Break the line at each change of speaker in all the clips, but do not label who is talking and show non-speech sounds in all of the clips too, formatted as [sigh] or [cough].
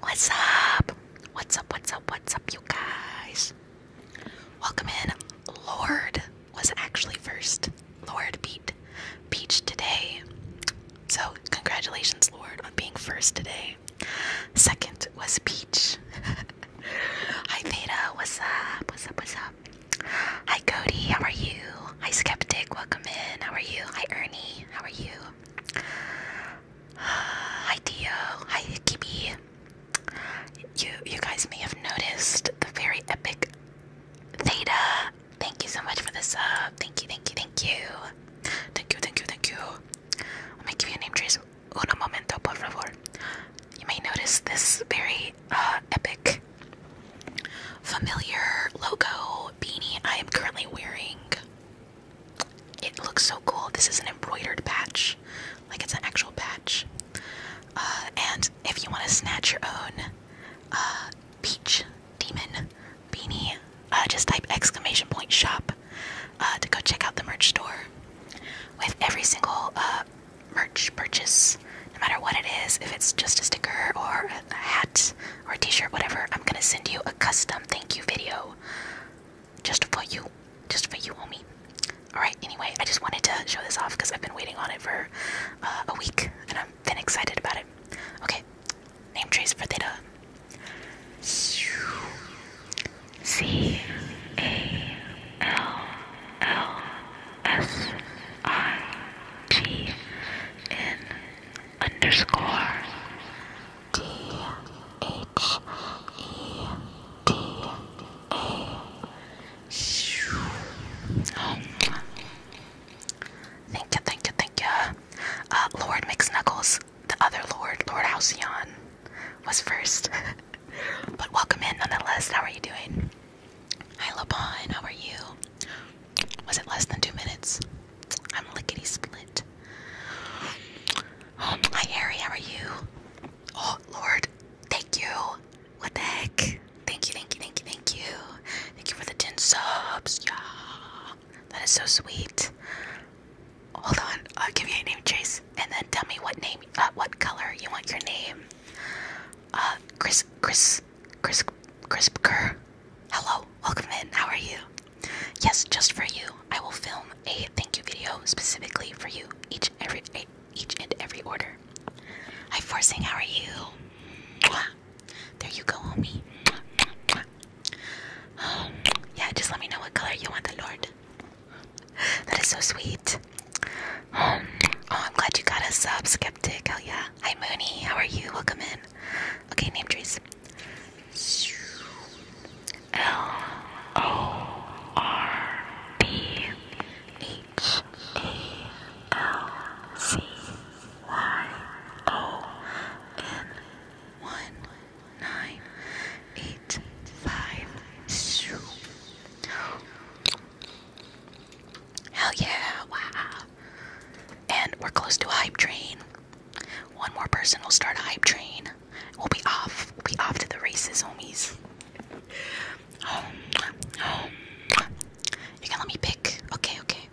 What's up? What's up? What's up? What's up, you guys? Welcome in. Lord was actually first. Lord beat Peach today. So, congratulations, Lord, on being first today. Second was Peach. [laughs] Hi Veda, what's up? What's up? What's up? Hi Cody, how are you? Hi Skeptic, welcome in. How are you? Hi Ernie, how are you? Hi Dio. Hi Kibi. You you guys may have noticed the very epic Theta. Thank you so much for the sub. Thank you, thank you, thank you. Thank you, thank you, thank you. Let me give you a name trace un momento, por favor. You may notice this very uh, epic, familiar logo beanie I am currently wearing. It looks so cool. This is an embroidered patch, like it's an actual patch. Uh, and if you want to snatch your own uh, peach demon beanie, uh, just type exclamation point shop uh, to go check out the merch store. With every single uh, merch purchase, no matter what it is, if it's just a sticker or a hat or a t-shirt, whatever, I'm gonna send you a custom thank you video just for you, just for you, homie. Alright, anyway, I just wanted to show this off because I've been waiting on it for uh, a week and i am been excited about it. Okay, name trees for theta. C A L L S I T N underscore D H E D A. Thank you, thank you, thank you. Uh, Lord McSnuggles, the other Lord, Lord Halcyon, was first. [laughs] but welcome in nonetheless. How are you doing? Hi, Lapon. How are you? Was it less than two minutes? I'm lickety split. Um, hi, Harry. How are you? Oh, Lord. Thank you. What the heck? Thank you, thank you, thank you, thank you. Thank you for the 10 subs. Yeah. That is so sweet. Hold on. I'll give you a name, Chase names, and then tell me what name, uh, what color you want your name. Uh, Chris, Chris, Chris, Chris Kerr. Hello, welcome in. How are you? Yes, just for you, I will film a thank you video specifically for you. Each every each and every order. Hi, forcing. How are you? Mwah. There you go, homie. Mwah, mwah, mwah. Um, yeah, just let me know what color you want the Lord. That is so sweet. oh, I'm glad you got a sub, Skeptic. Hell yeah. Hi, Mooney. How are you? Welcome in. Okay, name trees. L O R B H A L C Y O N one nine eight five. Hell yeah, wow. And we're close to a hype train. One more person will start a hype train. We'll be off. We'll be off to the races, homies. you can let me pick. Okay, okay.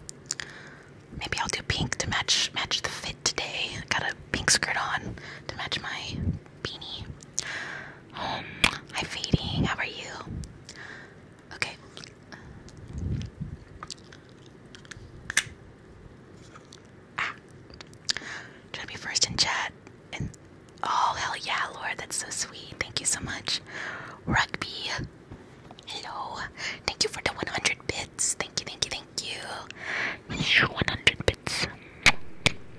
Maybe I'll do pink to match match the fit today. Got a pink skirt on to match my beanie. Oh, hi, Fading. How are you? Okay. Ah. to be first in chat. And oh hell yeah, Lord, that's so sweet. Thank you so much. Rugby. Hello. Thank you for the 100 bits. Thank you, thank you, thank you. 100 bits.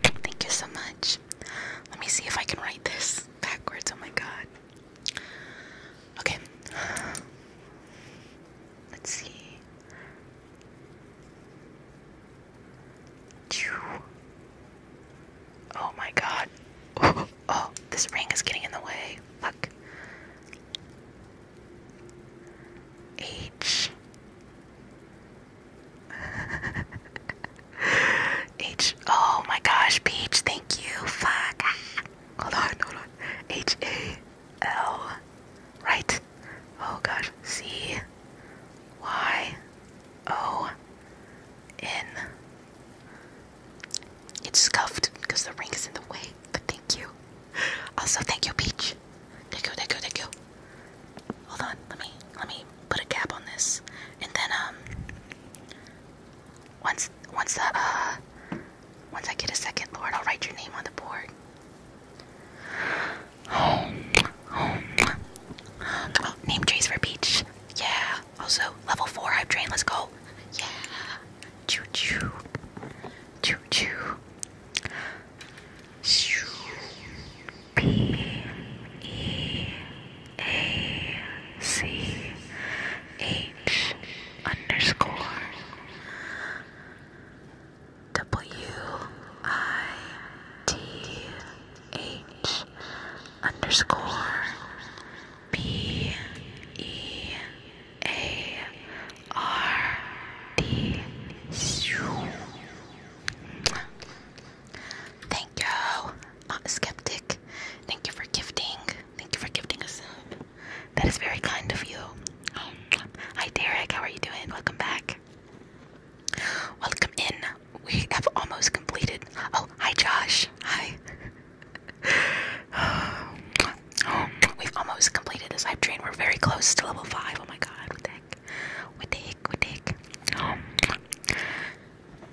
Thank you so much. Let me see if I can write this backwards. Oh my god. Okay. Let's see. Oh my god. [laughs] oh, this ring is getting in the way. Fuck. H [laughs] H. Oh my gosh, Peach, thank you. Fuck. [laughs] Hold on, hold on. H A L. Right. Oh gosh. C Y O N. It's scuffed because the ring is in the way, but thank you. Also, thank you, Peach. Thank you, thank you, thank you. Hold on, let me let me put a cap on this, and then um, once once the uh, once I get a second, Lord, I'll write your name on the board. Oh, oh, come on, name trees for beach. Yeah. Also, level four, I've trained. Let's go. Yeah. Choo choo. Choo choo. Shoo. P E A C H underscore W I T H underscore B E A R D. Thank you, not a skeptic. Thank you for gifting. Thank you for gifting us That is very kind of you. Oh, hi, Derek. How are you doing? Welcome back. Welcome in. We have almost completed. Oh, hi, Josh. Hi. [sighs] We've almost completed this hype train. We're very close to level 5. Oh my god, what the heck? What the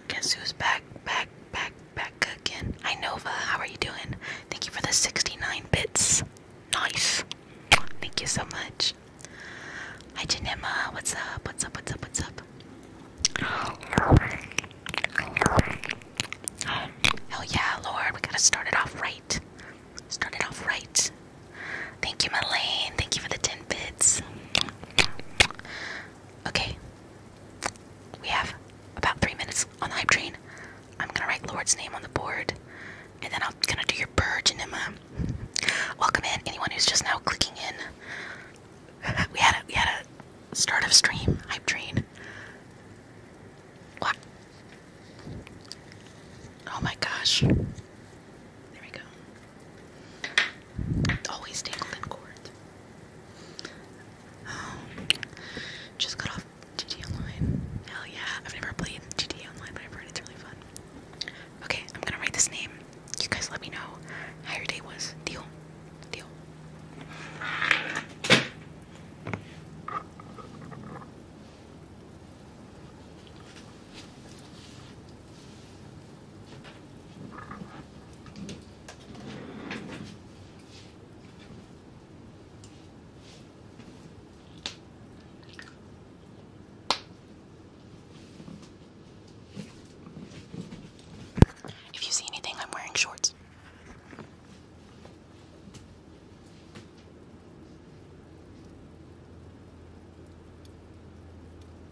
Guess who's back, back, back, back again? I Nova, how are you doing? Thank you for the 69 bits. Nice. Thank you so much. Hi Janema, what's up? What's up? What's up? What's up? Hell yeah, Lord, we gotta start it off right. Start it off right. Thank you, Malane. Thank you for the 10 bits. Okay. We have about three minutes on the hype train. I'm gonna write Lord's name on the board, and then I'm gonna do your purge enema. Um, welcome in anyone who's just now clicking in. [laughs] we had a we had a start of stream hype train. What? Oh my gosh. There we go always tangled in cords. Um, just got off GT Online. Hell yeah. I've never played GT Online, but I've heard it's really fun. Okay, I'm gonna write this name. You guys let me know how your day was. Deal. Deal. If you see anything, I'm wearing shorts.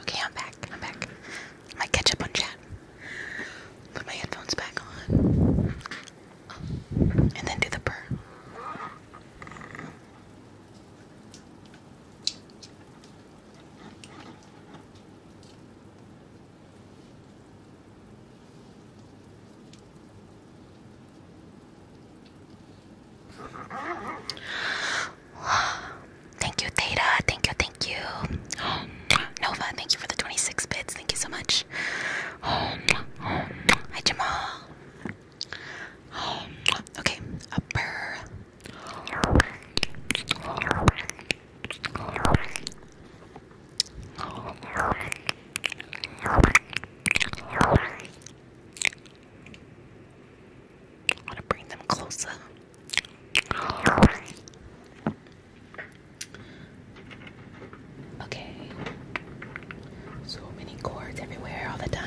Okay, I'm back. I'm back. I might catch up on chat. Put my headphones back on. And then do the purr. Thank you, Theta. Thank you, thank you. [gasps] Nova, thank you for the 26 bits. Thank you so much. [gasps] Hi, Jamal. [gasps] okay, upper. I want to bring them closer. Okay. So many cords everywhere all the time.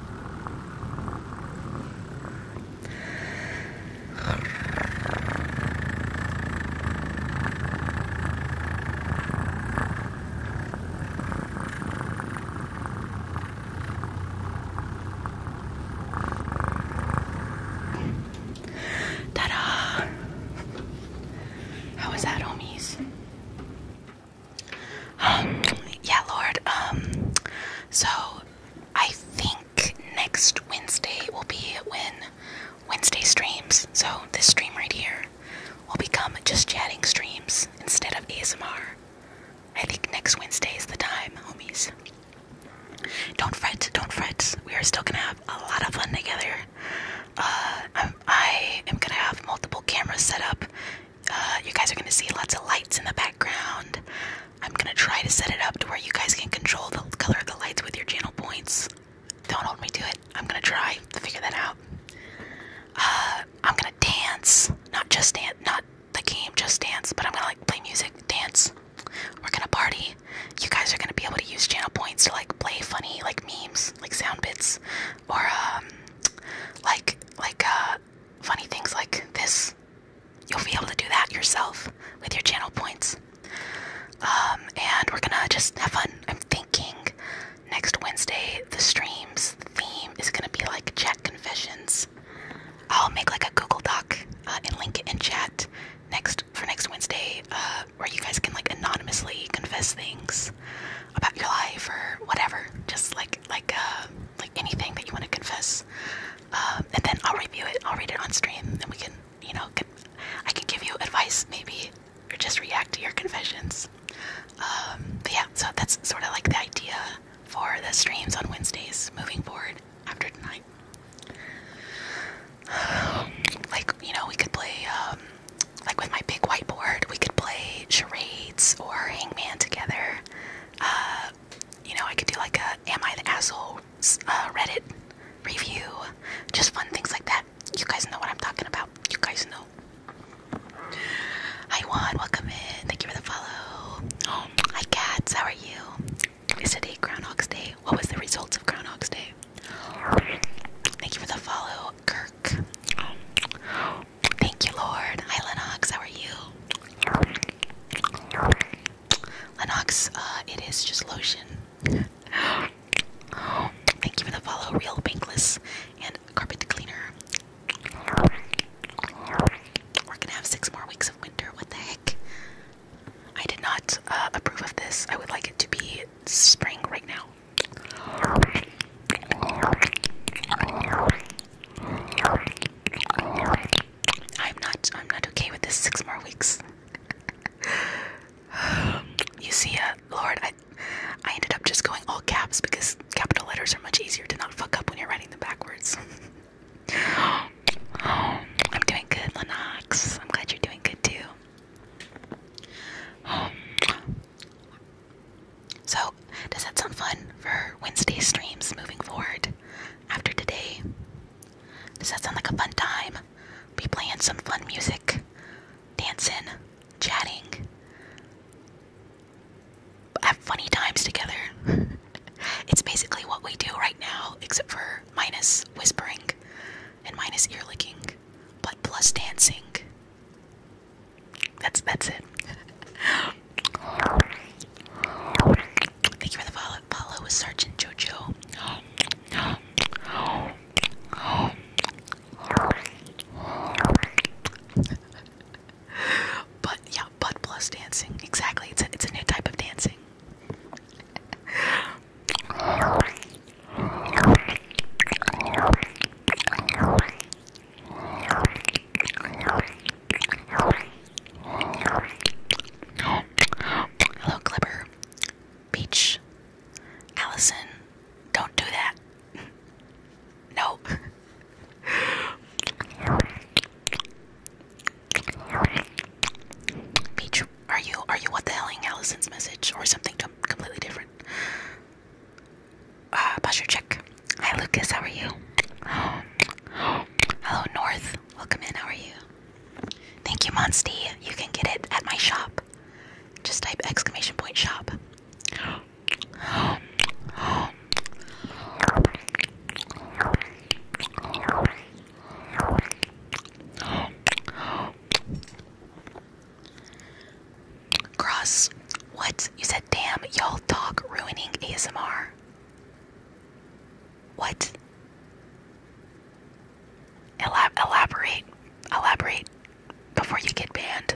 Ta-da! How was that, homies? Um, yeah, Lord. Um, so I think next Wednesday will be when Wednesday streams. So this stream right here will become just chatting streams instead of ASMR. I think next Wednesday is the time, homies. Don't fret, don't fret. We are still gonna have a lot of fun together. Uh, gonna have multiple cameras set up uh, you guys are gonna see lots of lights in the background. I'm gonna try to set it up to where you guys can control the color of the lights with your channel points. Don't hold me to it. I'm gonna try to figure that out. Uh, I'm gonna dance, not just dance, not the game, just dance, but I'm gonna like play music, dance. We're gonna party. You guys are gonna be able to use channel points to like play funny like memes, like sound bits, or um, like like uh, funny things like this. You'll be able to do that yourself with your channel points. Um, and we're gonna just have fun. I'm thinking next Wednesday, the stream's theme is gonna be like chat confessions. I'll make like a Google Doc uh, and link it in chat next for next Wednesday, uh, where you guys can like anonymously confess things about your life or whatever. Just like like uh, like anything that you want to confess, um, and then I'll review it. I'll read it on stream, and we can you know I can give you advice maybe or just react to your confessions. Um, yeah, so that's sort of like the idea for the streams on Wednesdays moving forward after tonight. [sighs] like you know, we could play um, like with my big whiteboard. We could play charades or Hangman together. Uh, you know, I could do like a Am I the Asshole uh, Reddit review. Just fun things like that. You guys know what I'm talking about. You guys know. Hi Juan, welcome in. Thank you for the follow. hi cats, how are you? Is today Groundhog's Day? What was the results of Groundhog's Day? Thank you for the follow, Kirk. Thank you, Lord. Hi, Lennox. How are you? Lennox, uh, it is just lotion. thank you for the follow. Real Bankless and Carpet Cleaner. We're gonna have six more weeks of winter. What the heck? I did not uh, approve of this. I would like it to be spring right now. I'm not I'm not okay with this six more weeks. [sighs] you see, uh, Lord, I I ended up just going all caps because capital letters are much easier to not fuck up when you're writing them backwards. [gasps] I'm doing good, Lennox. I'm glad you're doing good too. So, does that sound fun for Wednesday streams moving forward after today? Does that sound like a fun time? Be playing some fun music, dancing, chatting, have funny times together. [laughs] it's basically what we do right now, except for minus whispering and minus ear licking, but plus dancing. That's that's it. Thank you for the follow. Follow with Sergeant Jojo. but yeah, butt plus dancing. Exactly. It's it's a new type of dancing. Hello, Clipper. Peach. Allison. Don't do that. [laughs] No. Peach, are you are you what the helling Allison's message or something completely different? Uh, posture check. Hi, Lucas. How are you? [gasps] Hello, North. Welcome in. How are you? Thank you, Monsty. You can get it at my shop. Just type exclamation point shop. [gasps] Cross. What? You said, damn, y'all talk ruining ASMR. What? Elab elaborate. Elaborate before you get banned.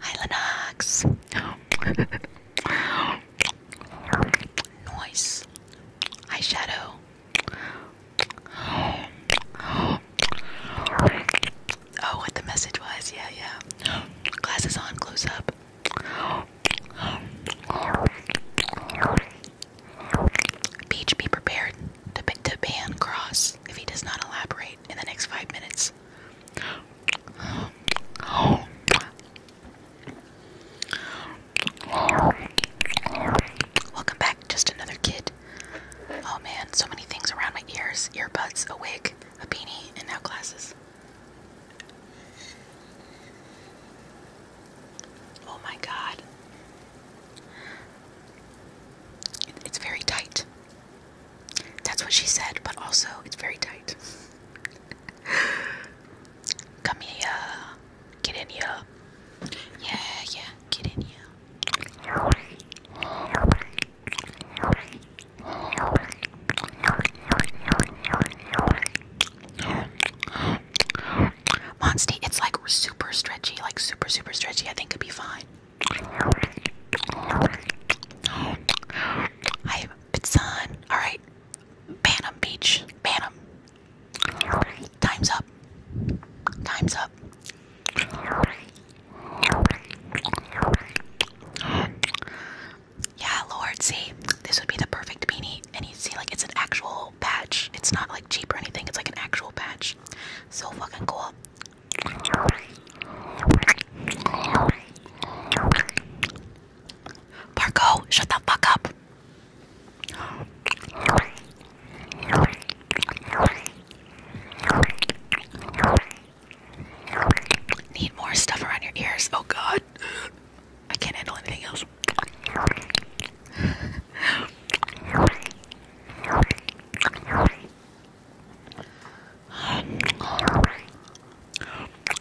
Hi, Noise. Eyeshadow. Oh, what the message was? Yeah, yeah. Glasses on, close up. Beach, be prepared to, to ban Cross if he does not elaborate in the next five minutes. Welcome back, just another kid. Oh man, so many things around my ears earbuds, a wig, a beanie, and now glasses. Oh my god. It's very tight. That's what she said, but also it's very tight. [laughs] Come Get in here. Yeah, yeah, get in here. Monstie, it's like super stretchy, like super, super stretchy. I think it'd be fine. Hi, Bitson. Alright. Bantam Beach. Bantam. Time's up. Time's up. Yeah, Lord, see, this would be the perfect beanie. And you see, like, it's an actual patch. It's not like cheap or anything, it's like an actual patch. So fucking cool. Marco, shut the fuck up. Need more stuff around your ears. Oh god. I can't handle anything else.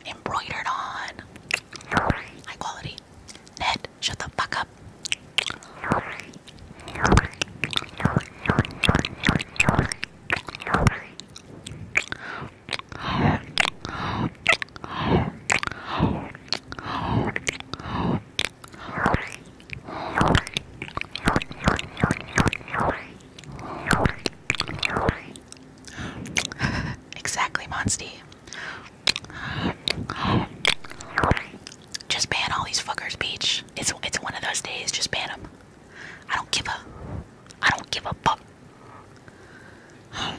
Embroidered on. High quality. Ned, shut the fuck up. [laughs] exactly, Monstie. Just ban all these fuckers, Peach. It's it's one of those days. Just ban them. I don't give a. I don't give a fuck. I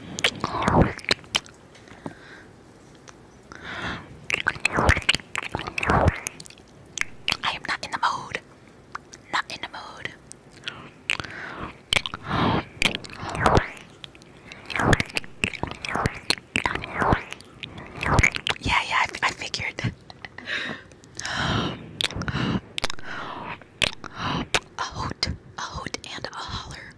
am not in the mood. Not in the mood. Yeah, yeah, I, figured. A hoot, and a holler.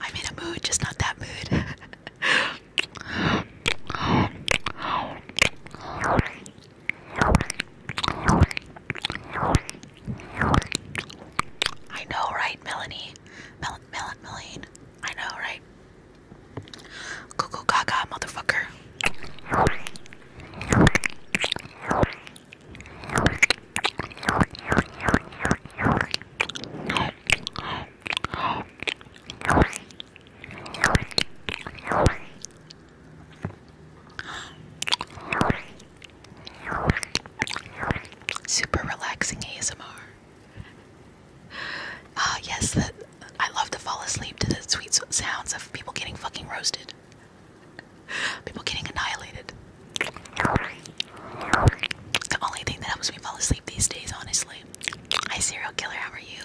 I'm in a mood, just not that mood. I know, right, Melanie? Melon, melon, I know, right? Cuckoo gaga, motherfucker. Super relaxing ASMR. Ah, yes, I love to fall asleep to the sweet sounds of people getting fucking roasted, people getting annihilated. the only thing that helps me fall asleep these days, honestly. Hi, serial killer, how are you?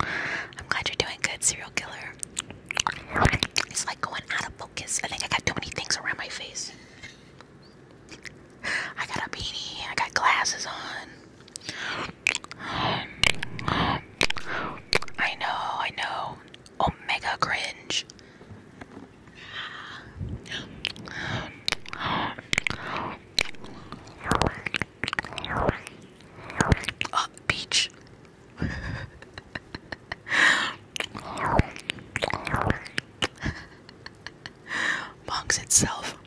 I'm glad you're doing good, serial killer. It's like going out of focus. I think I got too many things around my face. I got a beanie, I got glasses on. I know, I know. Omega cringe. Uh, beach. Monks itself.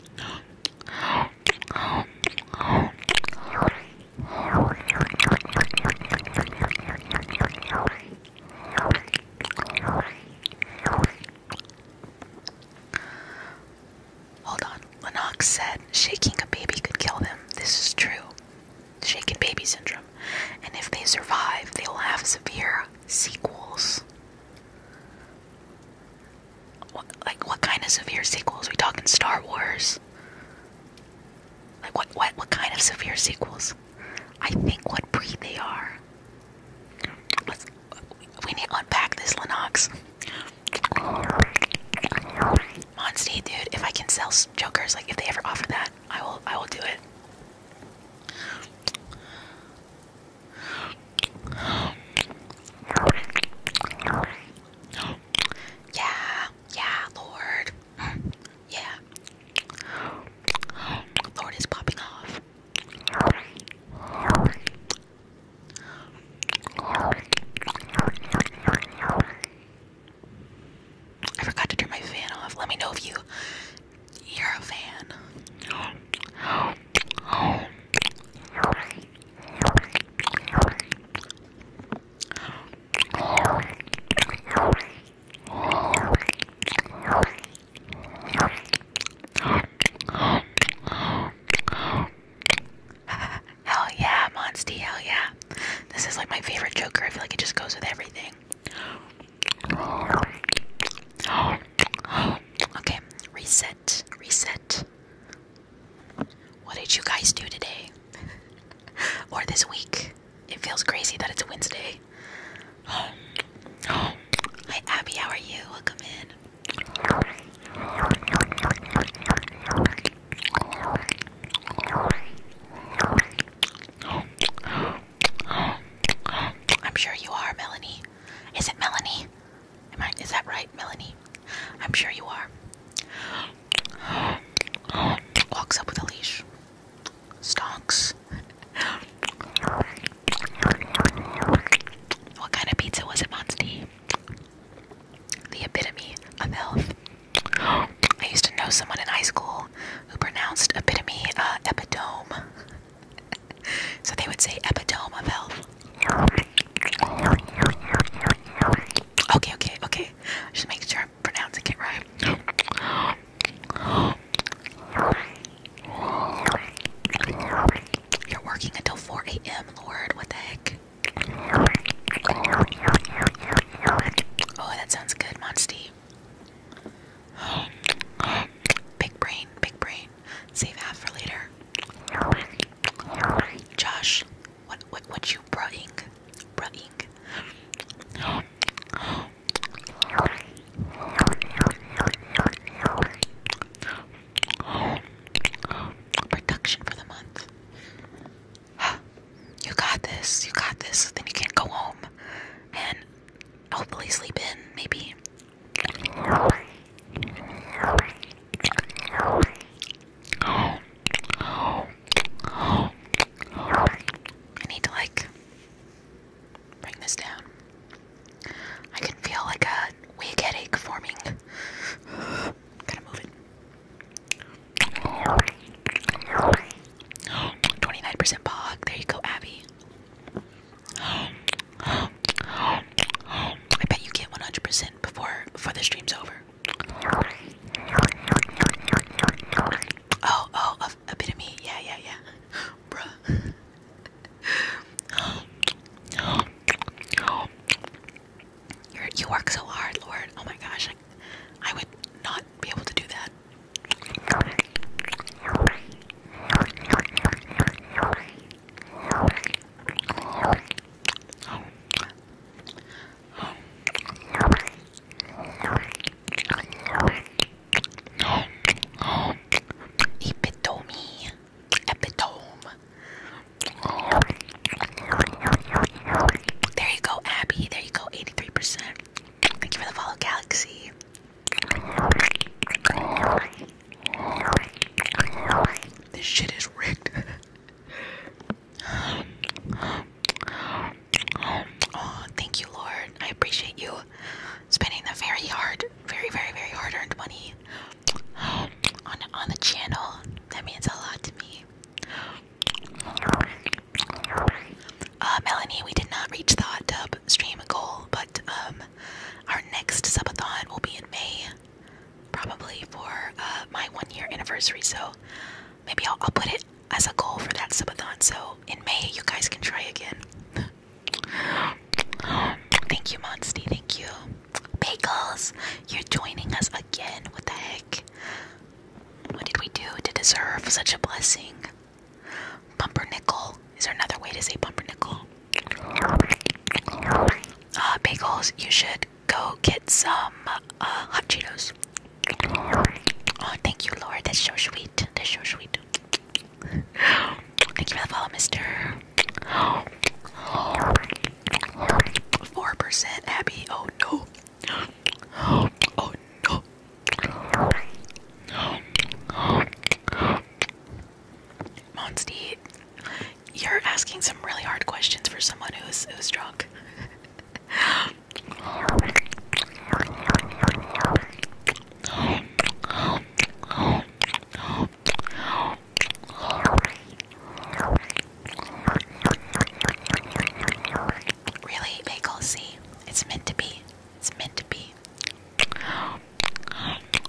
Hold on. Lennox said shaking a baby could kill them. This is true. Shaken baby syndrome. And if they survive, they will have severe sequels. What, like what kind of severe sequels? Are we talking Star Wars? Like what what what kind of severe sequels? I think what breed they are. Let's we need to unpack this Lennox. Monstie, dude, if I can sell jokers, like if they ever offer that, I will I will do it. Yeah, yeah, Lord. Yeah. Lord is popping off. I forgot to turn my fan off. Let me know if you you're a fan. [laughs] Hell yeah, Monsty, hell yeah. This is like my favorite Joker. I feel like it just goes with everything. Okay, reset, reset. What did you guys do today? [laughs] or this week? It feels crazy that it's Wednesday. Hi, Abby, how are you? Welcome in. I'm sure you are, Melanie. Is it Melanie? Am I, is that right, Melanie? I'm sure you are. Walks up with a leash. Stonks. What kind of pizza was it, Monstie? the epitome of health. [gasps] I used to know someone in high school who pronounced epitome uh, epitome. [laughs] so they would say epitome of health. Okay, okay, okay. Just make sure I'm pronouncing it right. [gasps] You're working until 4 a.m., Lord. What the heck? Oh, that sounds good, Monstie. Big brain, big brain. Save half for later. Josh, what what what you brutting? Brutting. Production for the month. [gasps] you got this, you got this. Then you can not go home and hopefully sleep in, maybe. [gasps] I need to like bring this down. I can feel like a wig headache forming. 29% pog. There you go, Abby. I bet you get 100% before before the stream's over. Oh, oh, a, bit of me. Yeah, yeah, yeah. Bruh you work so hard, Lord. Oh my gosh, I, would not be able to do that. Epitome. Epitome. There you go, Abby. There you go, 83%. Thank you for the follow, Galaxy. This shit is rigged. oh, [laughs] thank you, Lord. I appreciate you spending the very hard, very, very, very hard-earned money on on the channel. That means a lot to me. Uh, Melanie, we did not reach the hot tub stream goal, but um, our next subathon will be in May, probably for uh, my one year anniversary. So maybe I'll, put it as a goal for that subathon. So in May, you guys can try again. [gasps] Thank you, Monsty. Thank you. Bagels, you're joining us again. What the heck? What did we do to deserve such a blessing? nickel. Is there another way to say pumpernickel? Uh, bagels, you should go get some uh, hot Cheetos. Oh, thank you, Lord. That's so sweet. That's so sweet. Thank you for the follow, mister. 4% Abby. Oh no. Oh you're asking some really hard questions for someone who's who's drunk. Really, bagel? See, it's meant to be. It's meant to be.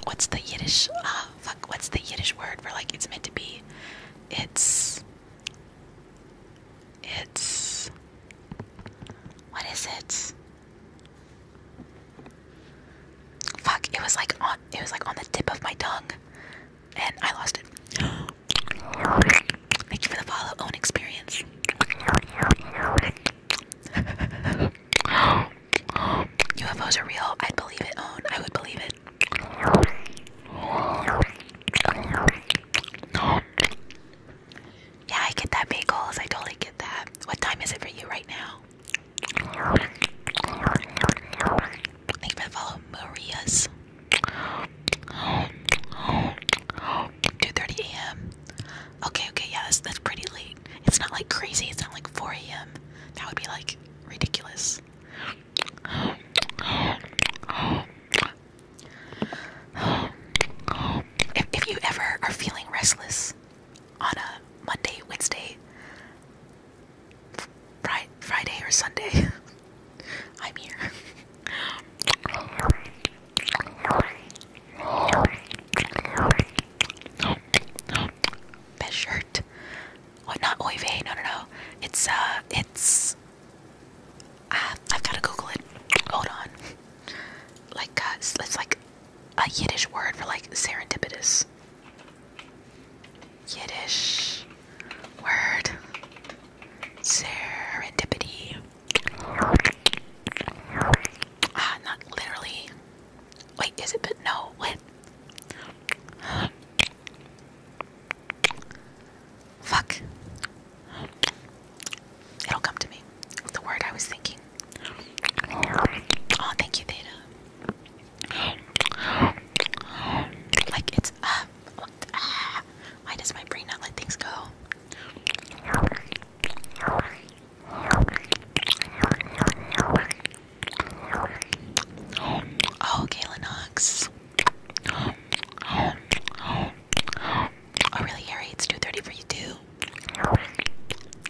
What's the Yiddish? Uh, fuck. What's the Yiddish word for like it's meant to be? It's. It's. What is it? Fuck! It was like on. It was like on the tip of my tongue and I lost it. [gasps] Thank you for the follow own experience. UFOs [laughs] are real. I'd believe it, own. I would believe it. Yeah, I get that, bagels. I totally get that. What time is it for you right now? Thank you for the follow, Maria's. 2:30 a.m. Okay, okay, yes, that's, that's pretty late. It's not like crazy. It's not like 4 a.m. That would be like ridiculous. If, if you ever are feeling restless on a Monday, Wednesday, Friday, Friday or Sunday. [laughs] I'm here. Best shirt. Oh, not Oy No, no, no. It's, uh, it's. Uh, I've gotta Google it. Hold on. Like, uh, it's like a Yiddish word for like serendipitous. Yiddish word serendipity. Ah, not literally. Wait, is it? But no, what? Fuck. It'll come to me. The word I was thinking. Oh, thank you, Theta. Like it's why does my brain not let things go? Oh, okay, Lennox. Oh, really, Harry? It's 2.30 for you, too.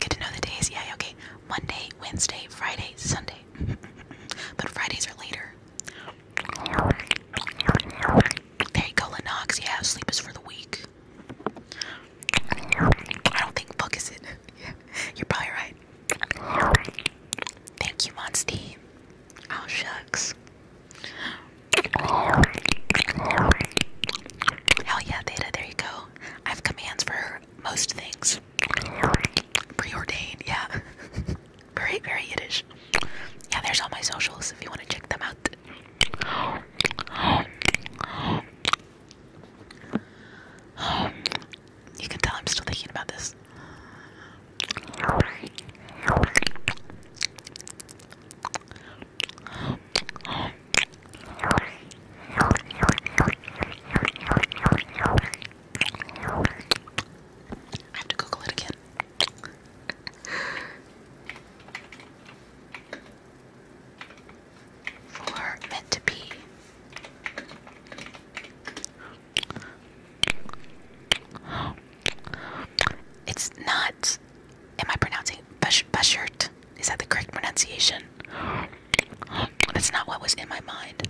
Good to know the days. Yeah, okay. Monday, Wednesday, Friday, Sunday. [laughs] but Fridays are later. Hey, Cola Knox, yeah, sleep is for the weak. I don't think book is it. [laughs] Yeah, you're probably right. Thank you, Monsty. Oh, shucks. Hell yeah, Theta, there you go. I have commands for most things. Preordained, yeah. [laughs] Very very Yiddish. Yeah, there's all my socials if you want to check them out. You can tell I'm still thinking about this. I have to Google it again. For meant to be. It's not. Am I pronouncing Bashert? Is that the correct pronunciation? That's not what was in my mind.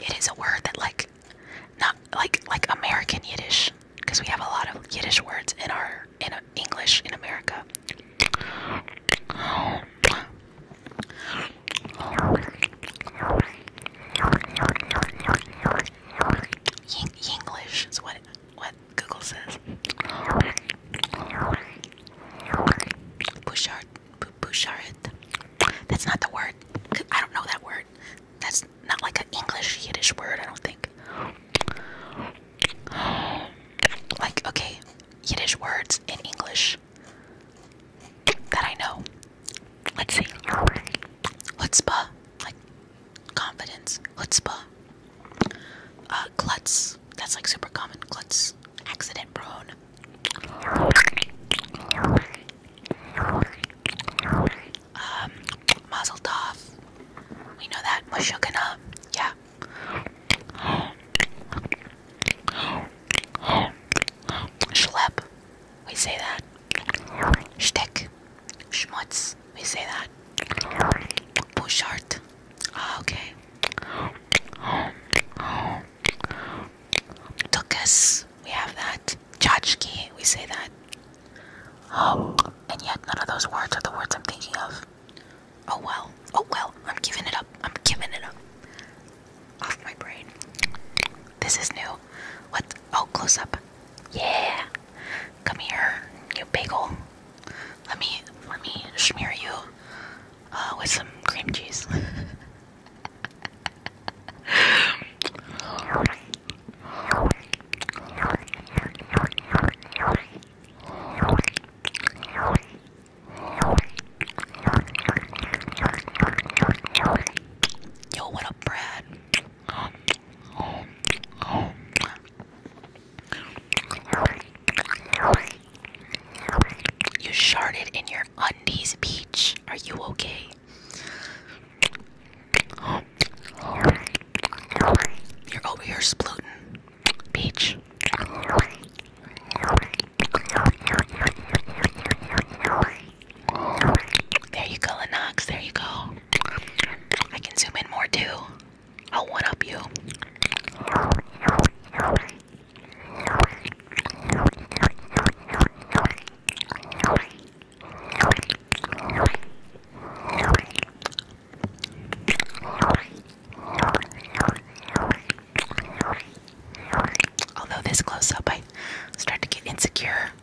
It is a word that like not like like American Yiddish because we have a lot of Yiddish words in our in a, English in America. English is what what Google says. Bouchard, Bouchard. That's not the word. I don't know that word. That's not like an English Yiddish word. I don't think. Like okay, Yiddish words in English that I know. Let's see. Chutzpah, confidence, chutzpah, uh, klutz. That's like super common. Klutz, accident prone. Um, mazel tov. We know that. Mashukana. Yeah. Schlep. We say that. Shtick. Schmutz. We say that. Bouchard. Ah, okay. Tukas. We have that. Tchotchke. We say that. Um, and yet none of those words are the words I'm thinking of. Oh well. Oh well. I'm giving it up. I'm giving it up. Off my brain. This is new. What? Oh, close up. Yeah. Come here, you bagel. Let me let me smear you uh, with some cream cheese. [laughs] Yo, what up, Brad? You sharded in your undies, Peach. Are you okay? You're over here splooting, Peach. There you go, Anox. There you go. I can zoom in more too. I'll one up you. Although this close up, I start to get insecure.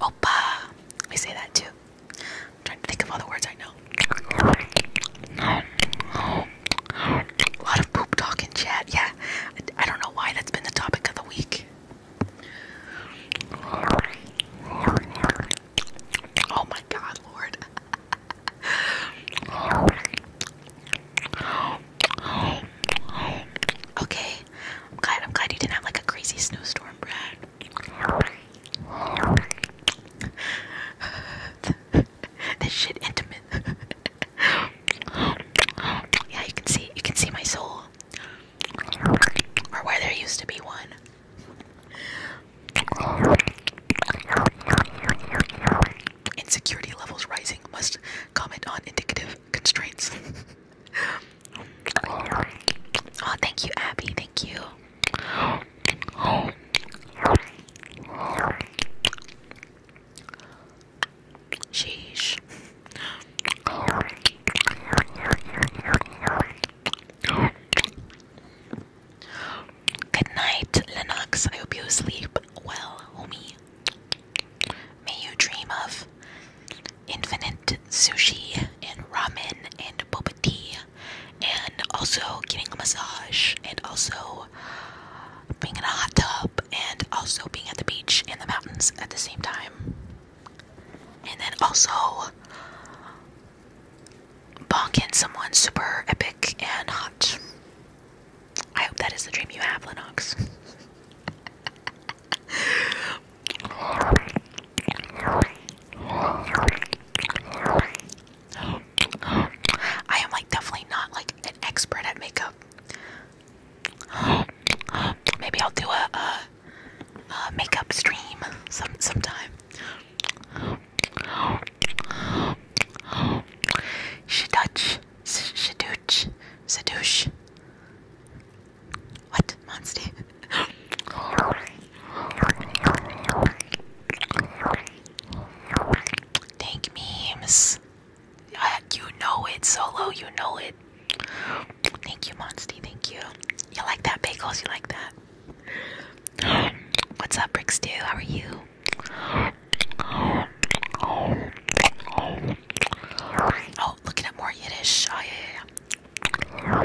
Opa. We say that too. i trying to think of all the words I know. A lot of poop talk chat. Yeah. I don't know why that's been the topic of the week. Oh my god, Lord. [laughs] Okay, I'm glad I'm glad you didn't have like a crazy snowstorm, Brad. [laughs] this shit intimate. yeah, you can see you can see my soul. Or where there used to be one. Insecurity levels rising must comment on indicative constraints. [laughs] Oh, thank you, Abby. Thank you. Sheesh. Good night, Lennox. I hope you sleep well, homie. May you dream of infinite sushi and ramen and boba tea and also getting a massage and also being in a hot tub and also being at the beach and the mountains at the same time. And then also bonking someone super epic and hot. I hope that is the dream you have, Lennox. [laughs] I am like definitely not like an expert at makeup. Maybe I'll do a, a, makeup stream some sometime. Shaduch, Shaduch, Shaduch. What monster? Thank memes. Uh, you know it, Solo. You know it. Thank you, Monsty. Thank you. You like that, Bagels? You like that? What's up, Brickstew? How are you? Oh, looking at more Yiddish. Oh,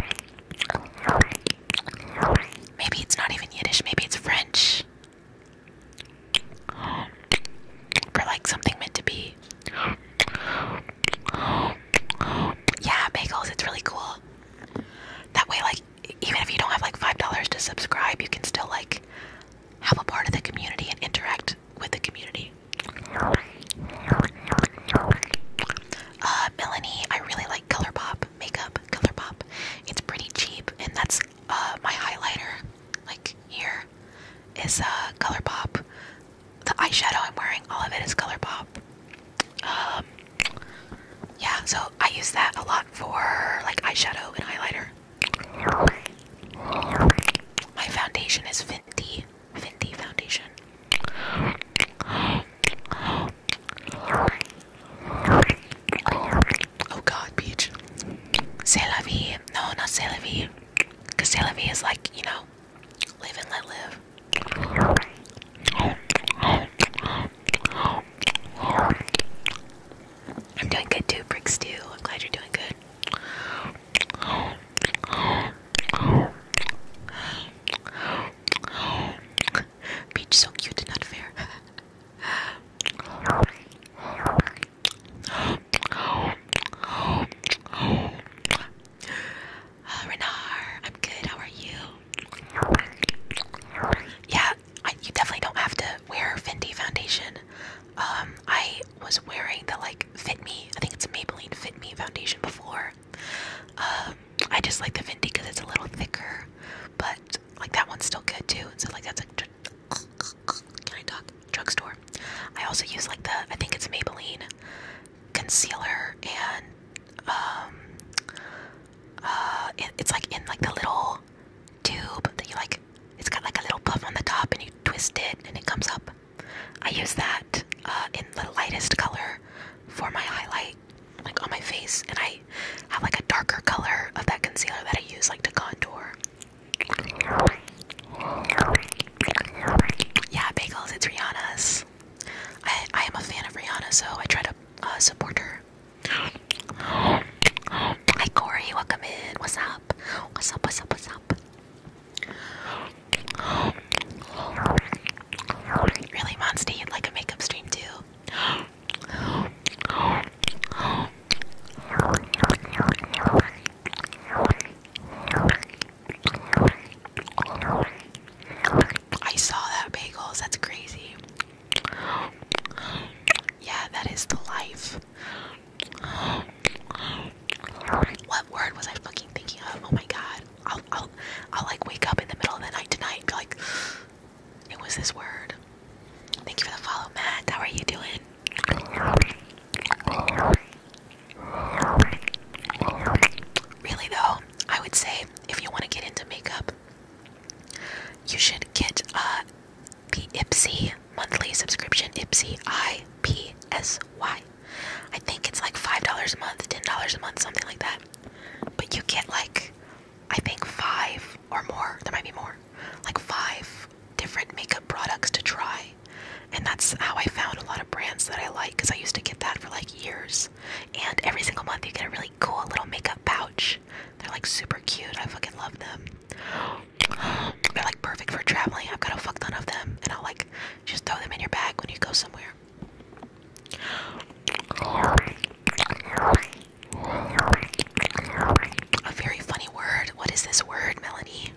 maybe it's not even Yiddish, maybe it's French. Or like something meant to be. Yeah, bagels, it's really cool. That way, like, even if you don't have like $5 to subscribe, you can still like have a part of the community and interact with the community. Uh, Melanie, I really like ColourPop makeup. ColourPop, it's pretty cheap, and that's uh my highlighter. Like here is uh ColourPop. The eyeshadow I'm wearing, all of it is ColourPop. Um, yeah, so I use that a lot for like eyeshadow and highlighter. My foundation is Fenty. Fenty foundation. Oh god, Peach. C'est la No, not c'est la Because c'est la is like, you know, live and let live. I'm doing good too, Bricks too. I'm glad you're doing good. Peach so cute, not fair. Uh, I'm good. How are you? Yeah, you definitely don't have to wear Fendi foundation. Um, I was wearing the like Fit Me, I think it's Maybelline Fit Me foundation before. Um, I just like the Fenty because it's a little thicker, but like that one's still good too. And so like that's like can I talk drugstore? I also use like the I think it's Maybelline concealer and um, uh, it's like in like the little tube that you like. It's got like a little puff on the top, and you twist it, and it comes up. I use that uh, in the lightest color for my highlight, like on my face, and I have like a darker color of that concealer that I use like to contour. Yeah, bagels, it's Rihanna's. I, I am a fan of Rihanna, so I try to uh, support her. Hi Corey, welcome in. What's up? What's up? What's Really, Monster, you'd like a makeup stream too? I saw that bagels, that's crazy. Yeah, that is the life. What word was I fucking thinking of? Oh my god. I'll I'll I'll like wake up in the middle of the night tonight and be like it was this word. Thank you for the follow, Matt. How are you doing? Really though, I would say if you want to get into makeup, you should get uh the Ipsy monthly subscription, Ipsy I P S Y I think it's like $5 a month, $10 a month, something like that. But you get like, I think five or more, there might be more, like five different makeup products to try. And that's how I found a lot of brands that I like because I used to get that for like years. And every single month you get a really cool little makeup pouch. They're like super cute. I fucking love them. [gasps] They're like perfect for traveling. I've got a fuck ton of them. And I'll like just throw them in your bag when you go somewhere. A very funny word. What is this word, Melanie?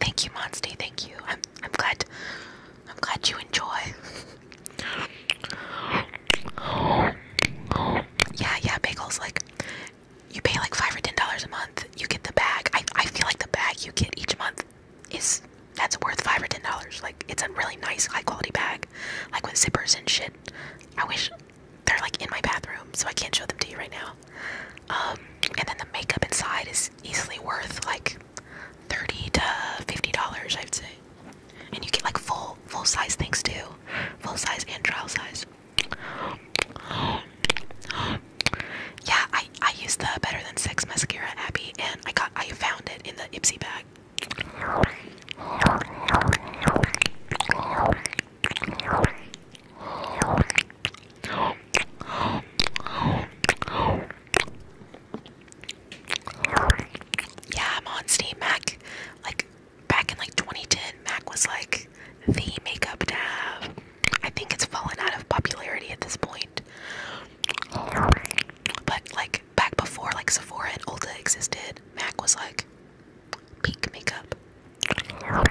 Thank you, Monsty. Thank you. I'm I'm glad I'm glad you enjoy. yeah, yeah, bagels like you pay like five or ten dollars a month, you get the bag. I I feel like the bag you get each month is that's worth five or ten dollars. Like it's a really nice high quality bag. Like with zippers and shit. I wish they're like in my bathroom, so I can't show them to you right now. Um and then the makeup inside is easily worth like thirty to fifty dollars I'd say. And you get like full full size things too. Full size and trial size. Yeah, I I used the Better Than Sex mascara, Abby, and I got I found it in the Ipsy bag. Yeah, I'm on Steam Mac. Like back in like 2010, Mac was like the makeup to have, I think it's fallen out of popularity at this point. But like back before like Sephora and Ulta existed, MAC was like peak makeup. Yeah,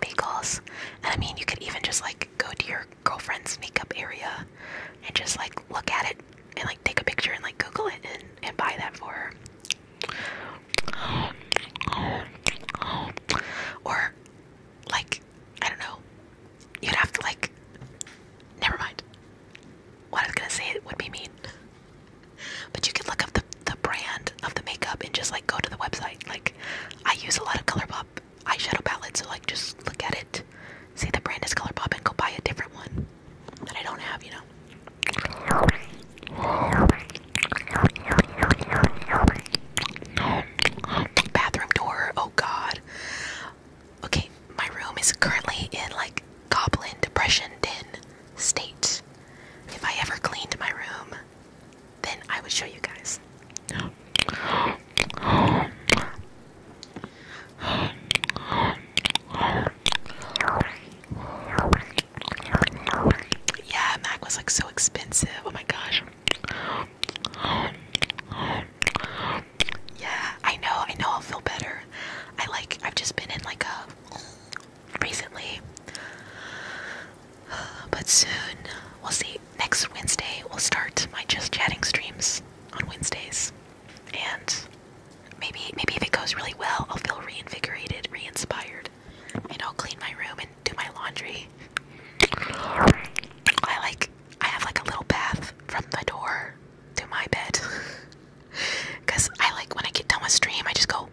bagels. And I mean, you could even just like go to your girlfriend's makeup area and just like look at it and like take a picture and like Google it and, and buy that for her. Or like I don't know. You'd have to like never mind. What I was gonna say it would be mean. But you can look up the the brand of the makeup and just like go to the website. Like I use a lot of ColourPop eyeshadow palettes, so like just look at it, see the brand is ColourPop, and go buy a different one. Bathroom door, oh god. Okay, my room is currently in like goblin depression den state. If I ever cleaned my room, then I would show you guys. Yeah, Mac was like so expensive. Oh my gosh. Yeah, I know, I know I'll feel better. I like I've just been in like a recently. But soon we'll see. Next Wednesday we'll start my just chatting streams on Wednesdays and maybe maybe if it goes really well, I'll feel reinvigorated, re-inspired, and I'll clean my room and do my laundry. I like I have like a little bath from the door to my bed, [laughs] I like when I get done with stream, I just go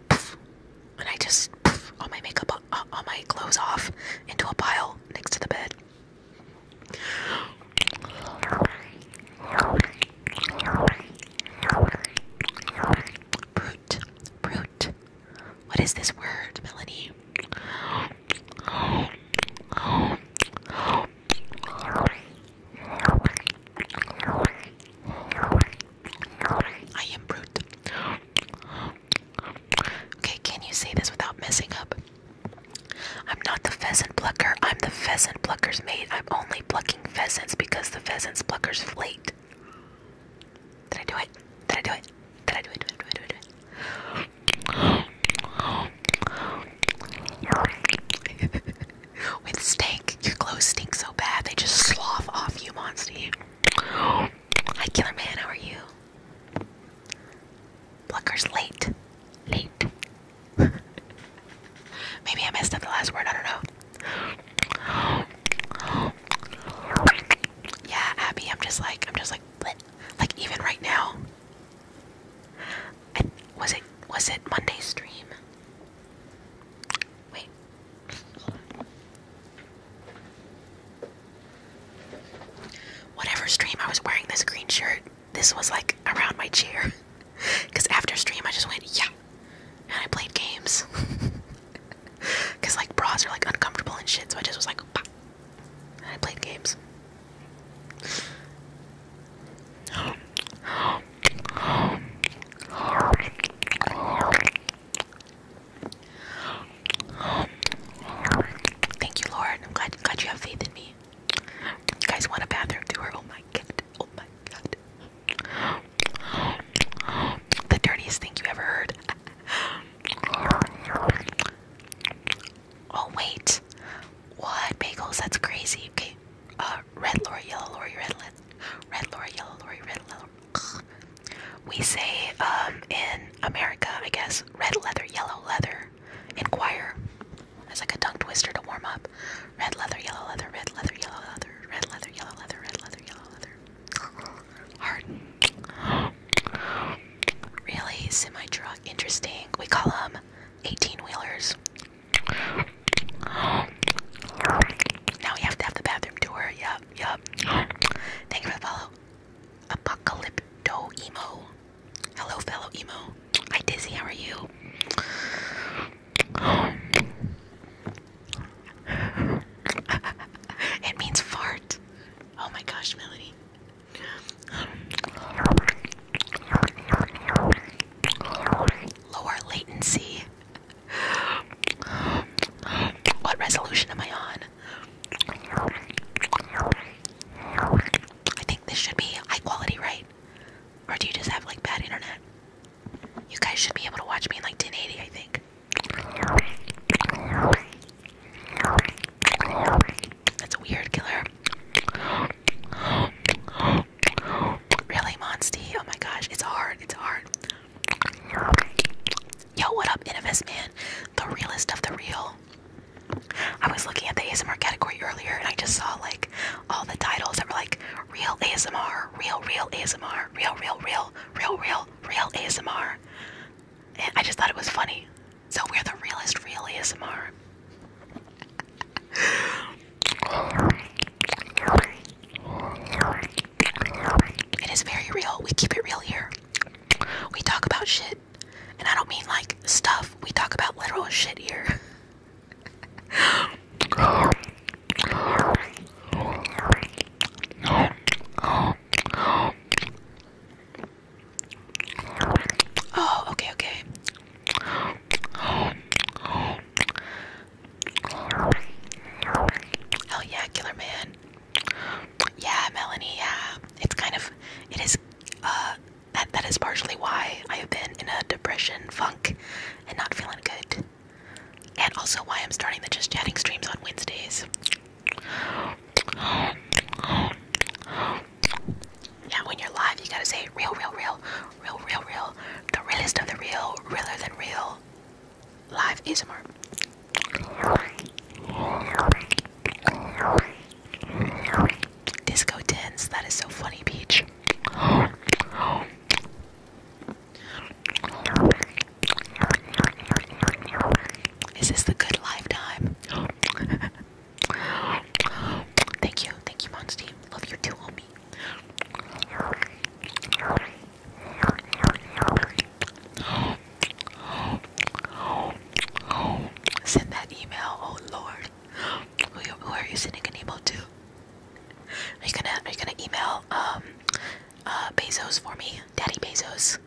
and I just all my makeup, uh, all my clothes off into a pile next to the bed. Brute. Brute. What is this word, Melanie? I am brute. Okay, can you say this without messing up? I'm not the pheasant blucker. I'm the pheasant blucker's mate. I'm only plucking pheasants because the pheasants bluckers flaked. Did I do it? Did I do it? Did I do it? With stink, your clothes stink so bad they just slough off you, Monstie. Hi, Killer Man, how are you? Plucker's late. Late. Maybe I messed up the last word, I don't know. Yeah, Abby, I'm just like, I'm just like, like even right now. was it, was it Monday's stream? Wait. Whatever stream I was wearing this green shirt, this was like around my chair. Because [laughs] after stream, I just went, yeah. And I played games. Because, [laughs] like, bras are, like, uncomfortable and shit, so I just was like, I played games. Thank you, Lord. I'm glad, glad you have faith in me. You guys want a bathroom tour? Oh my god. Oh my god. The dirtiest thing you ever heard. oh wait. What bagels? That's crazy. Okay. Uh red lorry, yellow lorry, red red lorry, yellow lorry, red lorry. We say um in America, I guess, red leather, yellow leather. Inquire. It's like a tongue twister to warm up. Red leather, yellow leather, red leather, yellow leather, red leather, yellow leather, red leather, yellow leather. Hard. Really? Semi truck. Interesting. We call them 18 wheelers. Now we have to have the bathroom tour. Yep, yep. Thank you for the Apocalypto emo. Hello, fellow emo. Hi, Dizzy. How are you? it means fart. Oh my gosh, Melody. Lower latency. What resolution am I on? I think this should be high quality, right? Or do you just have like bad internet? You guys should be able to watch me in like 1080, I think. That's a weird killer. Really, Monsty? Oh my gosh, it's hard. It's hard. Yo, what up, NFS man? The realest of the real. I was looking at the ASMR category earlier and I just saw like all the titles that were like real ASMR, real, real ASMR, real, real, real, real, real, real ASMR. I just thought it was funny. So we're the realest real ASMR. It is very real. We keep it real here. We talk about shit. And I don't mean like stuff. We talk about literal shit here. [laughs] Oh, okay, okay. Oh yeah, Killer Man. Yeah, Melanie, yeah. It's kind of it is uh that that is partially why I have been in a depression funk and not feeling good and also why I'm starting the Just Chatting streams on Wednesdays. Yeah, when you're live, you gotta say real, real, real, real, real, real, the realest of the real, realer than real. Live ASMR. Disco tens, that is so funny, Peach. Is this the good lifetime? thank you, thank you, Monstie. Love you too, homie. Send that email, oh Lord. Who, who are you sending an email to? Are you gonna Are you gonna email um uh, Bezos for me, Daddy Bezos?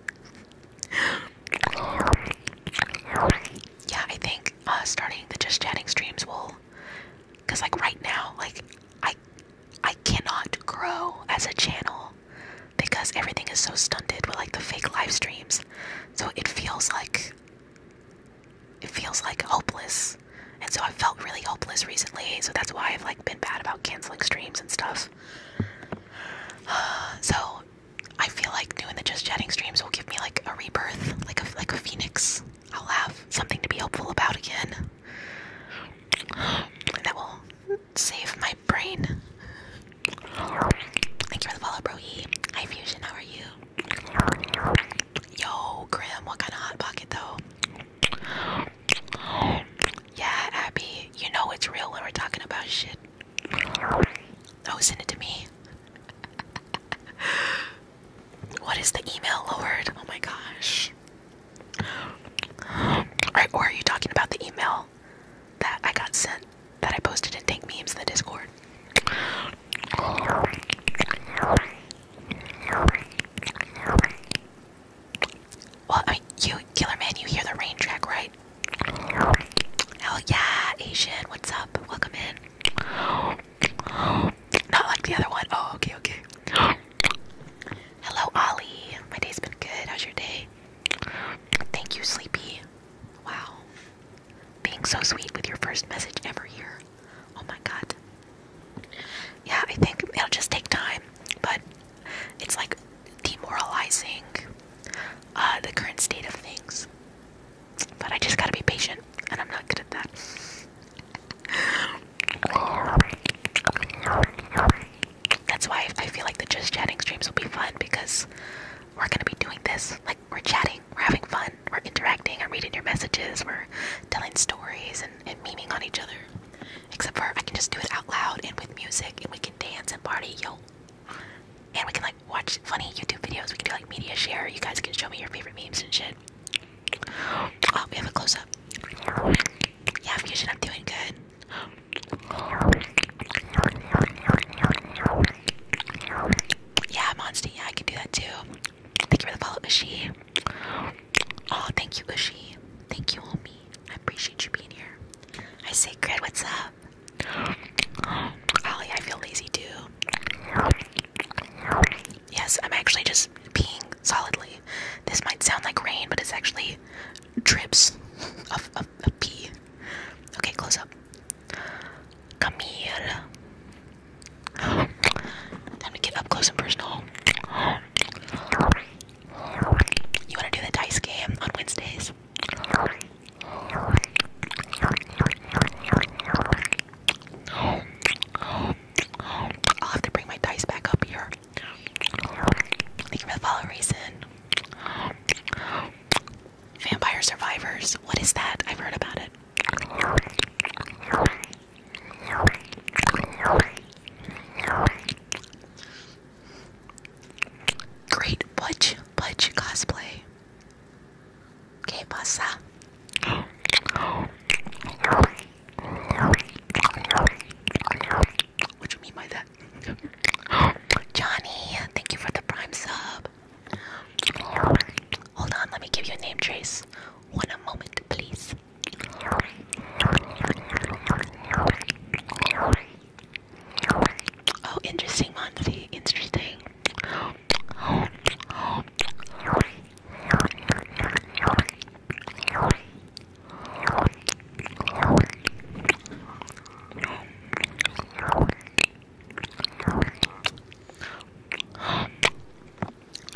yeah, I think uh, starting the just chatting streams will, cause like right now, like I I cannot grow as a channel because everything is so stunted with like the fake live streams. So it feels like it feels like hopeless. And so I felt really hopeless recently, so that's why I've like been bad about canceling streams and stuff. [sighs] so I feel like doing the just chatting streams will give me like a rebirth, like a like a phoenix. I'll have something to be hopeful about again. that will save my brain. Thank you for the follow, bro. E. Hi Fusion, how are you? Yo, Grim, what kind of hot pocket though? Yeah, Abby, you know it's real when we're talking about shit. Oh, send it to me. [laughs] what is the email, Lord? Oh my gosh. Right, or are you talking about the email that I got sent that I posted in Tank Memes in the Discord? Well, I mean, you, Killer Man, you hear the rain track, right? Hell yeah, Asian, what's up? Welcome in. Not like the other one. Oh, okay, okay. Hello, Ollie. My day's been good. How's your day? Thank you, Sleepy. Wow. Being so sweet with your first message ever here. Oh my god. Yeah, I think it'll just take time, but it's like demoralizing uh, the current state of things. But I just gotta be patient, and I'm not good at that. That's why I feel like the just chatting streams will be fun because we're gonna be doing this. Like, we're chatting, we're having fun, we're interacting, I'm reading your messages, we're telling stories and, and memeing on each other. Except for I can just do it out loud and with music and we can dance and party, yo. And we can like watch funny YouTube videos. We can do like media share. You guys can show me your favorite memes and shit. Oh, we have a close up. Yeah, Fusion, I'm doing good. Yeah, Monsty, I can do that too. Thank you for the follow, Ushi. Oh, thank you, Ushi. Thank you, homie. I appreciate you being here. I say, Grid, what's up? Ollie, I feel lazy too. Yes, I'm actually just peeing solidly. This might sound like rain, but it's actually drips of, of, pee. Okay, close up. Come here. Time to get up close and personal. You want to do the dice game on Wednesdays? I'll have to bring my dice back up here. Thank you for Vampire Survivors. What is that? I've heard about it. Great Butch Butch cosplay. Que pasa? What do you mean by that? Johnny, thank you for the prime sub. Hold on, let me give you a name, Trace. One moment, please. Oh, interesting, Monty. Interesting. All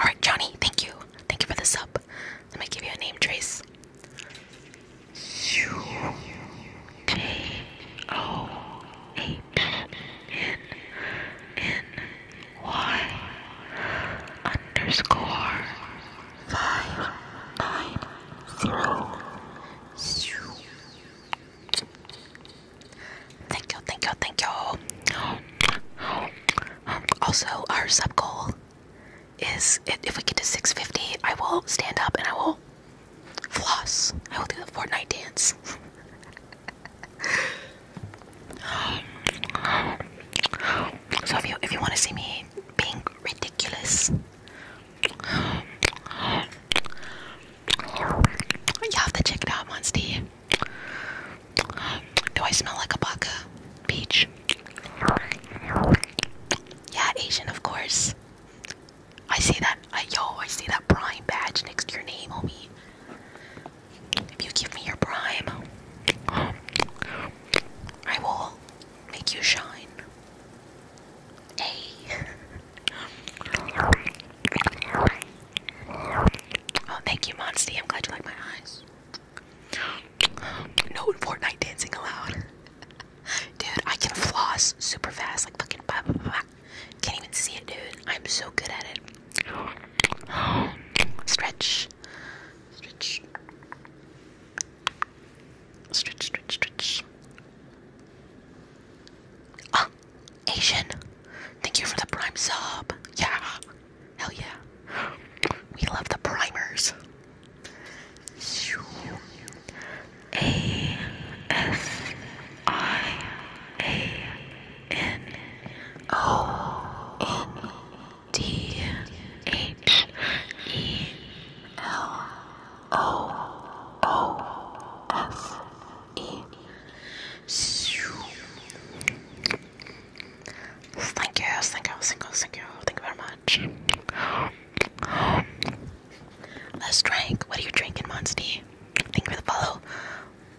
right, Johnny. Thank you. Thank you for the sub. Let me give you a name, Trace. U K O H N N Y underscore five nine zero. Thank you, thank you, thank you. Also, our sub goal is if we get to 650, I will stand up and I will floss. I will do the Fortnite dance. [laughs] so if you if you want to see me being ridiculous, you have to check it out, Monstie. Do I smell like a baka? Peach. Yeah, Asian, of course. I see that. I, yo, I see that Prime badge next to your name, homie. If you give me your Prime, I will make you shine. Hey. Oh, thank you, Monsty. I'm glad you like my eyes. No Fortnite dancing allowed. Dude, I can floss super fast, like fucking blah, blah, blah. Can't even see it, dude. I'm so good at it. Stretch. Stretch. Stretch, stretch, stretch. Ah, Asian. Thank you for the prime sub. Yeah. Hell yeah. We love the primers. A S I A N O N D H E L O O S E. Thank you, thank you, thank you, thank you, thank you very much. Let's drink. What are you drinking, Monsty? Thank you for the follow.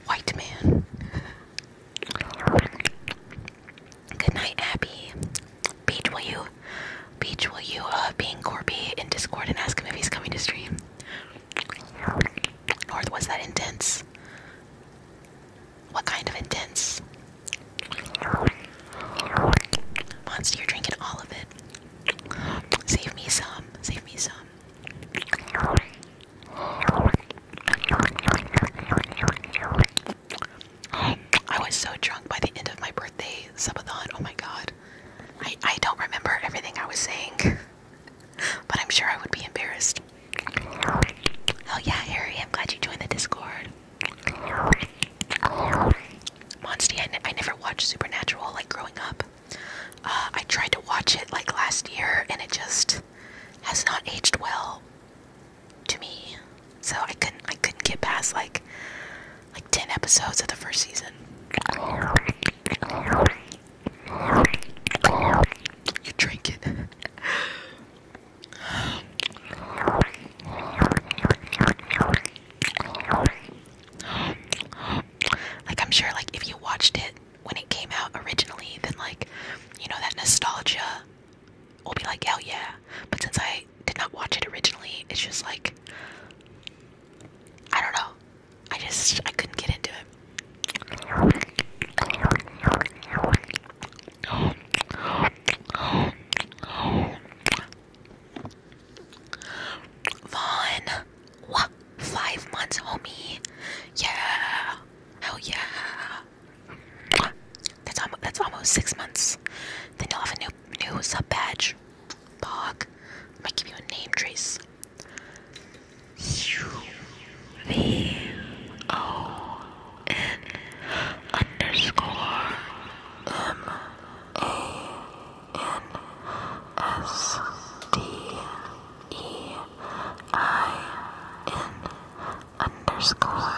White man. Good night, Abby. Peach, will you, Peach, will you, uh, being Corby in Discord and ask him if he's coming to stream? North, was that intense? What kind of intense? Monster, you're drinking all of it. Save me some. Save me some. I was so drunk by the end of my birthday subathon. Oh my god. I, I don't remember everything I was saying, [laughs] but I'm sure I would be embarrassed. Oh yeah, Harry, I'm glad you joined the Discord. Monstie, I, never watched Supernatural like growing up. Uh, I tried to watch it like last year and it just has not aged well to me. So I couldn't I couldn't get past like like 10 episodes of the first season. You drink it. [laughs] Like I'm sure like if you watched it when it came out originally, then like, you know, that nostalgia will be like, oh yeah. But since I did not watch it originally, it's just like I don't know. I just I couldn't get into it. Vaughn, what? Five months, homie. Yeah, hell yeah. That's almost, that's almost six months. Then you'll have a new new sub badge. Bog, I might give you a name, Trace. V O N underscore M A N S D E I N underscore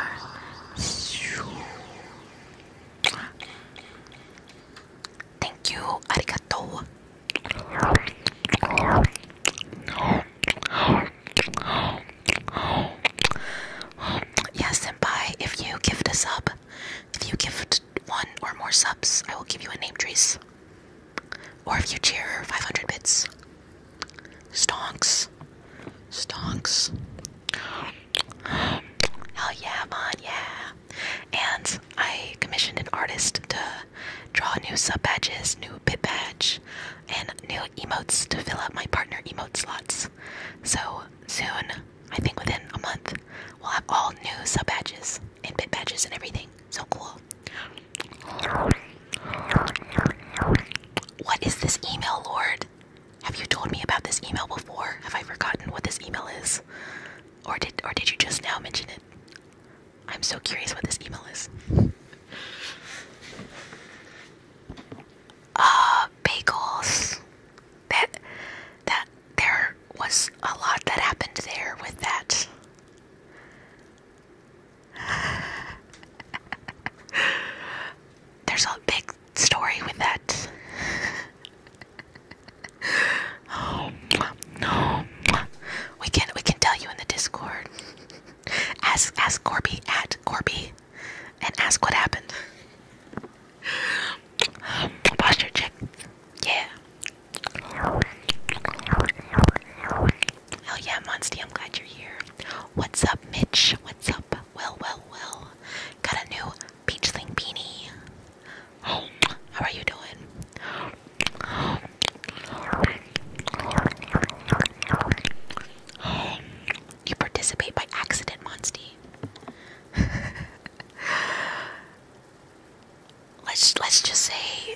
Thank you, arigato. Yes, and Senpai, if you gift a sub, if you gift one or more subs, I will give you a name trees. Or if you cheer 500 bits. Stonks. Stonks. Hell yeah, man, yeah. And I commissioned an artist to draw new sub badges, new bit badge, and new emotes to fill up my partner emote slots. So soon, I think within a month, we'll have all new sub badges and bit badges and everything. So cool. What is this email, Lord? Have you told me about this email before? Have I forgotten what this email is? Or did or did you just now mention it? I'm so curious what this email is uh, bagels. That that there was a lot that happened there with that. [laughs] There's a big story with that. oh [laughs] no, we can we can tell you in the Discord. ask ask Corby at Corby and ask what happened. Posture [gasps] check. Yeah. Hell yeah, Monsty, I'm glad you're here. What's up, Mitch? What's up? Well, well, well. Got a new peachling beanie. How are you doing? You participate by accident, Monsty. [laughs] let's let's just say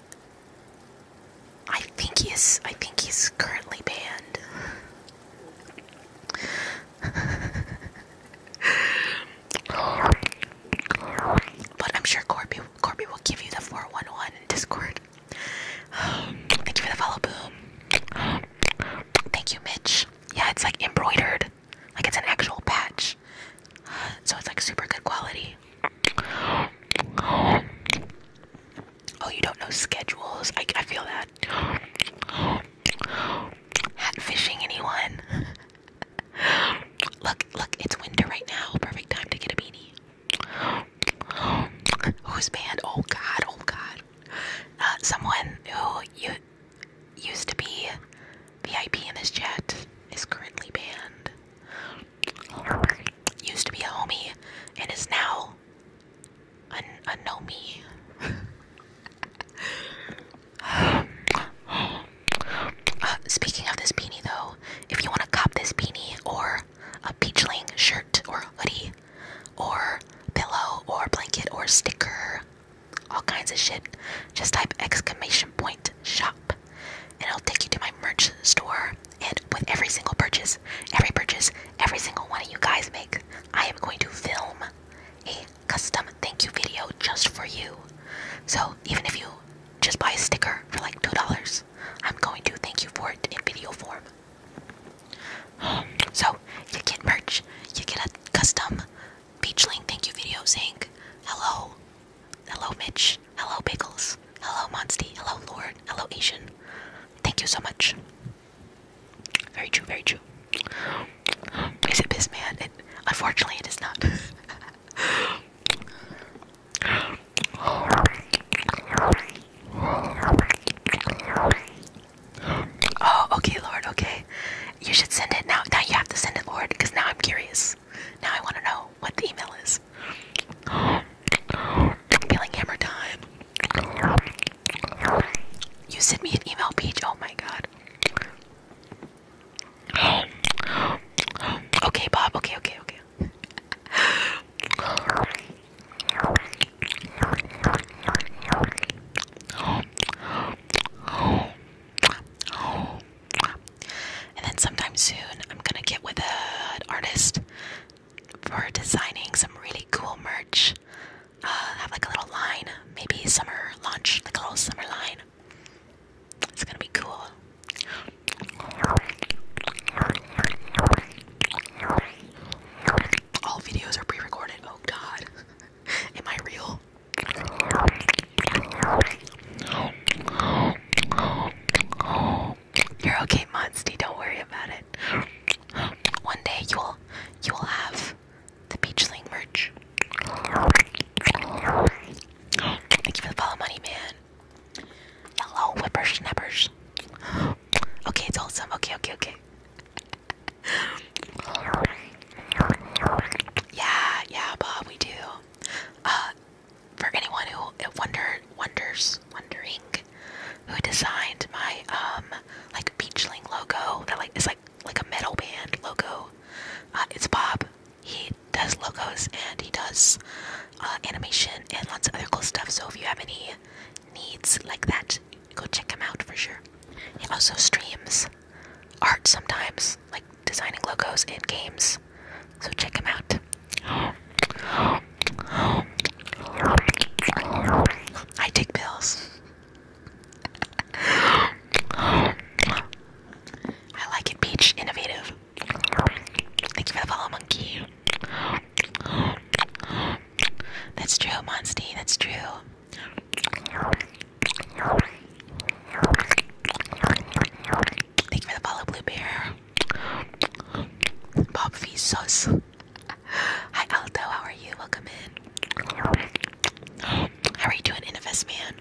I think he's I think he's currently banned. but I'm sure Corby Corby will give you the 411 Discord. [sighs] Thank you for the follow boom. Thank you, Mitch. Yeah, it's like embroidered. Like it's an actual patch. So it's like super good quality. Oh, you don't know schedules. I, I feel that. Hat fishing, anyone? [laughs] look, look, it's winter right now. Perfect time to get a beanie. Who's banned? Oh god, oh god. Uh, someone who used to be VIP in this chat is currently banned. Used to be a homie and is now a, a nomie. [sighs] Uh, speaking of this beanie though, if you want to cop this beanie or a peachling shirt or hoodie, or pillow or blanket or sticker, all kinds of shit. Just type exclamation point shop and it'll take you to my merch store. And with every single purchase, every purchase, every single one of you guys make, I am going to film a custom thank you video just for you. So even if you just buy a sticker for like $2, I'm going to thank you for it in video form. [gasps] So you get merch, you get a custom Peachling thank you video saying hello, hello Mitch, hello Pickles, hello Monstie, hello Lord, hello Asian. Thank you so much. Very true, very true. Is it Piss Man? unfortunately, it is not. [laughs] [laughs] [gasps] Oh, okay, Lord, okay. You should send it now. Now you have to send it, Lord, because now I'm curious. Now I want to know what the email is. Feeling hammer time. You sent me an email, Peach. Oh my god. Okay, Bob. Okay, okay, okay. And then sometime soon, I'm gonna get with an artist for designing some really cool merch. Uh, have like a little line, maybe summer launch, like a little summer line. It's gonna be cool. All videos are pre recorded. Oh god. [laughs] Am I real? You're okay, Monsty. Don't worry about it. One day you'll you'll have the Peachling merch. Thank you for the follow money, man. Yellow whippersnappers. [gasps] Okay, it's awesome. Okay, okay, okay yeah, yeah, Bob, we do. Uh, for anyone who wonder wonders wondering who designed my um like peachling logo that like is like like a metal band logo, uh, it's Bob. He does logos and he does uh, animation and lots of other cool stuff. So if you have any needs like that, go check him out for sure. He also streams art sometimes, like designing logos and games. So check him out. I take pills. I like it, Peach. Innovative. Thank you for the follow, monkey. That's true, Monsty. That's true. Thank you for the follow, Blue Bear. Bob Sos. Hi, Aldo. How are you? Welcome in. How are you doing, NFS man?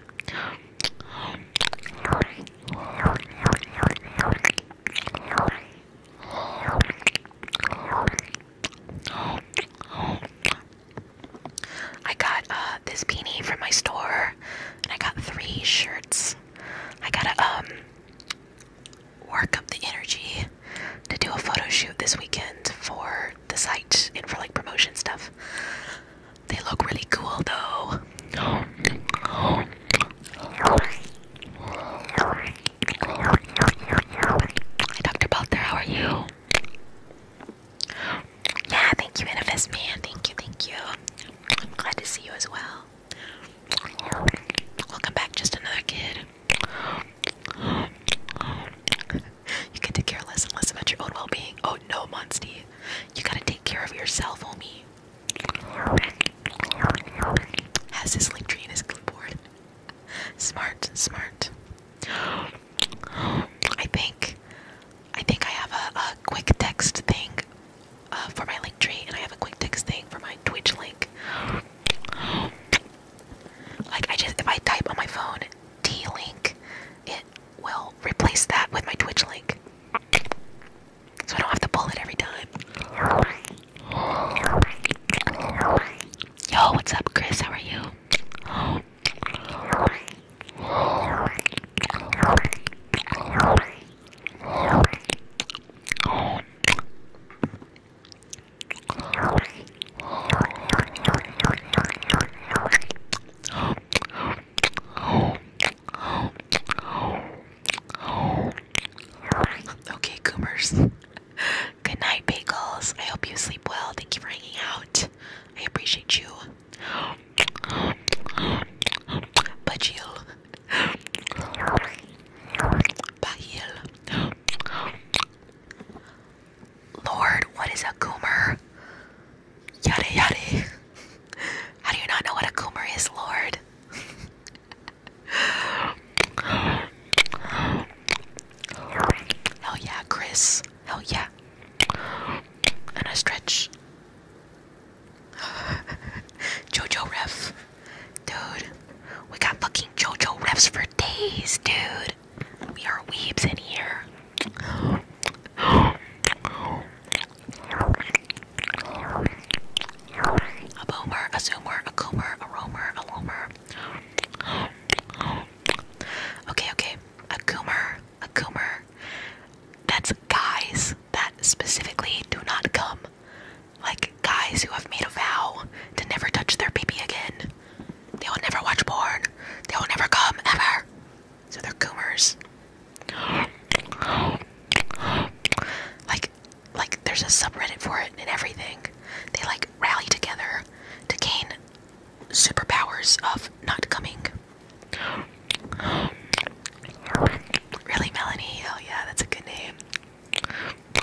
I got uh, this beanie from my store, and I got three shirts. I gotta um work up the energy to do a photo shoot this weekend for the site and for like promotion stuff. They look really cool though. Dr. Balter, how are you? Yeah, thank you, Manifest Man. Thank you, thank you. I'm glad to see you as well. Welcome back, just another kid. You can take care less and less about your own well being. Oh no, Monstie. You gotta take care of yourself, homie. Has his link tree in his clipboard smart, smart. I think, I think I have a, a quick text thing uh, for my link tree, and I have a quick text thing for my Twitch link. Like I just, if I type on my phone T link, it will replace that with my Twitch link, so I don't have to pull it every time. Yo, what's up, Chris? How are you? Okay, Coomers. [laughs] Good night, bagels. I hope you sleep well. Thank you for hanging out. I appreciate you. Bajil. Bahil. Lord, what is a goomer? Yada yada. How do you not know what a goomer is, Lord? Oh yeah, Chris. Hell yeah. And I stretch. [laughs] Jojo ref. Dude. We got fucking Jojo refs for days, dude. We are weebs in here. A boomer, a zoomer, a coomer, a roamer, a loamer. Okay, okay. A goomer, a goomer. That's guys that specifically do not come. Like guys who have made a vow to never touch their baby again. They will never watch porn. They will never come ever. So they're goomers. Like like there's a subreddit for it and everything. They like rally together to gain superpowers of not coming. Really, Melanie? Oh, yeah, that's a good name.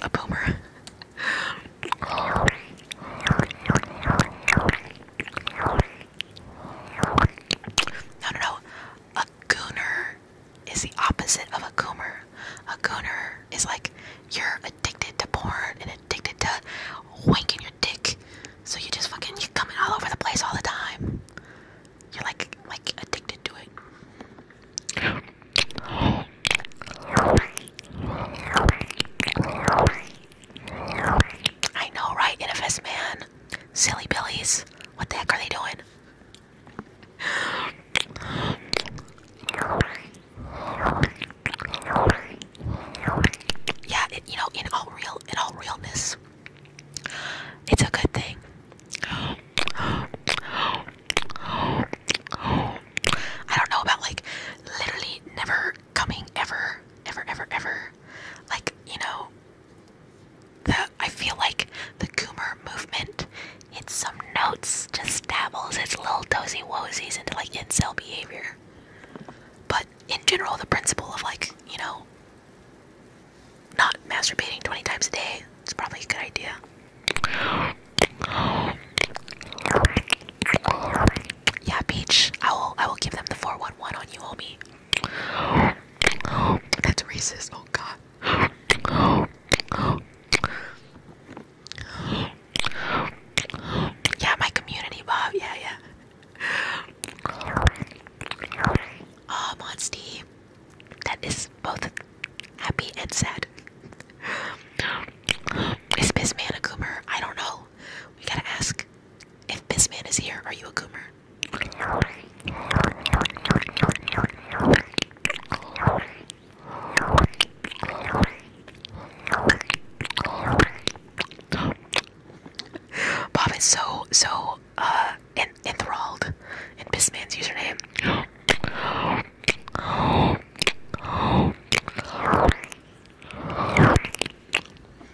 A boomer. No, no, no. A gooner is the opposite of a goomer. A gooner is like you're addicted to porn and addicted to winking your dick. So you just fucking you're coming all over the place all the time. You're like like addicted to it. I know, right? NFS man. Silly Billies. What the heck are they doing? yeah, you know, in all real, in all realness, it's a good thing. I don't know about like literally never coming ever, ever, ever, ever. Like you know, the I feel like the Coomer movement hits some notes, just dabbles its little dozy wozies into like incel behavior. But in general, the principle of like, you know, not masturbating 20 times a day it's probably a good idea. Yeah, Peach, I will I will give them the 411 on you, homie. That's racist. Oh god. Yeah, my community, Bob. Yeah, yeah. Oh, Monstie. That is both happy and sad. Is Bisman a goomer? I don't know. We gotta ask. If Bisman is here, are you a goomer? Bob is so so uh enthralled in this man's username.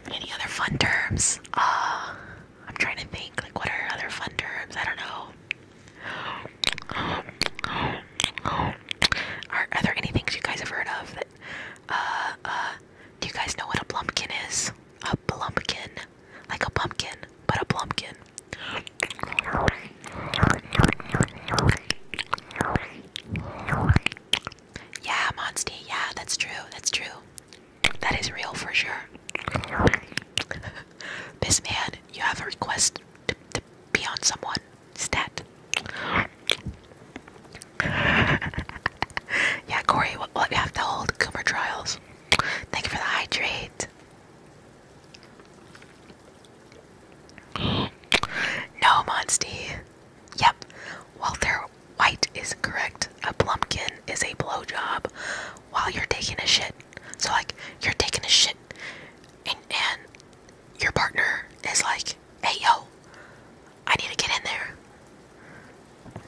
Any other fun terms? Uh I'm trying to think like what are other fun terms? I don't know. Are, are there any things you guys have heard of that uh, uh do you guys know what a plumpkin is? A plumpkin. Like a pumpkin, but a plumpkin. Yeah, Monsty, yeah, that's true, that's true. That is real for sure. This [laughs] man, you have a request to be on someone. Stat. [laughs] yeah, Corey, we have to hold? Coomer Trials. Thank you for the hydrate. no, Monstie. Yep, Walter White is correct. A plumpkin is a blow job while you're taking a shit. So, like, you're taking a shit, and your partner is like, hey, yo, I need to get in there.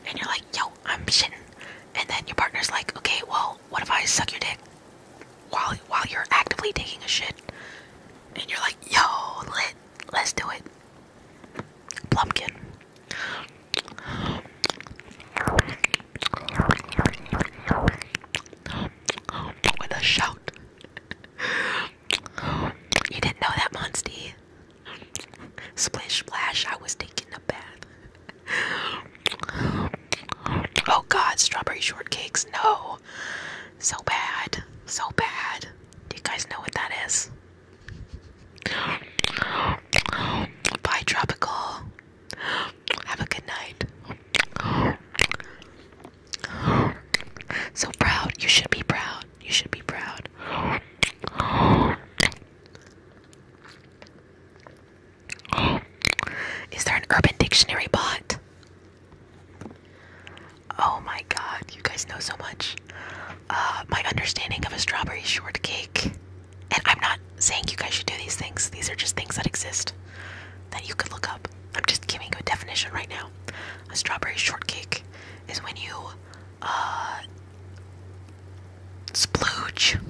And you're like, yo, I'm shitting. And then your partner's like, okay, well, what if I suck your dick while, while you're actively taking a shit? And you're like, yo, lit, let's do it. Plumpkin. With a shout. You didn't know that, Monstie. Splish splash, I was taking a bath. Oh god, strawberry shortcakes, no. So bad, so bad. Do you guys know what that is? Bye, Tropical. Have a good night. So proud, you should be proud. You should be proud. Is there an urban dictionary bot? Oh my god, you guys know so much. Uh, my understanding of a strawberry shortcake. And I'm not saying you guys should do these things, these are just things that exist that you could look up. I'm just giving you a definition right now. A strawberry shortcake is when you uh, splooge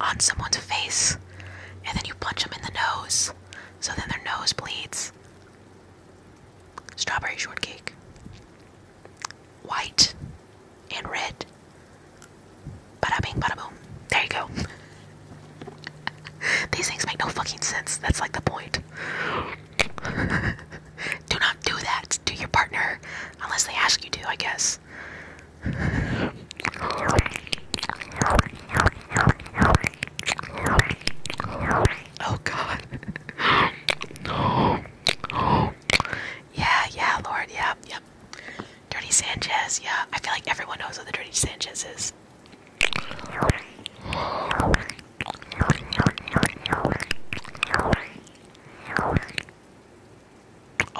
on someone's face and then you punch them in the nose so then their nose bleeds. Strawberry shortcake. White and red. Bada bing, bada boom. There you go. [laughs] These things make no fucking sense. That's like the point. [laughs] do not do that to your partner unless they ask you to, I guess. Oh God. yeah, yeah, Lord, yeah, yep. Dirty Sanchez, yeah. I feel like everyone knows what the Dirty Sanchez is.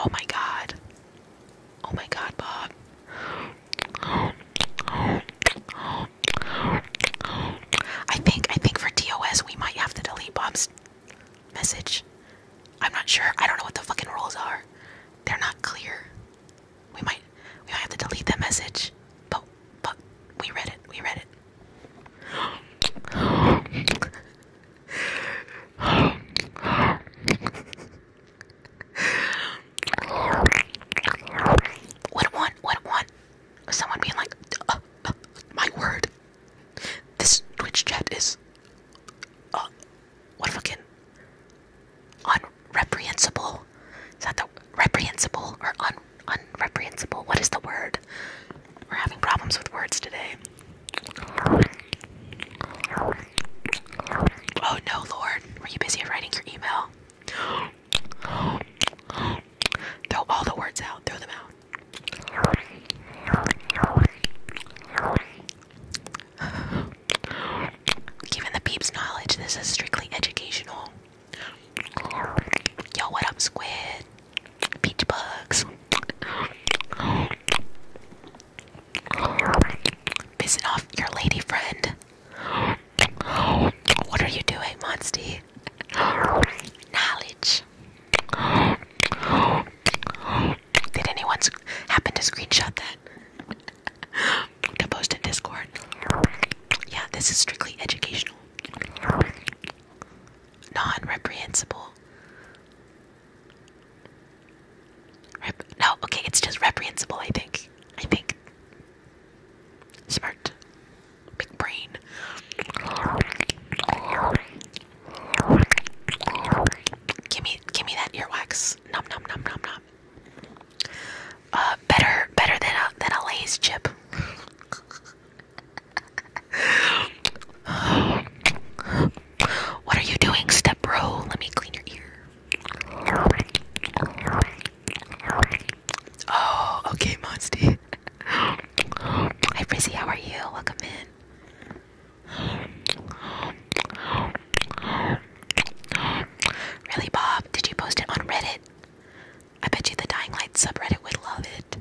Oh my god. Oh my god, Bob. I think I think for DOS we might have to delete Bob's message. I'm not sure. I don't know what the fucking rules are. They're not clear. We might we might have to delete that message. But but we read it. We read it. What one? What one? Someone being like, uh, uh, my word, this Twitch chat is, uh, what fucking, unreprehensible? Is that the reprehensible or un unreprehensible. What is the word? We're having problems with words today. Oh no, Lord. Were you busy writing your email? Throw all the words out. Throw them out. Given the peeps' knowledge, this is strictly educational. Yo, what up, Squid? Peach bugs. Pissing off your lady friend. What are you doing, Monsty? Knowledge. Did anyone happen to screenshot that? to post in Discord. Yeah, this is strictly educational. Non reprehensible. no, okay, it's just reprehensible, I think. I think. Smart. Big brain. Give me give me that earwax. Nom nom nom nom nom. Uh better better than a than a Lay's chip. What are you doing, step bro? Let me clean your ear. Oh, okay, Monsty. Hi, Frizzy, how are you? Welcome in. Really, Bob? Did you post it on Reddit? I bet you the Dying Light subreddit would love it.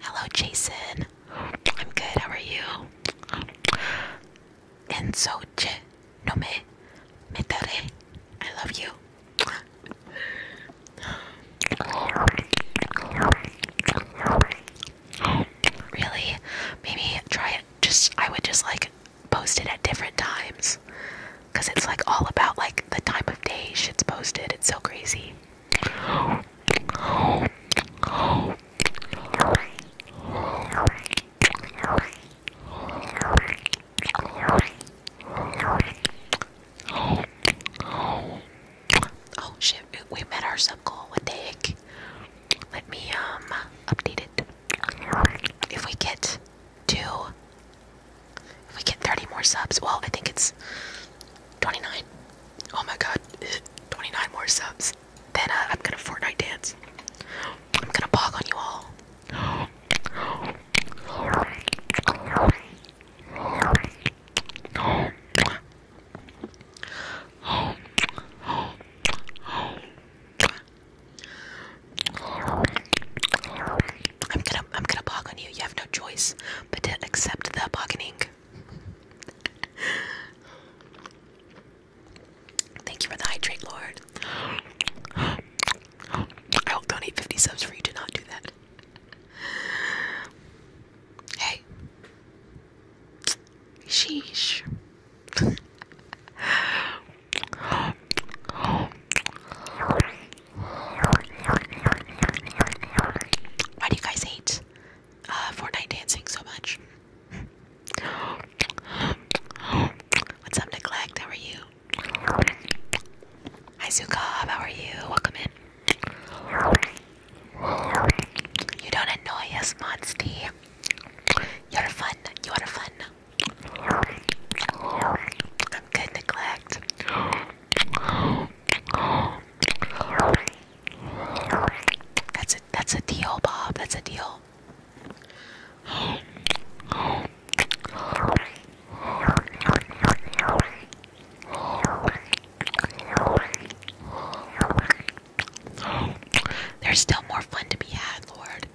Hello, Jason. I'm good. How are you? And so, che, no me, me tare. I love you. Really? Maybe try it. Just I would just like post it at different times because it's like all about like the time of day shit's posted. It's so crazy. Oh shit, we met our sub goal. What Let me um update it. If we get to if we get 30 more subs, well, I think it's 29. Oh my god, [laughs] 29 more subs. Then uh, I'm gonna Fortnite dance. I'm gonna bog on you all. I'm gonna I'm gonna bog on you you, have no choice but to accept the bargaining. Thank you for the hydrate, Lord. I will donate 50 subs for you to not do that. Hey. Sheesh. Why do you guys hate uh, Fortnite dancing so much? What's up, Neglect? How are you? Hi, Zukob. How are you? Welcome in. You don't annoy us, Monsty. You're fun. You're fun. I'm good, Neglect. That's a that's a deal, Bob. That's a deal. There's still more fun to be had, Lord.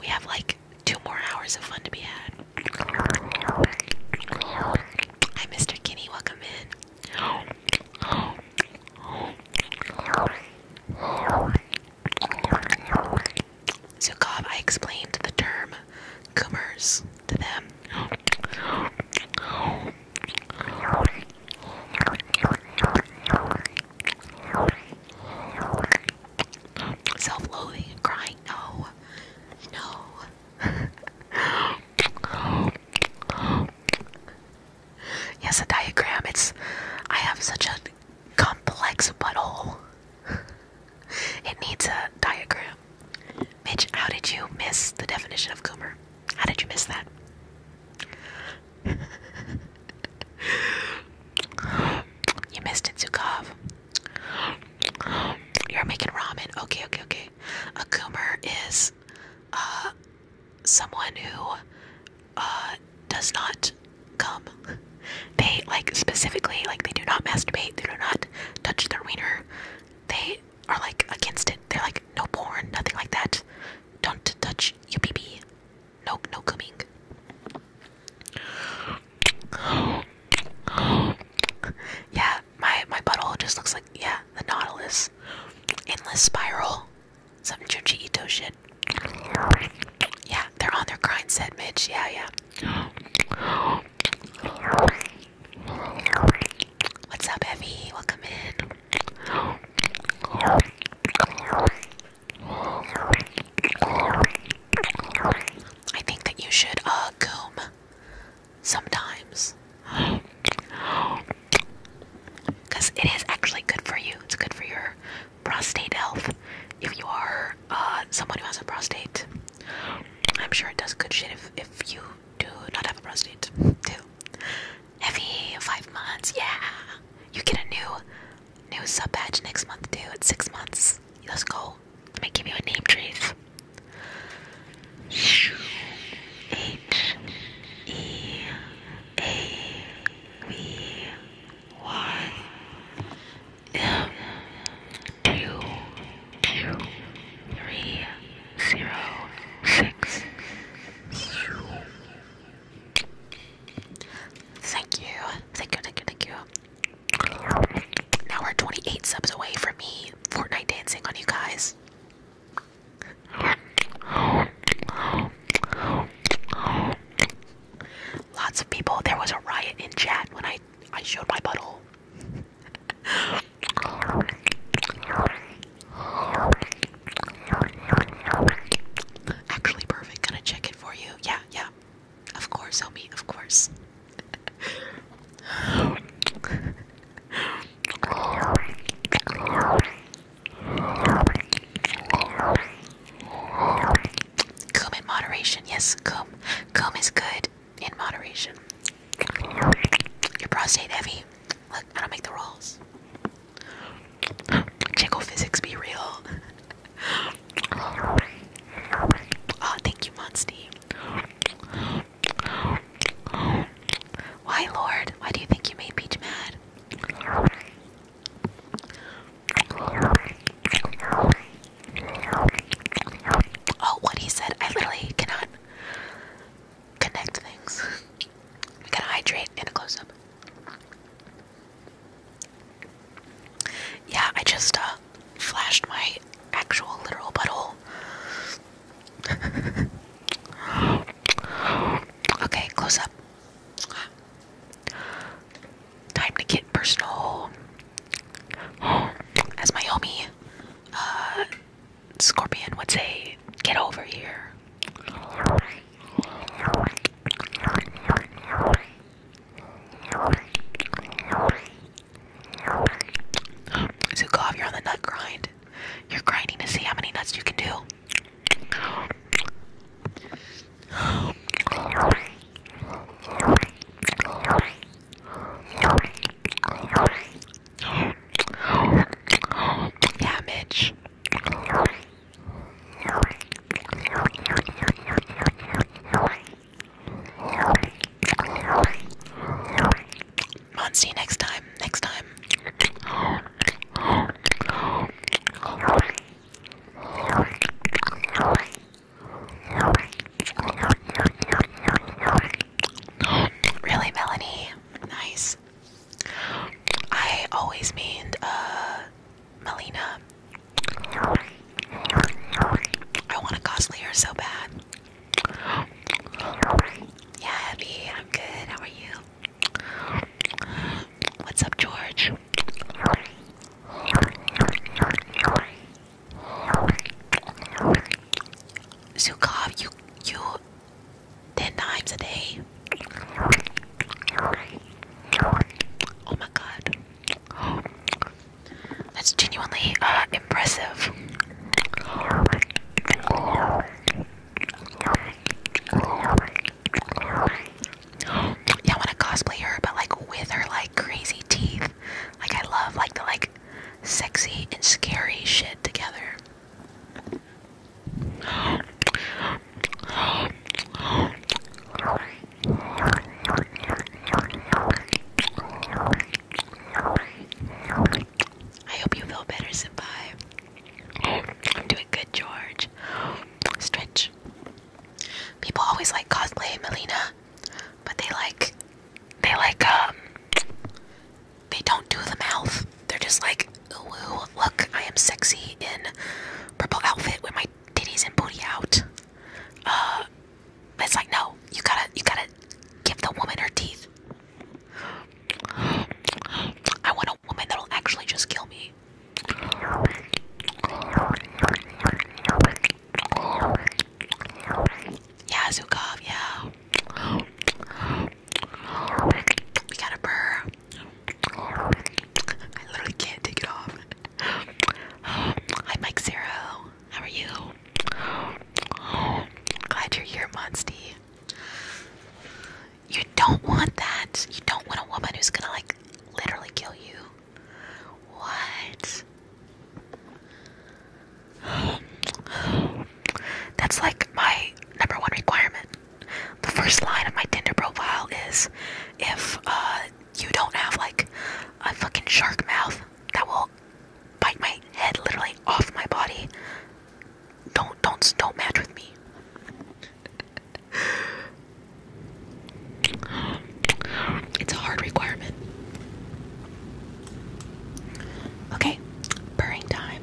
We have like two more hours of fun to be had. Hi, Mr. Kinney. Welcome in. So, I explained the term "coomers" to them. Self-loathing, crying. No, no, [laughs] yes, a diagram. It's. I have such a complex butthole. [laughs] it needs a diagram. Mitch, how did you miss the definition of goomer? How did you miss that? [laughs] you missed it, Zukov. You're making ramen. Okay, okay, okay a goomer is uh, someone who uh, does not come. They like specifically like they do not masturbate. They do not touch their wiener. They are like against it. They're like no porn, nothing like that. Don't touch your pee No, no coming. yeah, my my butthole just looks like yeah, the Nautilus, endless spiral, some Junji shit. Yeah, they're on their grind set, Mitch. Yeah, yeah. What's up, Evie? Welcome in. I think that you should uh comb sometimes. Because it is actually good for you. It's good for your prostate health. If you are uh, someone who has a prostate, I'm sure it does good shit if, if you do not have a prostate, too. Heavy five months, yeah. You get a new new sub badge next month too. It's six months. Let's go go. Let me give you a name, Trace. H E A V Y M two two three zero six. Thank you, thank you, thank you, thank you. Now we're 28 subs away from me Fortnite dancing on you guys. Lots of people. There was a riot in chat when I I showed my butthole. Actually, perfect. Gonna check it for you. Yeah, yeah. Of course, homie. Of course. Cum in moderation, yes, cum. Cum is good in moderation. Your prostate heavy. Look, I don't make the rules. Jiggle physics be real. oh, [laughs] thank you, Monsty. Why, Lord? Why do you think you made Peach mad? Oh, what he said. I literally cannot connect things. gotta hydrate in a close up. Yeah, I just uh, flashed my actual literal butthole [laughs] okay, close up. Time to get personal. [gasps] As my homie, uh, Scorpion would say, get over here. Zukov, you're on the nut grind. You're grinding to see how many nuts you can do. Yeah, Mitch on, see you next time. Next time. Really, Melanie? Nice. I always mean uh Melina. I want a cosplayer so bad. Yeah, Abby, I'm good. How are you? What's up, George? Zukov, you you ten times a day. Oh my god. That's genuinely uh, impressive. Yeah, I want to cosplay her, but like with her like crazy teeth. Like I love like the like sexy and scary shit together. I hope you feel better, survive. I'm doing good, George. Stretch. People always like cosplay, Melina, but they like, they like, um, they don't do the mouth. They're just like, ooh, look, I am sexy in purple outfit with my titties and booty out. Uh, it's like, no, you gotta, you gotta give the woman her teeth. I want a woman that'll actually just kill me. Yeah, Zukov, yeah. We got a burr. I literally can't take it off. Hi, Mike Zero. How are you? Glad you're here, Monsty. You don't want that. You don't want a woman who's gonna like literally kill you. What? That's like my number one requirement. The first line of my Tinder profile is if uh you don't have like a fucking shark mouth that will bite my head literally off my body. Don't don't don't match with me. [gasps] It's a hard requirement. Okay, purring time.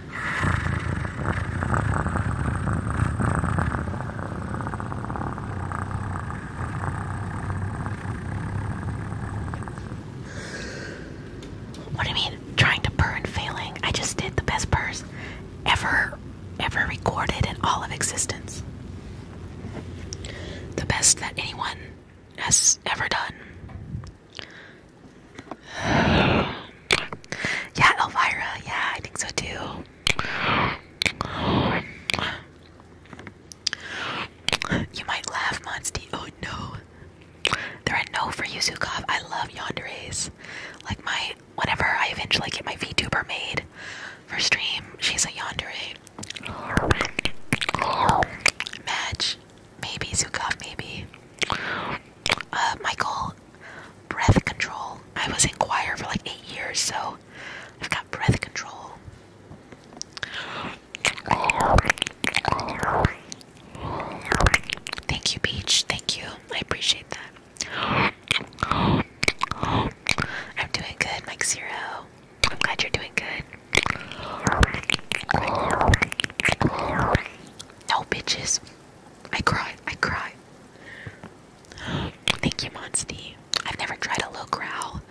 What do you mean? Trying to purr and failing? I just did the best purr ever, ever recorded in all of existence. The best that anyone has ever done. [sighs] [sighs] Yeah, Elvira. Yeah, I think so too. You might laugh, Monsty. Oh no. There are no for Yuzukov. I love Yondere's. Like my whenever I eventually get my VTuber made for stream, she's a Yondere. Match. Maybe Yuzukov, maybe. Uh Michael, breath control. I was in choir for like eight years, so I've got breath control. Thank you, Peach. Thank you. I appreciate that. I'm doing good, Mike Zero. I'm glad you're doing good. No bitches. I cry. I cry. Thank you, Monsty. I've never tried a low growl.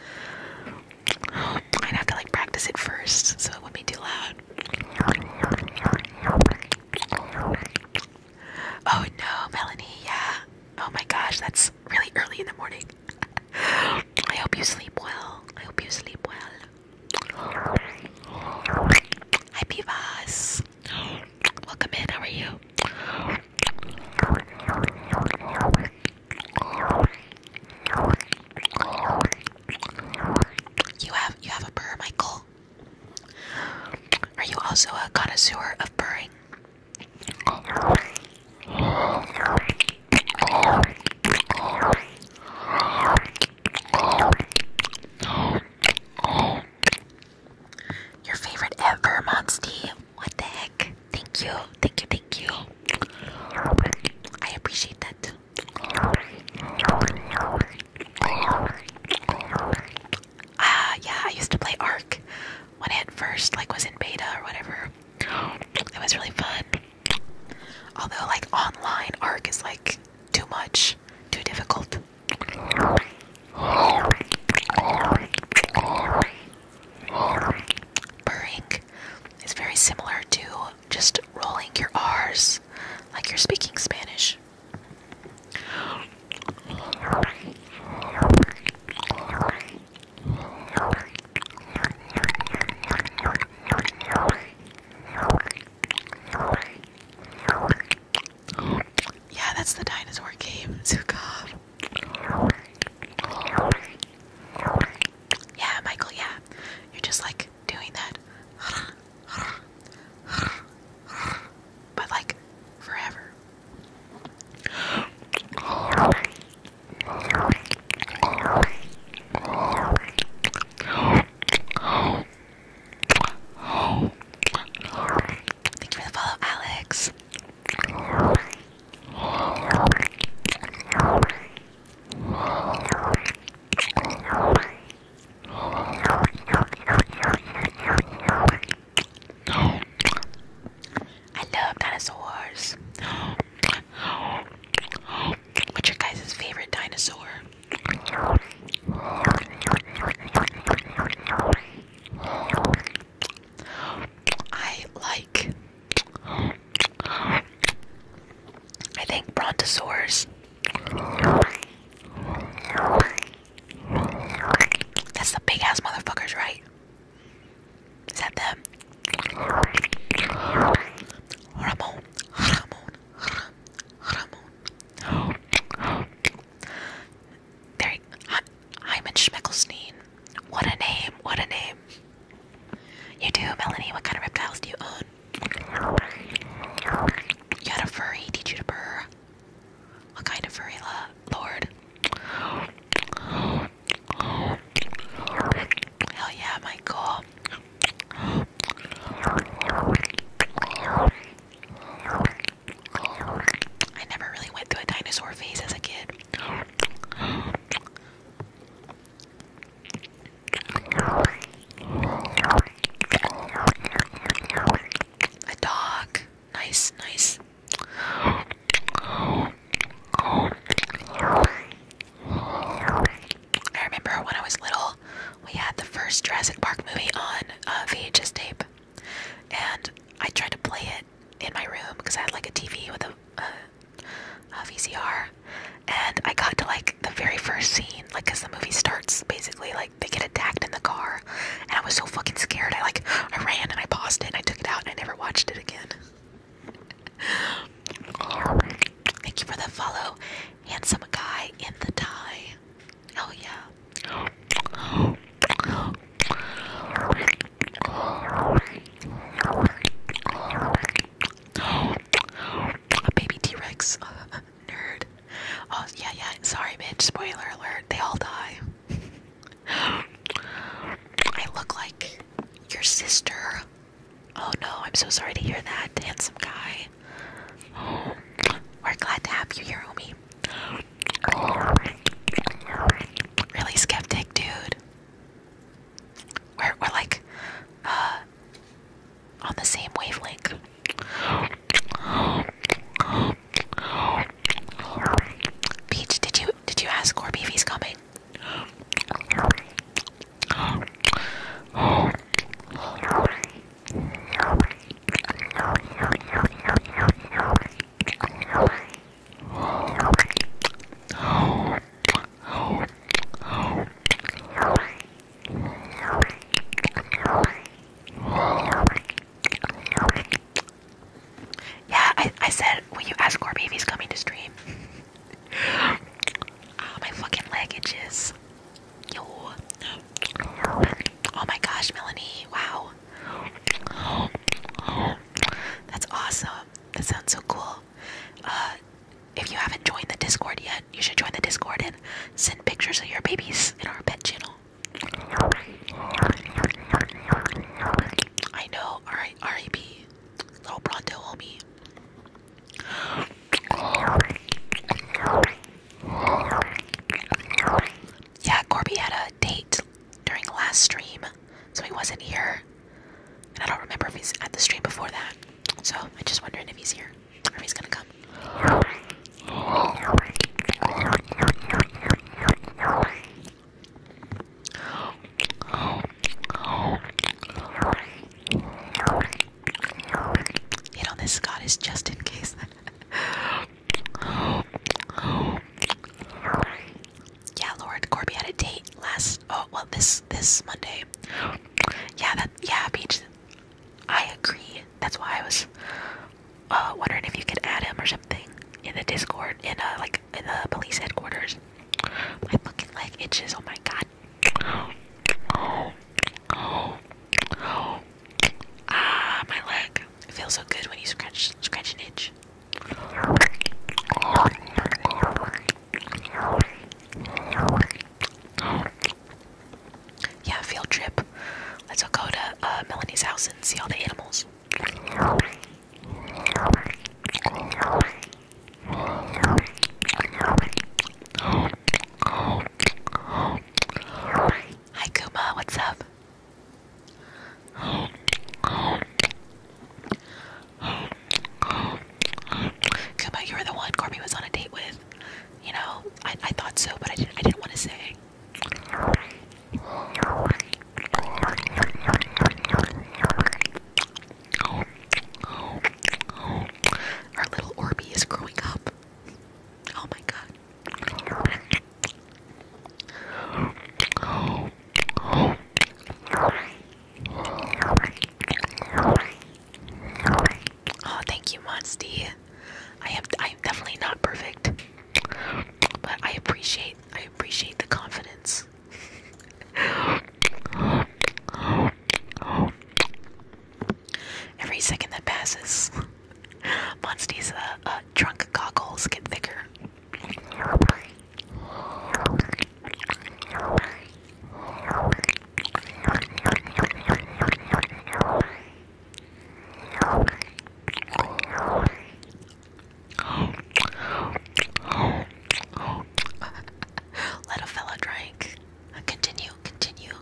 I'd have to like practice it first so it wouldn't be too loud. Oh no, Melanie, yeah. Oh my gosh, that's really early in the morning. I hope you sleep well. I hope you sleep well. Hi, Pivas. Welcome in. How are you? You have you have a burr, Michael. Are you also a connoisseur of burring? Your favorite ever, Monstie. What the heck? Thank you, thank you, thank you. I appreciate that. Ah, yeah, I used to play Arc when it first like was in beta or whatever. It was really fun. Although, like online, Arc is like too much, too difficult. Burring is very similar to just rolling your R's like you're speaking Spanish. Yeah, that's the dinosaur game. Zuko. Yeah, Michael, yeah. You're just like doing that. But like forever. Thank you for the follow, Alex. I love dinosaurs. What's your guys' favorite dinosaur? I like. I think brontosaurs. That's the big ass motherfuckers, right? Is that them? There, in Schmeckelstein. What a name! What a name! You do, Melanie. What kind of reptiles do you own? You had a furry. Did you to burr? What kind of furry, Lord? Hell yeah, Michael. I never really went through a dinosaur phase as a kid. A dog. Nice, nice. I remember when I was little, we had the first Jurassic Park movie on uh, VHS tape. And I tried to play it in my room because I had like a TV with a, VCR. And I got to like the very first scene, like, because the movie starts basically, like, they get attacked in the car. And I was so fucking scared. I like, I ran and I paused it and I took it out and I never watched it again. Thank you for the follow, handsome guy in the tie. Oh, yeah. Baby T Rex, [laughs] nerd. Oh, yeah, yeah. Sorry, bitch. Spoiler alert. They all die. I look like your sister. Oh no, I'm so sorry to hear that, handsome guy. We're glad to have you here, homie. Really skeptic, dude. We're we're like uh, on the same wavelength. Peach, did you did you ask Corby if he's coming? Yeah, I, I said when you ask Corby if he's coming to stream. [gasps] Ah, my fucking leg itches. Yo. Oh my gosh, Melanie. Wow. That's awesome. That sounds so cool. Uh, if you haven't joined the Discord yet, you should join the Discord and send pictures of your babies in our pet channel. I know. All right, RIP. Little pronto, homie. Yeah, Corby date during last stream, so he wasn't here. And I don't remember if he's at the stream before that. So I'm just wondering if he's here or if he's gonna come. Hit on this Scott is just in case. [laughs] Yeah, Lord, Corby had a date last. Oh, well, this this Monday. Yeah, that. Yeah, Peach. I agree. That's why I was uh, wondering if you could add him or something in the Discord, in uh, like in the police headquarters. My fucking leg itches. Oh my god. Ah, my leg. It feels so good when you scratch scratch an itch. Yeah, field trip. Let's go to uh, Melanie's house and see all the animals. Hi Kuma, what's up? Kuba, you were the one Corby was on a date with. You know, I, I thought so, but I didn't, I didn't want to say. Our little Orby is growing up. Oh my god. Oh, thank you, Monstie. I am I am definitely not perfect. But I appreciate I appreciate the confidence. Every second that passes, Monstie's uh, uh, drunk goggles get thicker. Let a fella drink. Continue, continue.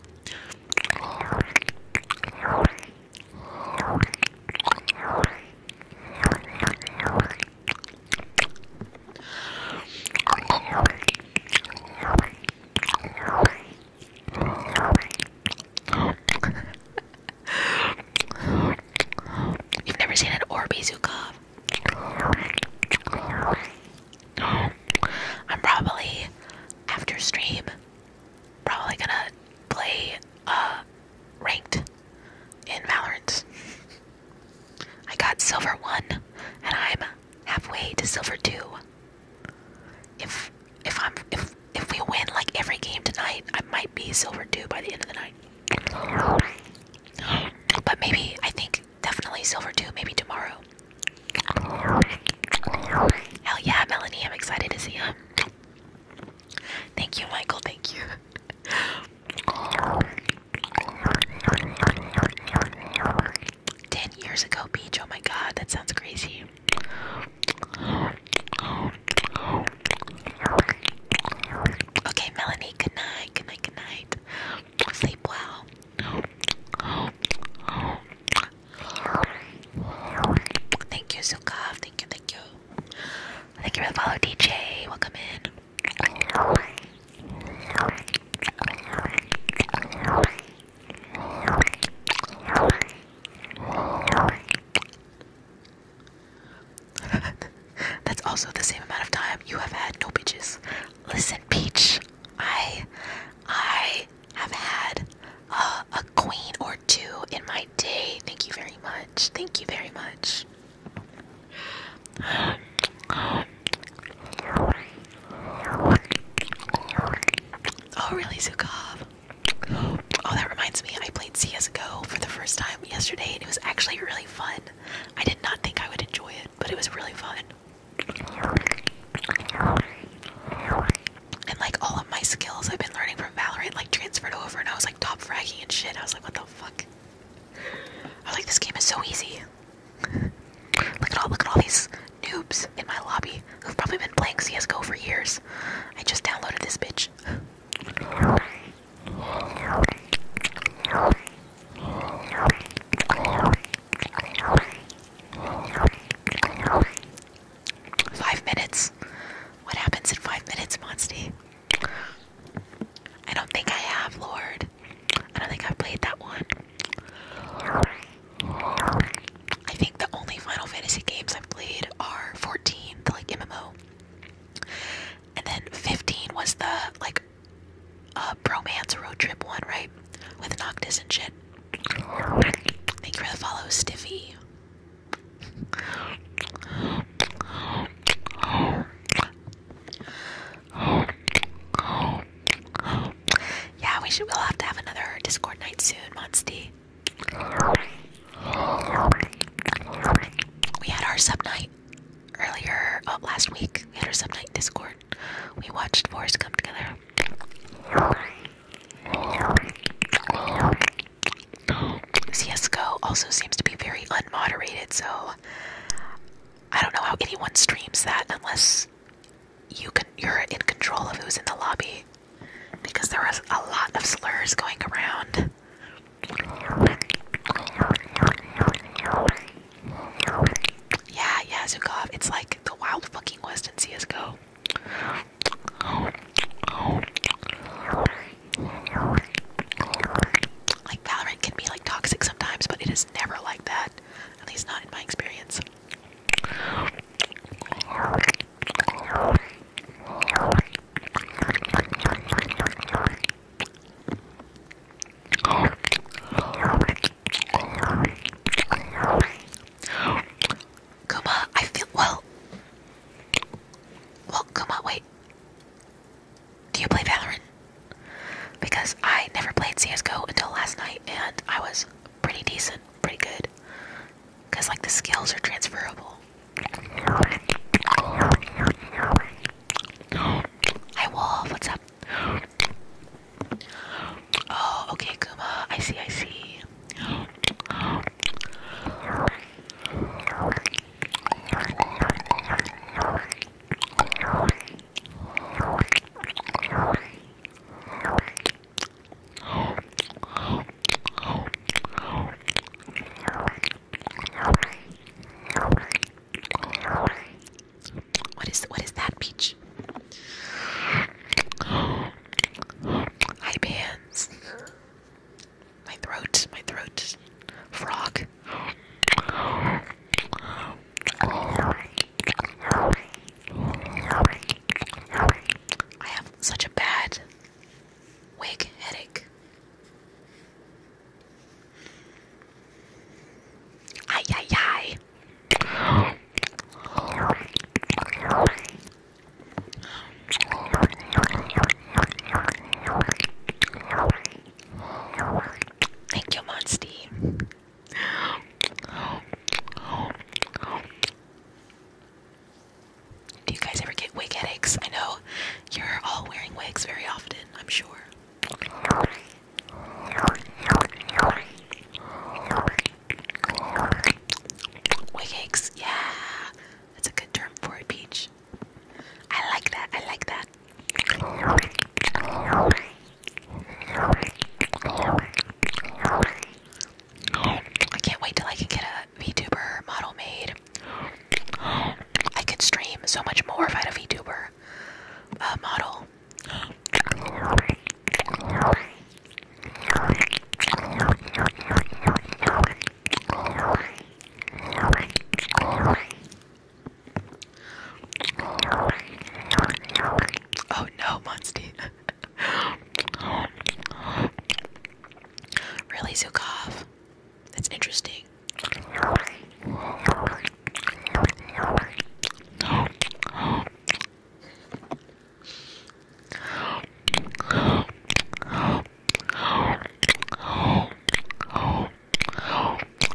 [laughs] You've never seen an Orbeez who I'm probably after stream probably gonna play uh ranked in Valorant. I got silver one, and I'm halfway to silver two. If if I'm if if we win like every game tonight, I might be silver two by the end of the night. But maybe I think definitely silver two. Maybe tomorrow. Hell yeah, Melanie! I'm excited to see him. Thank you, Michael. Thank you. Ten years ago, Beach. Oh my God, that sounds crazy. Okay, Melanie. Good night. Good night. Good night. Sleep well. Thank you, Zukav. Thank you. Thank you. Thank you for the follow, DJ. Welcome in. [laughs] That's also the same amount of time you have had no bitches. Listen, Peach, I I have had a queen or two in my day. Thank you very much. Thank you very much. Oh, really, Zuko? Oh, that reminds me. I played CS: GO for the first time yesterday, and it was actually really fun. I did not think I would enjoy it, but it was really fun. And like all of my skills I've been learning from Valorant, like transferred over, and I was like top fragging and shit. I like, what the fuck? I like this game is so easy. look at all look at all these noobs in my lobby who've probably been playing CSGO for years. I just downloaded this bitch. Five minutes. What happens in five minutes, Monsty? I don't think I have, Lord. I don't think I've played that one. I think the only Final Fantasy games I've played are 14, the like MMO. And then 15 was the like uh bromance road trip one, right? With Noctis and shit. Thank you for follow, Stiffy. Yeah, we should. We'll have to have another Discord night soon, Monsty. We had our sub night earlier oh, last week. We had our sub night Discord. We watched Forest come together. CSGO also seems to be very unmoderated, so I don't know how anyone streams that unless you can you're in control of who's in the lobby. Because there was a lot of slurs going around. Yeah, yeah, Zukov. It's like the wild fucking west in CSGO. Like Valorant can be like toxic sometimes, but it is never like that. At least not in my experience. Kuma, I feel well. Well, Kuma, wait. Do you play Valorant? Because I never played CSGO until last night and I was pretty decent, pretty good. Because, like, the skills are transferable. [gasps] Hi, Wolf, what's up? Oh, okay, Kuma. I see, I see. What is what is that peach? Hi bands. My throat, my throat. Frog. I have such a bad wig headache. Ay, ay, ay. Thank you, Monstie. Do you guys ever get wig headaches? I know you're all wearing wigs very often, I'm sure. Wig aches, yeah. That's a good term for it, Peach. I like that. I like that. I can't wait till I can get a VTuber model made. I could stream so much more if I had a VTuber uh, model. Oh no, Monstie. really, Zukov? That's interesting.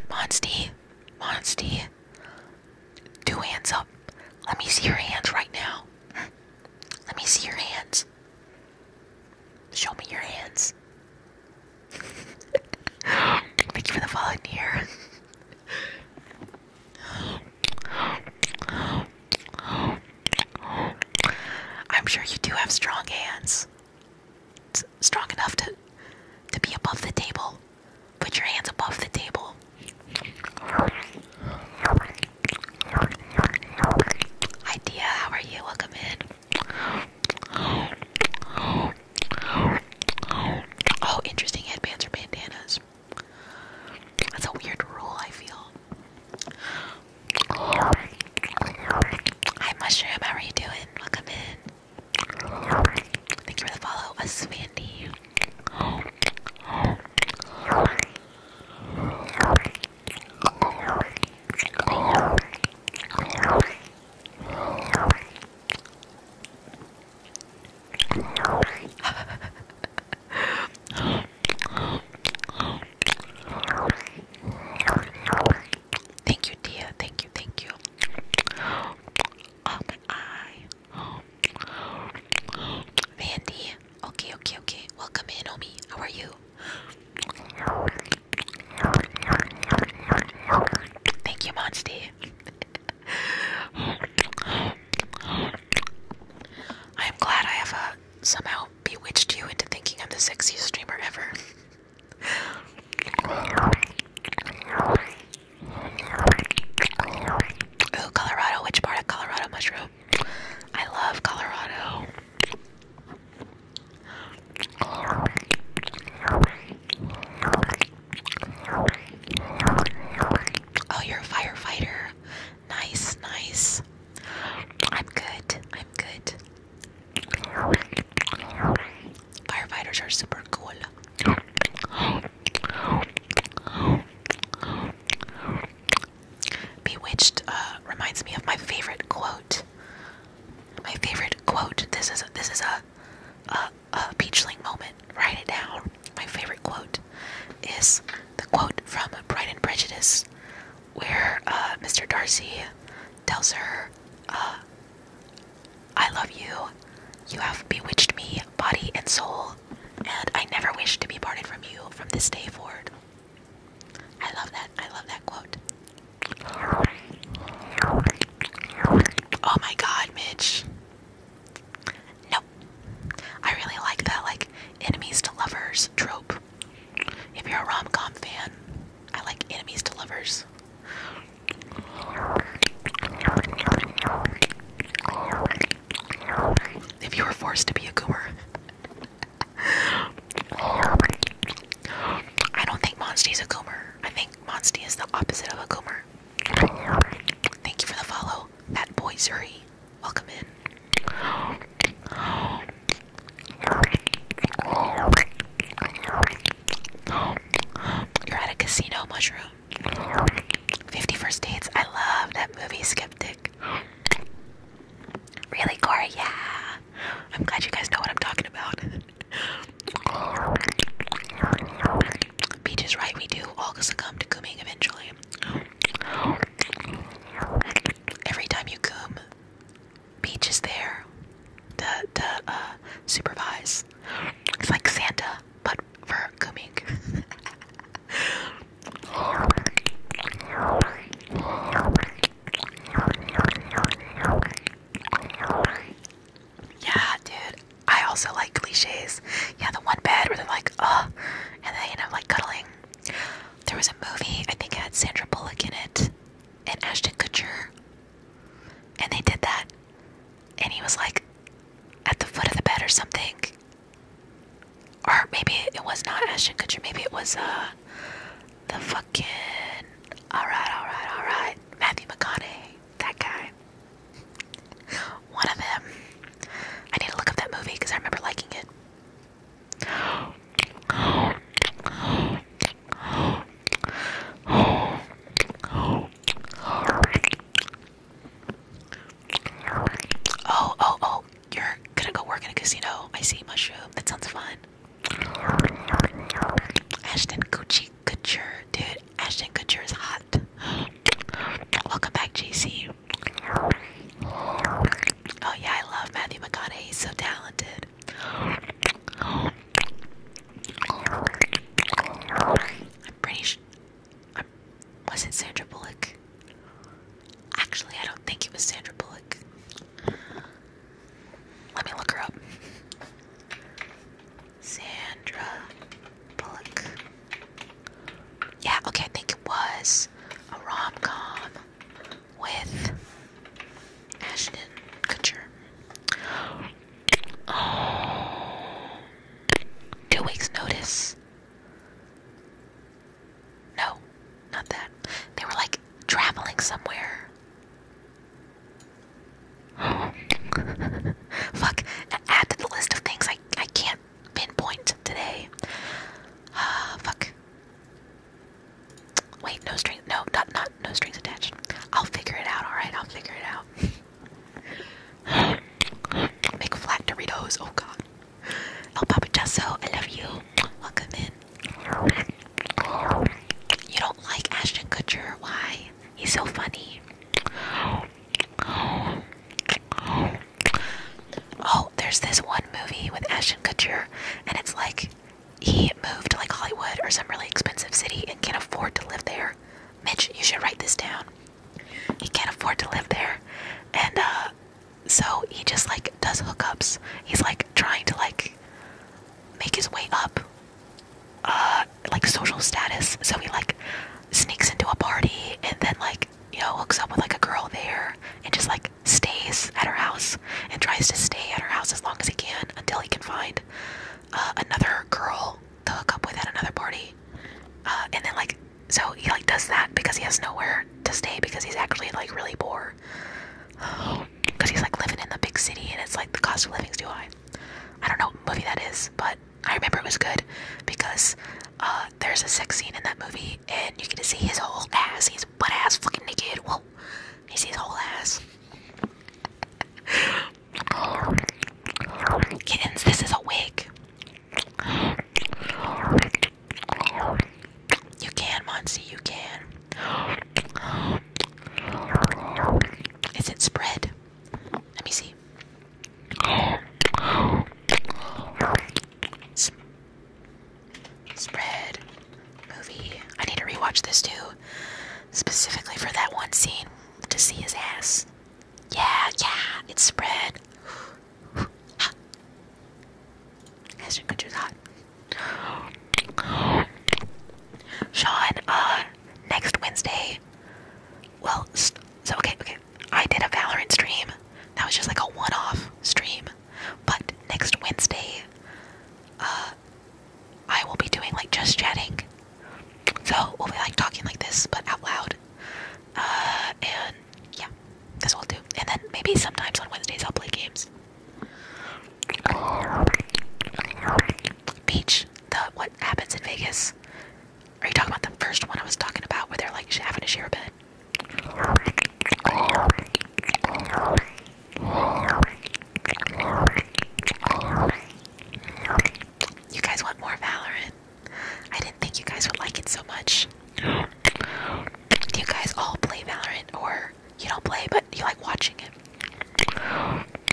Monsty, Monsty, two hands up. Let me see your hands right now. Let me see your hands. Show me your hands. [laughs] Thank you for the follow I'm sure you do have strong hands strong enough to to be above the table. Put your hands above the table. Idea, how are you? Welcome in. Oh, interesting headbands or bandanas. That's a weird rule, I feel. Hi Mushroom, how are you doing? Welcome in. Thank you for the follow, Aswandy. [laughs] Thank you, dear. Thank you, thank you. Oh my eye. Okay, okay, okay. Welcome in, Omi. How are you? Thank you, Monty. I am glad I have uh, somehow bewitched you into thinking I'm the sexiest streamer ever. Ooh, Colorado. Which part of Colorado mushroom? I love Colorado. Oh, you're a firefighter. Nice, nice. I'm good. I'm good. Firefighters are super cool. Bewitched uh, reminds me of my favorite quote. My favorite quote. This is this is a, a, peachling moment. Write it down. My favorite quote is the quote from Pride and Prejudice, where uh, Mr. Darcy tells her, uh, I love you. You have bewitched me, body and soul, and I never wish to be parted from you from this day forward. I love that. I love that quote. Oh my god, Mitch. Nope. I really like that, like, enemies to lovers trope. If you're a rom com fan, I like enemies to lovers. If you were forced to be a goober. I don't think Monsty's a goober. I think Monsty is the opposite of a goober. Thank you for the follow. That boy Zuri. Welcome in. You're at a casino mushroom. 50 First Dates. I love that movie, Skeptic. Really, Corey? Yeah. I'm glad you guys know what I'm talking about. Beach is right, we do all succumb to cooming eventually. Every time you coom, Peach is there to, to uh, supervise. It's like Santa, but for Kumik. [laughs] yeah, dude. I also like cliches. Yeah, the one bed where they're like, ugh, and they end up like cuddling. There was a movie, I think had Sandra Bullock in it, and Ashton Kutcher. And they did that. And he was like at the foot of the bed or something. Or maybe it was not Ashton Kutcher. Maybe it was uh the fucking alright, alright, alright. Matthew McConaughey. That guy. One of them. I need to look up that movie because I remember liking it. Oh, oh, oh. You're gonna go work in a casino. I see mushroom. That sounds fun. Ashton Gucci Couture. Dude, Ashton Couture is hot. Welcome back, JC. Oh yeah, I love Matthew McConaughey. He's so talented. I'm pretty sure. Was it Sandra Bullock? Actually, I don't think it was Sandra Bullock. Let me look her up. Sandra Bullock. Yeah, okay, I think it was a rom com with Ashton Kutcher. Oh. [sighs] Two weeks' notice. No, not that. They were like traveling somewhere. Oh. [gasps] Fuck. Add to the list of things I, I can't pinpoint today. Uh, [sighs] fuck. Wait, no strings. No, not not no strings attached. I'll figure it out. All right, I'll figure it out. [laughs] Make flat Doritos. Oh God. El oh, Papa Jasso, I love you. Welcome in. You don't like Ashton Kutcher? Why? He's so funny. Oh, there's this one movie with Ashton Kutcher, and it's like he moved to like Hollywood or some really expensive city and can't afford to live there. Mitch, you should write this down. He can't afford to live there, and uh, so he just like does hookups. He's like trying to like make his way up, uh, like social status. So he like sneaks into a party and then like you know hooks up with like a girl there and just like stays at her house and tries to stay at her house as long as he can until he can find uh, another girl to hook up with at another party. Uh, and then like, so he like does that because he has nowhere to stay because he's actually like really poor. Because [sighs] he's like living in the big city and it's like the cost of living's too high. I don't know what movie that is, but I remember it was good because uh, there's a sex scene in that movie and you get to see his whole ass. He's butt ass fucking naked. Whoa, you see his whole ass. [laughs] Kittens, this is a wig. You can, Monsi, you can. Is it spread? Let me see. spread. Movie. I need to rewatch this too specifically for that one scene to see his ass. Yeah, yeah, it's spread. Ashton [gasps] Kutcher's hot. Sean, uh, next Wednesday. Well, so okay, okay. I did a Valorant stream. That was just like a one-off stream. But next Wednesday, uh, I will be doing like just chatting. So we'll be like talking like this, but out loud. Uh, and yeah, that's what I'll do. And then maybe sometimes on Wednesdays I'll play games. Beach, the what happens in Vegas? Are you talking about the first one I was talking about where they're like having to share a bed? You guys want more Valorant? I didn't think you guys would like it so much. Do you guys all play Valorant or you don't play but you like watching it?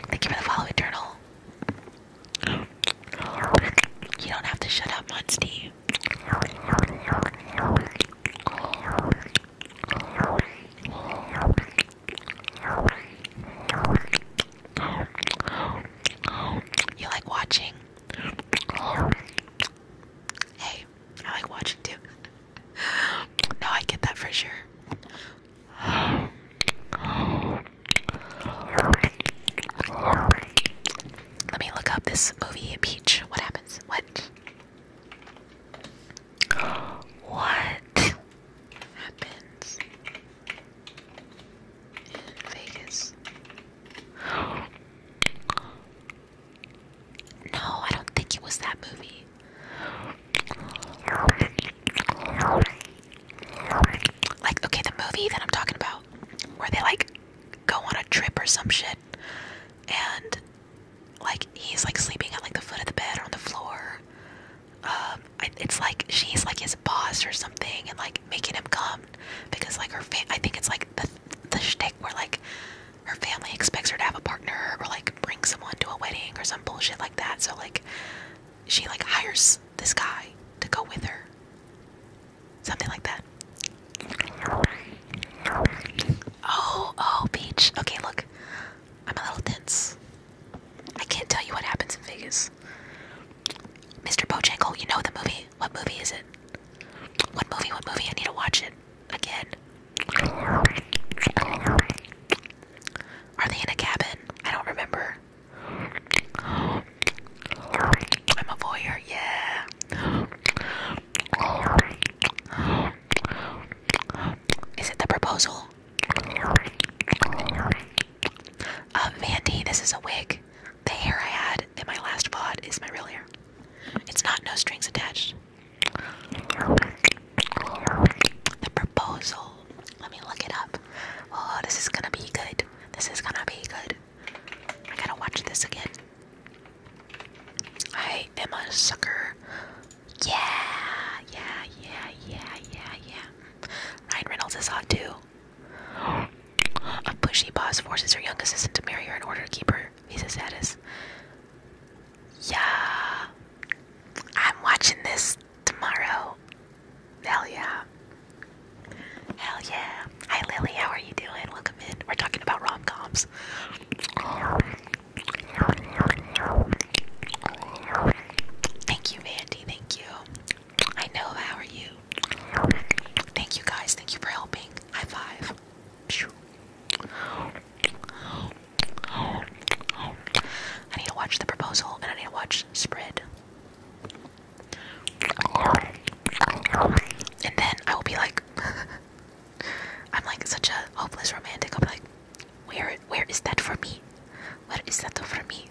Thank you for the follow, Eternal. You don't have to shut up, Munsty. You like watching? Hey, I like watching too. No, I get that for sure. Let me look up this movie, Peach. What happens? What? What happens? in Vegas. [gasps] no, I don't think it was that movie. Like, okay, the movie that I'm talking about, where they like go on a trip or some shit, and like he's like sleeping at like the foot of the bed or on the floor, um, it's like she's like his boss or something, and like making him come because like her I think it's like the the shtick where like her family expects her to have a partner or like bring someone to a wedding or some bullshit like that. So like she like hires this guy to go with her, something like that. Oh, oh, Peach. Okay, look. I'm a little tense. I can't tell you what happens in Vegas. Mr. Bojangle, you know the movie. What movie is it? What movie? What movie? I need to watch it again. Are they in a cabin? I don't remember. I'm a voyeur, yeah. Is it the proposal? Um, Mandy, this is a wig. The hair I had in my last pod is my real hair. It's not no strings attached. The proposal. Let me look it up. Oh, this is gonna be good. This is gonna be good. I gotta watch this again. I am a sucker. Yeah, yeah, yeah, yeah, yeah, yeah. Ryan Reynolds is hot too. A pushy boss forces her young assistant to marry her in order to keep her visa status. Yeah, I'm watching this tomorrow. Hell yeah. Hell yeah. Hi Lily, how are you doing? Welcome in. We're talking about rom coms. Thank you, Vandy. Thank you. I know. How are you? Thank you guys. Thank you for helping. High five. I need to watch the proposal and I need to watch spread. And then I will be like [laughs] I'm like such a hopeless romantic. I'll be like, where where is that for me? Where is that for me?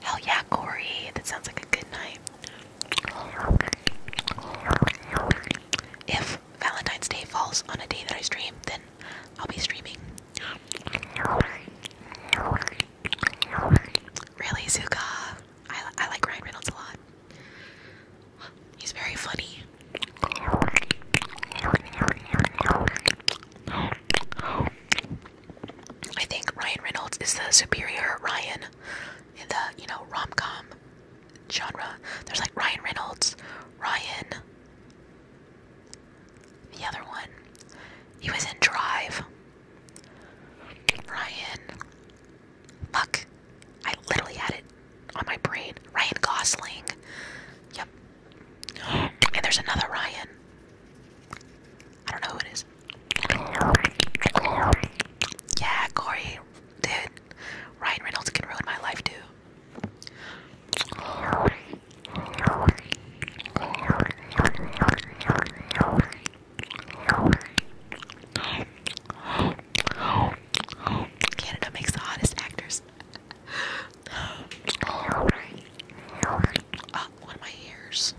Hell yeah, Cory. That sounds like a good night. If Valentine's Day falls on a day that I stream, then I'll be streaming. Really, Zuka? I, I like Ryan Reynolds a lot. He's very funny. I think Ryan Reynolds is the superior Ryan in the, you know, rom com genre. There's like Ryan Reynolds, Ryan, the other one. He was in Drive. Ryan, Fuck. I literally had it on my brain. Ryan Gosling. Yep. And there's another Ryan. I don't know who it is. Yeah, Corey. Dude. Ryan Reynolds can ruin my life, too. Canada makes the hottest actors. [gasps] Oh, one of my ears.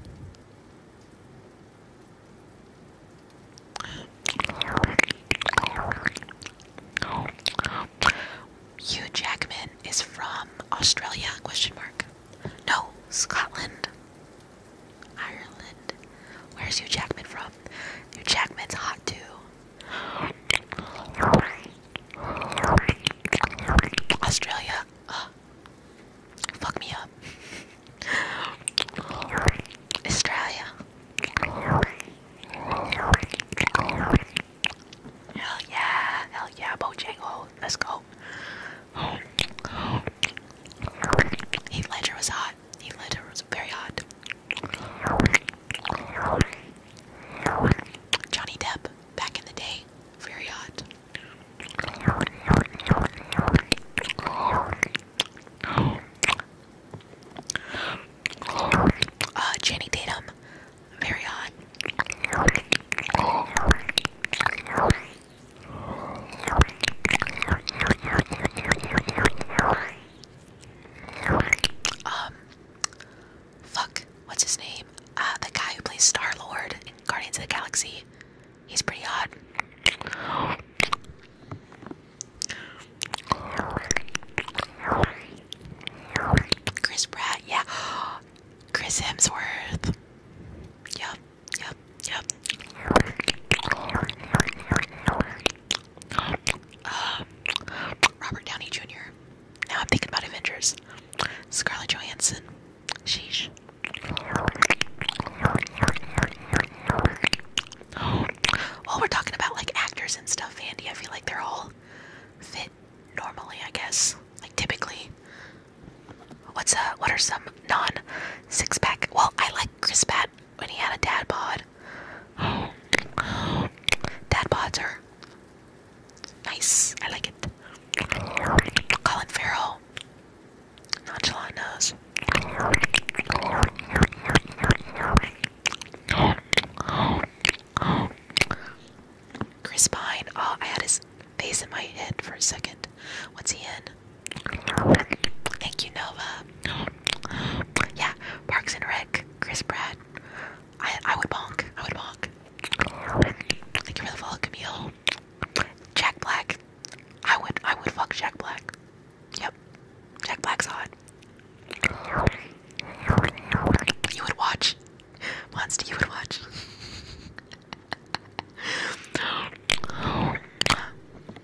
Hugh Jackman is from Australia? Question mark. No, Scotland. Ireland. Where's Hugh Jackman from? Hugh Jackman's hot too. Australia. fuck me up. Australia. Hell yeah, hell yeah, Bojango. Let's go. Heath Ledger was hot hot. He lit her. It was very hot. Johnny Depp, back in the day, very hot. Uh, Jenny Tatum, very hot. Um, fuck, what's his name? Uh, the guy who plays Star Lord in Guardians of the Galaxy. He's pretty hot. Chris Pratt, yeah. Chris Hemsworth. Yep, yep, yep. Um, Robert Downey Jr. Now I'm thinking about Avengers. Scarlett Johansson. Sheesh. Well, we're talking about like actors and stuff, Andy. I feel like they're all fit normally, I guess. Like typically. What's a uh, What are some non six pack? Well, I like Chris Pratt when he had a dad bod god. Dad bods are nice. I like it. Colin Farrell. Nonchalant nose. Chris Pine. Oh, I had his face in my head for a second. What's he in? Thank you, Nova. Yeah, Parks and Rec, Chris Pratt. I I would bonk. I would bonk. Thank you for the follow, Jack Black. I would I would fuck Jack Black. Yep. Jack Black's hot. You would watch. Monster, you would watch. [laughs]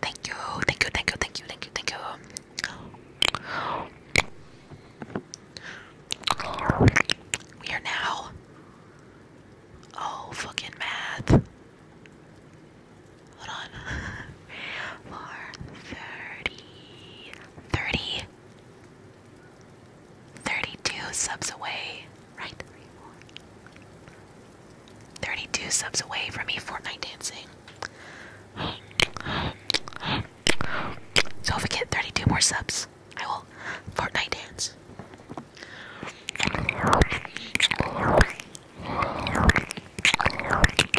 Thank you, thank you, thank you, thank you, thank you, thank you. We are now. Oh, fucking math. Hold on. [laughs] For 30. 30. 32 subs away, right? 32 subs away from me Fortnite dancing. So if we get 32 more subs, I will Fortnite dance.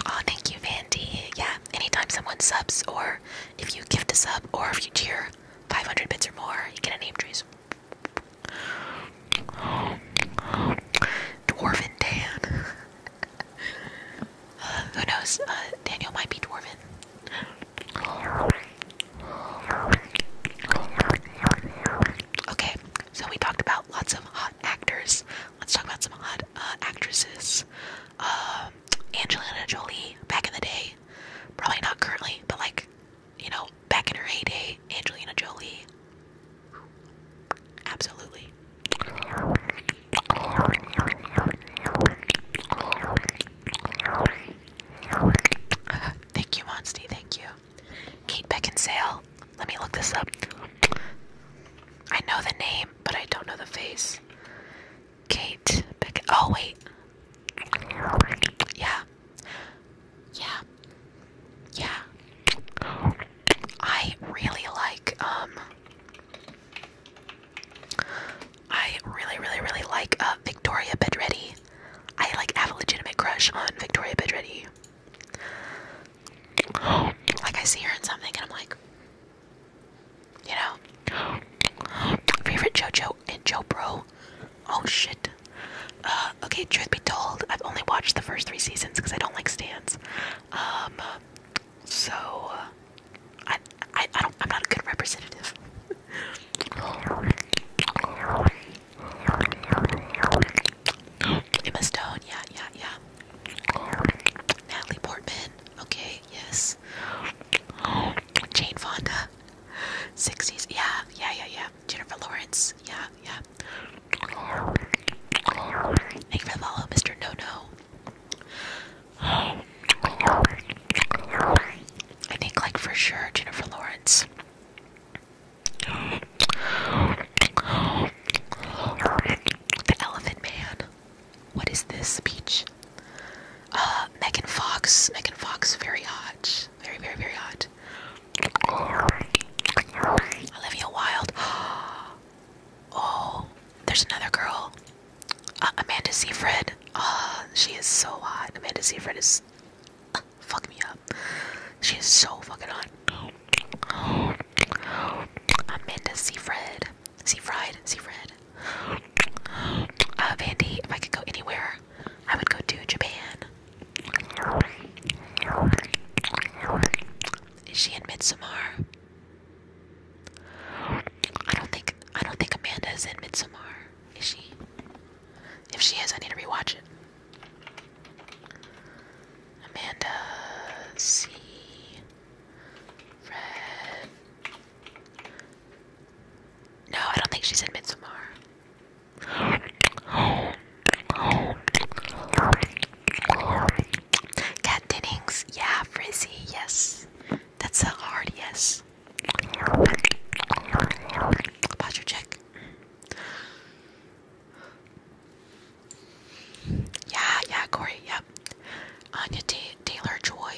Oh, thank you, Vandy. Yeah, anytime someone subs, or if you gift a sub, or if you cheer 500 bits or more, you get a name trees. Dwarven Dan. [laughs] Uh, who knows? Uh, Daniel might be dwarven. Okay, so we talked about lots of hot actors. Let's talk about some hot uh, actresses. Um, Angelina Jolie, back in the day. Probably not currently, but like you know, back in her heyday, Angelina Jolie. Absolutely. [laughs] thank you, Monsty. Thank you. Kate Beckinsale. Let me look this up. I know the name, but I don't know the face. Kate Beck. Oh, wait. Yeah yeah, yeah. I really like, um, I really, really, really like uh, Victoria Bedretti. I like have a legitimate crush on Victoria Bedretti. Like I see her in something and I'm like, you know, favorite JoJo Joe and Joe Pro, Oh shit. Uh, okay, truth be told, I've only watched the first three seasons because I don't like stans. Um, so uh, I, I, I don't. I'm not a good representative. Emma Stone, yeah, yeah, yeah. Natalie Portman, okay, yes. Jane Fonda, sixties, yeah, yeah, yeah, yeah. Jennifer Lawrence. Yeah, yeah. Thank you for the Mr. No No. I think, like, for sure, Jennifer Lawrence. The Elephant Man. What is this speech? Uh, Megan Fox. Megan Fox, very hot. Very, very, very hot. Olivia Wilde. [gasps] Oh, there's another girl. Uh, Amanda Seyfried. Oh, she is so hot. Amanda Seyfried is. Uh, fuck me up. She is so fucking hot. Amanda Seyfried. Seyfried. Seyfried. Uh, Vandy, if I could go anywhere, I would go to Japan. Is she in Midsommar? I don't think I don't think Amanda is in Midsommar. Is she? If she is, I need to rewatch it. Amanda C. Red. No, I don't think she's in Midsommar. Cat dinnings, yeah, frizzy, yes. That's a hard yes. Posture check. Yeah, yeah, Corey, yep. Anya Taylor Joy.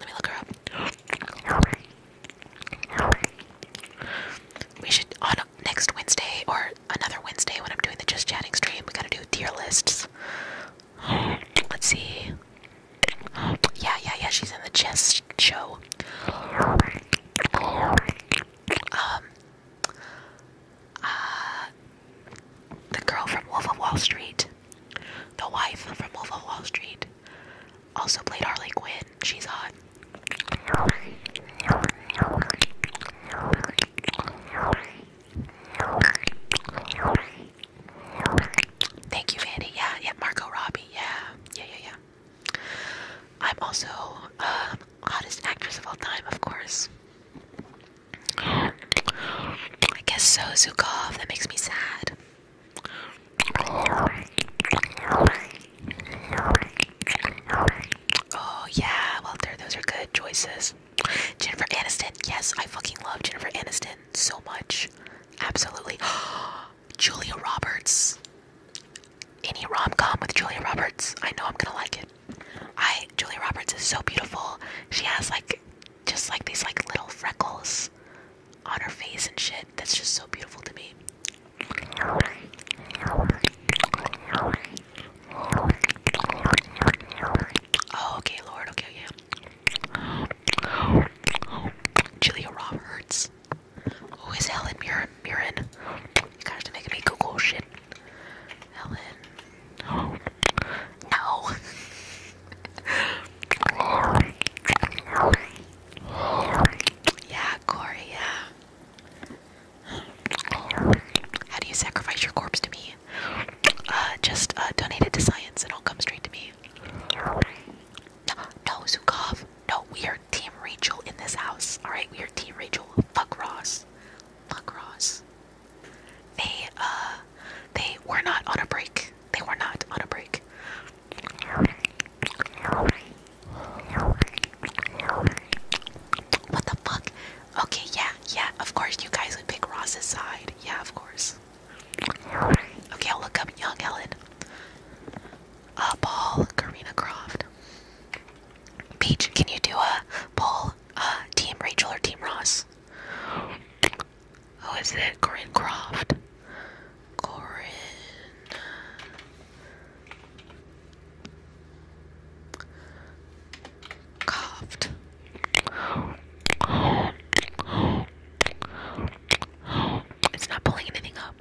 Let me look her up. We should on next Wednesday or another Wednesday when I'm doing the just chatting stream. We gotta do tier lists. Let's see. Yeah, yeah, yeah. She's in the chess show. Um. Uh, the girl from Wolf of Wall Street. The wife from Wolf of Wall Street. Also played Harley Quinn. She's hot. Thank you, Vandy. Yeah, yeah, Marco Robbie. Yeah, yeah, yeah, yeah. I'm also um, hottest actress of all time, of course. I guess so, Zukov. That makes me sad. Oh yeah, well those are good choices. Jennifer Aniston, yes, I fucking love Jennifer Aniston so much. Absolutely. [gasps] Julia Roberts. Any rom com with Julia Roberts, I know I'm gonna like it. I Julia Roberts is so beautiful. She has like just like these like little freckles on her face and shit. That's just so beautiful to me. Oh, okay, Lord. Okay, yeah. Julia Roberts. Who is Helen Mirren? Mirren. Gosh, to make me Google shit. Helen. No. [laughs] yeah, Corey, yeah. How do you sacrifice your corpse to me? Uh, just uh, donate it to science. and It'll come straight to me. No, no, Zukov. No, we are Team Rachel in this house. Alright, we are Team Rachel. Fuck Ross. Fuck Ross. They, uh, they were not on a break. They were not on a break. What the fuck? Okay, yeah, yeah, of course you guys would pick Ross's side. Yeah, of course. Okay, I'll look up Young Ellen. Uh, Paul, Karina Croft. Peach, can you do a poll? uh, Team Rachel or Team Ross? Who is it? Corinne Croft. Corinne Coughed. It's not pulling anything up.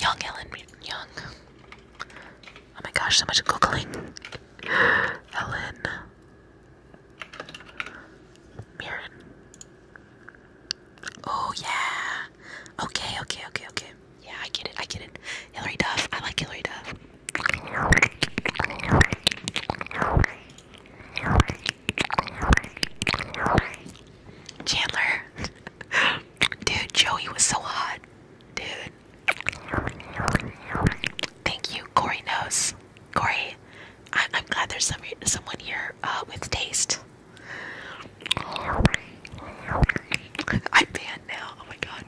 Young Ellen, young. Oh my gosh, so much googling. Ellen. Mirren. Oh yeah. Okay, okay, okay, okay. Yeah, I get it. I get it. Hillary Duff. I like Hillary Duff. Chandler. [laughs] Dude, Joey was so hot. Dude. Thank you, Corey knows. Corey, I am glad there's someone here uh, with taste. I'm banned now. Oh my god.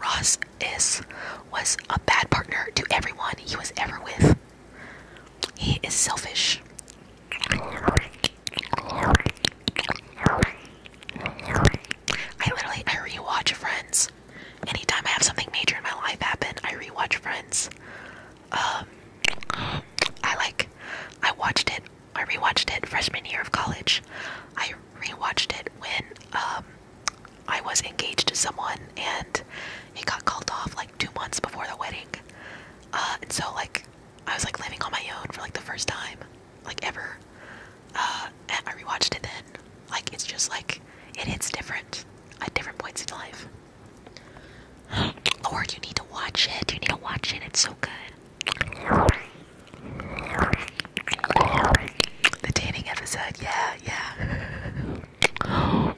Ross is was a bad partner to everyone he was ever with. He is selfish. I literally I rewatch Friends. Anytime I have something major in my life happen, I rewatch Friends. Um, I like I watched it. I rewatched it freshman year of college. I rewatched it when um I was engaged to someone and it got called off like two months before the wedding. Uh, and so like I was like living on my own for like the first time like ever. Uh, and I rewatched it then. Like it's just like it hits different at different points in life. Lord, you need to watch it. You need to watch it. It's so good. The dating episode, yeah, yeah. [gasps]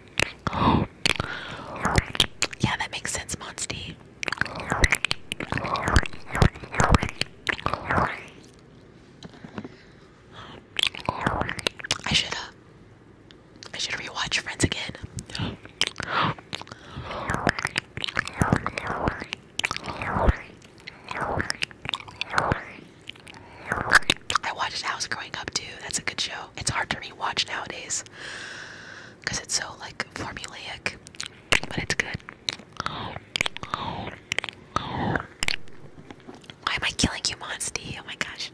yeah, that makes sense, Monsty. I should, uh, I should rewatch Friends again. I watched House growing up too. That's a good show. It's hard to rewatch nowadays because it's so like formulaic but it's good. Why am I killing you, Monsty? Oh my gosh.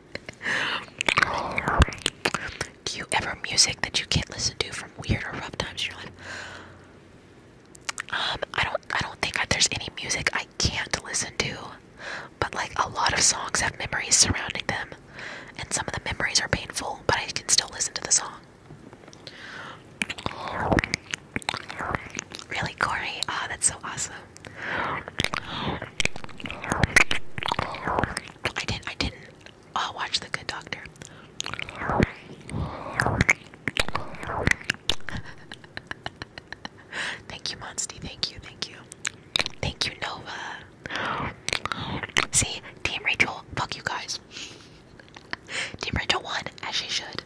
Do you ever music that you can't listen to from weird or rough times in your life? Um, I don't, I don't think there's any music I can't listen to, but like a lot of songs have memories surrounding them, and some of the memories are painful, but I can still listen to the song. Really, Corey? Ah, that's so awesome. I didn't. I didn't. Oh, watch the Good Doctor. [laughs] thank you, Monsty. Thank you. Thank you. Thank you, Nova. See, Team Rachel. Fuck you guys. Team Rachel won, as she should.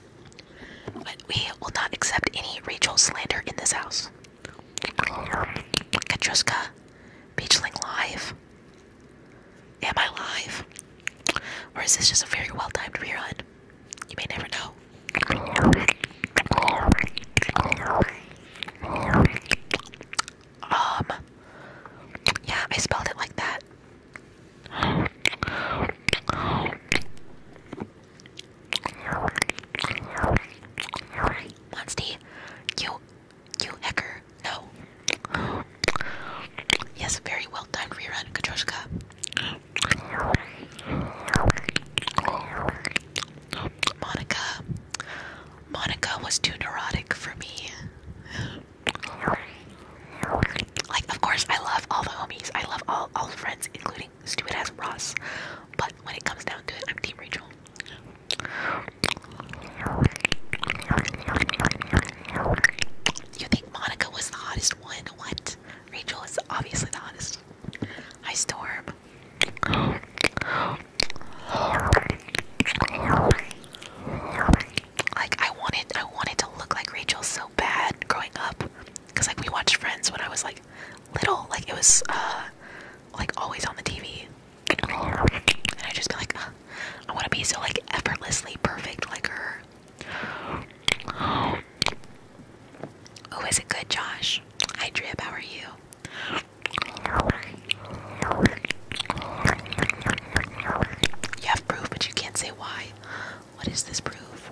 But we will not accept any Rachel slander in this house. Katruska, Beachling live. Am I live? Or is this just a very well timed rerun? You may never know. Um, yeah, I spelled it like that. Monstie, you, you hecker, no. Yes, very well timed rerun, Katroshka. Monica, Monica was too neurotic for me. Like, of course, I love all the homies. I love all all friends, including stupid ass Ross. But when it comes down to it, I'm Team Rachel. You think Monica was the hottest one? What? Rachel is obviously the hottest. Hi, Storm like I wanted I wanted to look like Rachel so bad growing up because like we watched Friends when I was like little like it was uh, like always on the TV and i just be like I want to be so like effortlessly perfect like her. Oh, is it good, Josh? Hi, Drip. How are you? You have proof, but you can't say why. What does this prove?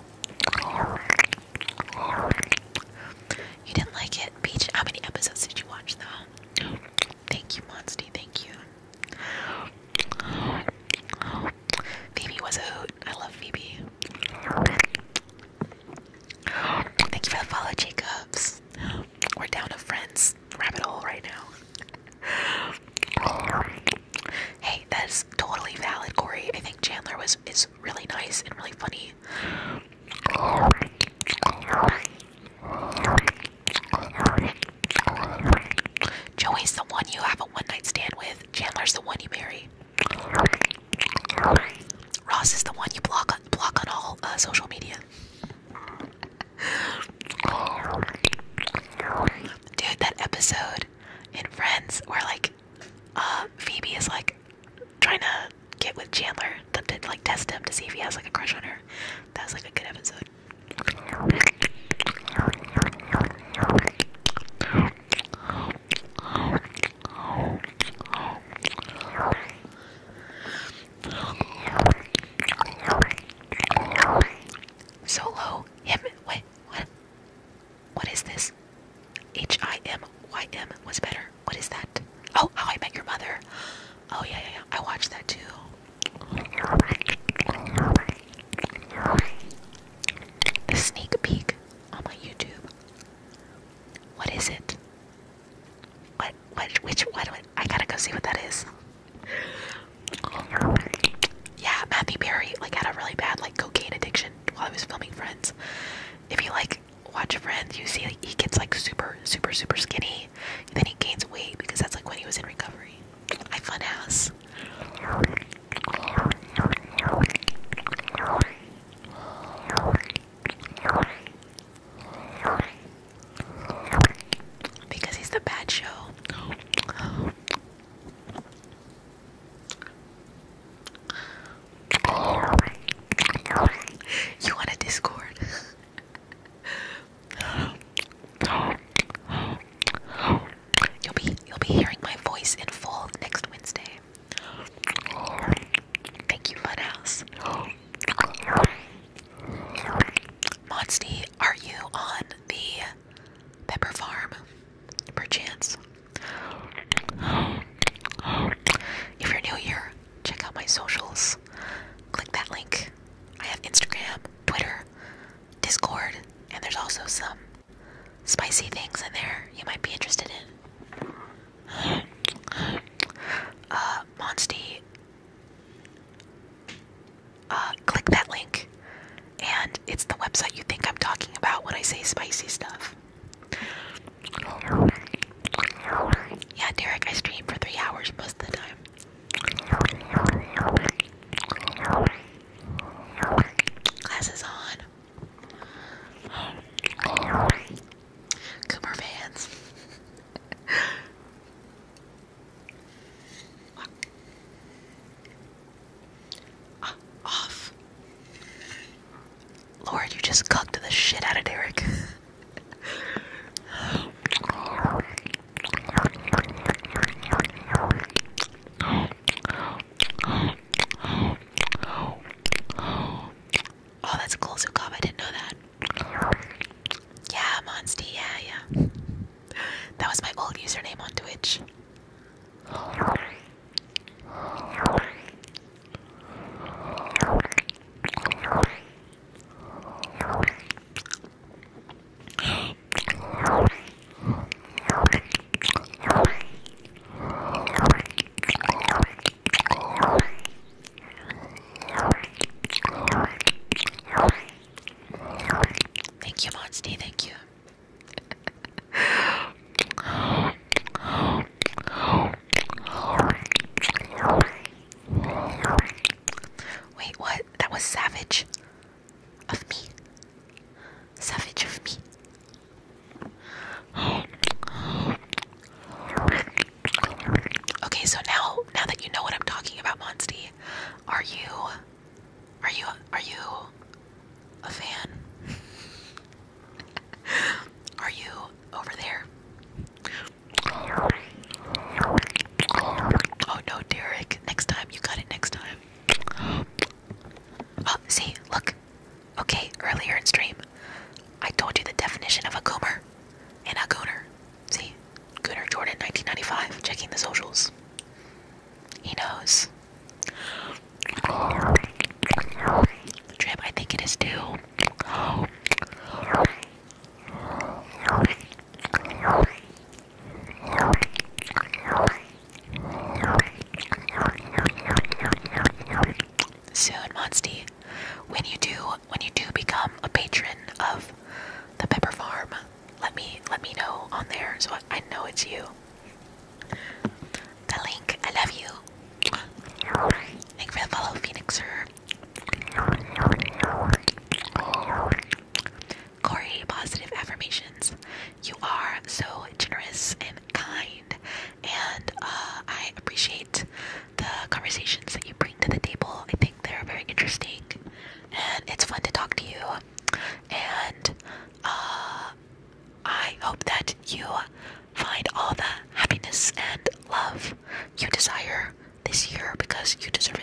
You didn't like it, Peach. How many episodes did you watch, though? Thank you, Monsty. Thank you. Phoebe was a hoot. I love Phoebe. Thank you for the follow, Jacobs. We're down to friends rabbit hole right now hey, that's totally valid, Corey. I think Chandler was is really nice and really funny. Joey's the one you have a one night stand with. Chandler's the one you marry. Ross is the one you block on, block on all uh, social media. Dude, that episode in Friends where like uh, Phoebe is like trying to get with Chandler to, like test him to see if he has like a crush on her. That's like a good episode. Solo him wait what? What is this? H I M Y M was better. What is that? Oh, How I Met Your Mother. Oh yeah, yeah, yeah. I watched that too. The sneak peek on my YouTube. What is it? What? What? Which? What? what I gotta go see what that is yeah, Matthew Perry like had a really bad like cocaine addiction while he was filming Friends. If you like watch Friends, you see he gets like super, super, super skinny. then he gains weight because that's like when he was in recovery. I funhouse. Because he's the bad show. You want a Discord? You'll be you'll be hearing my voice in full next Wednesday. Thank you, Funhouse. Monsty, are you on the Pepper Farm, perchance. If you're new here, check out my socials. Click that link. I have Instagram, Twitter, Discord, and there's also some spicy things in there you might be interested in. Uh, Monsty uh, click that link. And it's the website you think I'm talking about when I say spicy stuff. Yeah, Derek, I stream for three hours most the time. Glasses on. Coomer fans. [laughs] Uh, off. Lord, you just cucked the shit out of Derek. Oh, that's cool zoo I didn't know that. Yeah, Monsty. Yeah, yeah. That was my old username on Twitch. Thank you, Monstie. Thank you. Wait, what? That was savage of me. Savage of me. Okay, so now now that you know what I'm talking about, Monsty, are you are you are you a fan? [laughs] are you over there? Oh no, Derek. Next time you got it next time. [gasps] Oh, see, look. Okay, earlier in stream, I told you the definition of a goomer and a gooner. See? Gooner Jordan 1995 checking the socials. He knows. Drip, I think it is too. Soon, Monsty, when you do, when you do become a patron of the Pepper Farm, let me let me know on there so I know it's you. The link, I love you. Thank you for the follow, Phoenixer. Corey, positive affirmations. You are so generous and kind, and uh, I appreciate the conversations that you bring to the table. I think they're very interesting, and it's fun to talk to you. And uh, I hope that you find all the happiness and love you desire this year because you deserve it,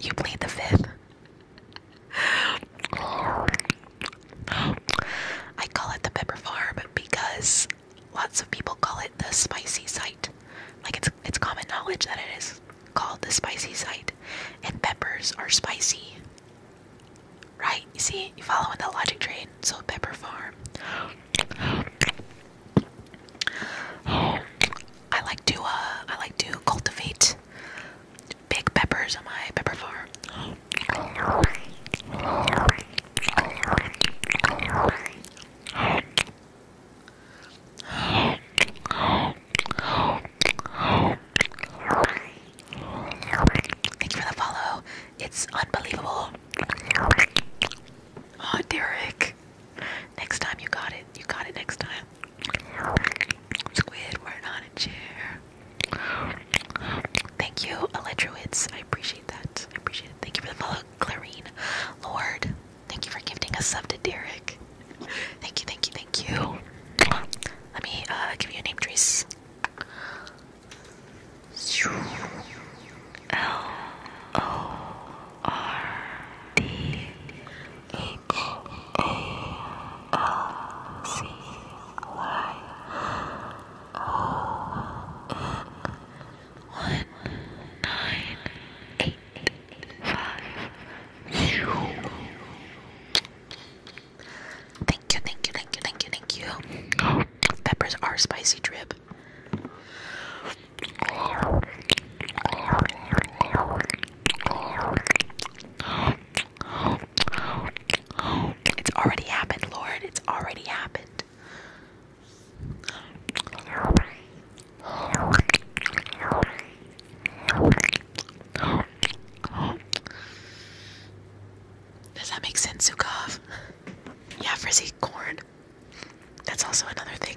you played the fifth. I call it the pepper farm because lots of people call it the spicy site. Like it's it's common knowledge that it is called the spicy site, and peppers are spicy. Right? You see, you follow in the logic train. So pepper farm. I like to uh, I like to cultivate big peppers on my pepper farm. Thank you for the follow. It's unbelievable. Oh, Derek. Next time you got it. You got it next time. Squidward on a chair. Thank you, Electrowitz. I appreciate that. I appreciate it. Thank you for the follow, Clarine. Lord, thank you for gifting us sub to Derek. Thank you, thank you, thank you. Let me uh, give you a name, Trace. L O R D H A L C Y O N one nine eight five zero. Thank you, thank you, thank you, thank you, thank you. Oh, peppers are spicy drip. It's already happened, Lord. It's already happened. Does that make sense, Zukov? Yeah, frizzy corn. That's also another thing.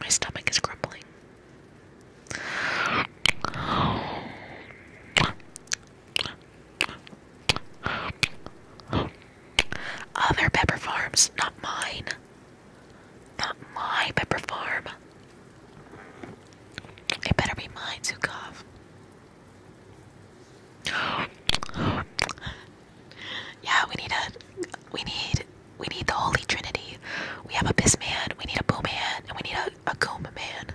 My stomach is grumbling. Other pepper farms, not mine. Not my pepper farm. It better be mine, Zukov. [gasps] yeah, we need a we need we need the Holy Trinity. We have a piss man, we need a boo man, and we need a, a man.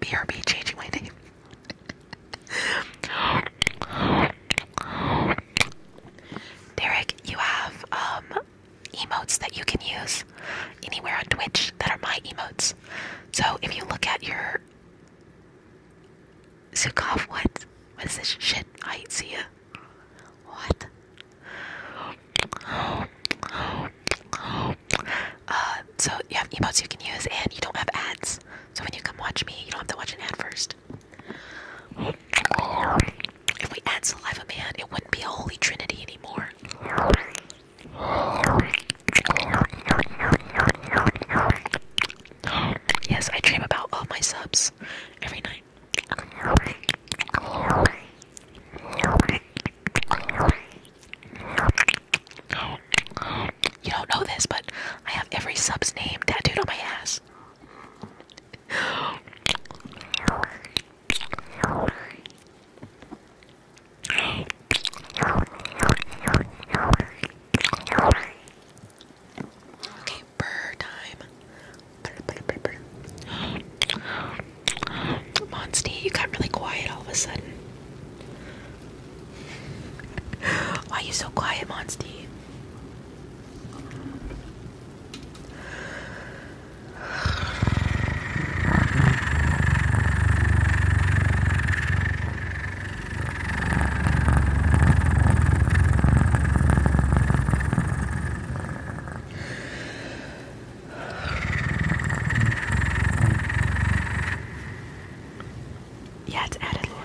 BRB changing my name. Derek, you have um emotes that you can use anywhere on Twitch that are my emotes. So if you look at your Zukov, what? What is this shit? I see you. What? Uh, so you have emotes you can use, and you don't have ads. So when you come watch me, you don't have to watch an ad first. If we add Saliva Man, it wouldn't be a holy trinity anymore. Yes, I dream about all my subs every night. You don't know this, but I have every sub's name tattooed on my ass. Okay, burr time. Monsty, you got really quiet all of a sudden. Why are you so quiet, Monstie? Yeah, it's added, Lord.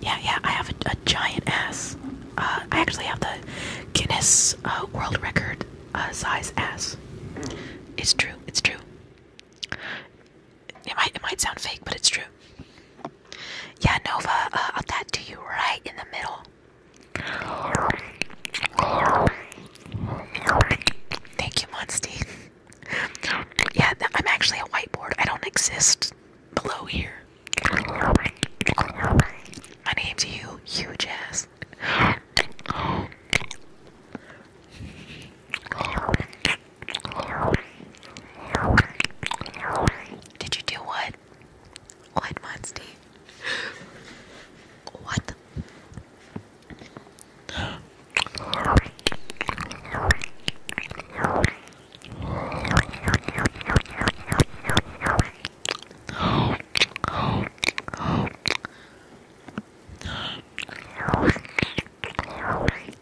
Yeah, yeah, I have a, giant ass. Uh, I actually have the Guinness uh, World Record uh, size ass. It's true. It's true. It might it might sound fake, but it's true. Yeah, Nova, I'll tattoo you right in the middle. Thank you, Monsty. yeah, I'm actually a whiteboard. I don't exist below here. My name's you, huge ass. Did you do what? What, Monsty? What?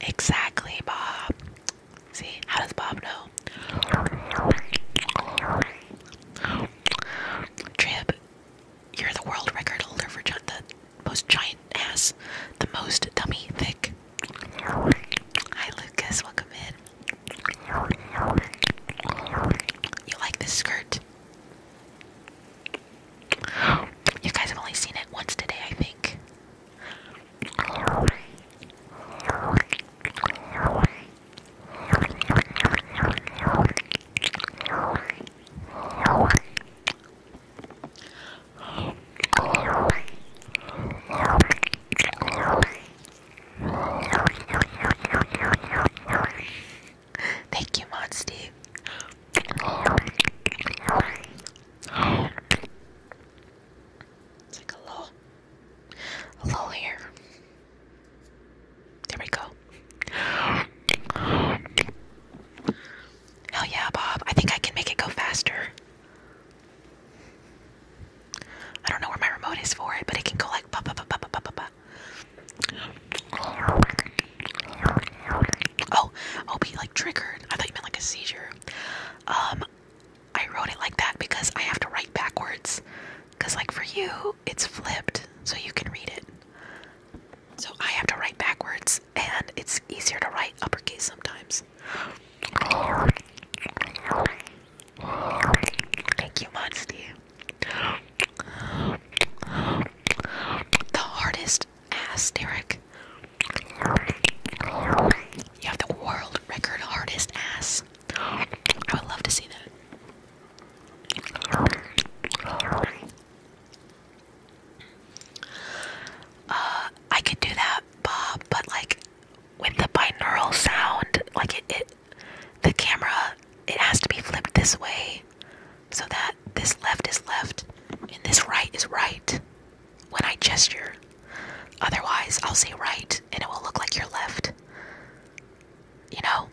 Exactly, Bob. See, how does Bob know? Trib, you're the world record holder for the most giant ass, the most dummy thick. Hi Lucas, welcome in. You like this skirt? You guys have only seen it once today, I think. Thank you, Mod Steve. It's like a lull. A lull here. There we go. Hell yeah, Bob. I think I can make it go faster. I don't know where my remote is for it, but it can go like ba ba ba ba ba ba ba Oh, I'll oh, be like triggered. I thought you meant like a seizure. Um, I wrote it like that because I have to write backwards. Cause like for you, it's flipped, so you can read it. So I have to write backwards, and it's easier to write uppercase sometimes. Thank you, Monstie. The hardest ass, You have the world record hardest ass. I would love to see that. Uh, I could do that, Bob, but like with the binaural sound, like it, it, the camera, it has to be flipped this way so that this left is left and this right is right when I gesture. Otherwise, I'll say right and it will look like you're left. You know?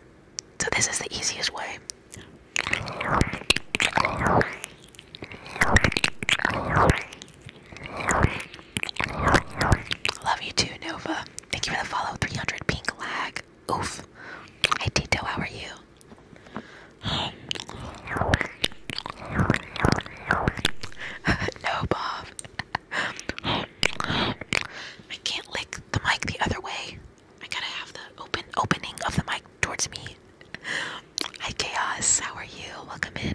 So, this is the easiest way. Love you too, Nova. Thank you for the follow. 300 pink lag. Oof. Hey Tito. How are you? [laughs] no, Bob. [laughs] I can't lick the mic the other way. I gotta have the open opening of the mic towards me. Hi Chaos, how are you? Welcome in.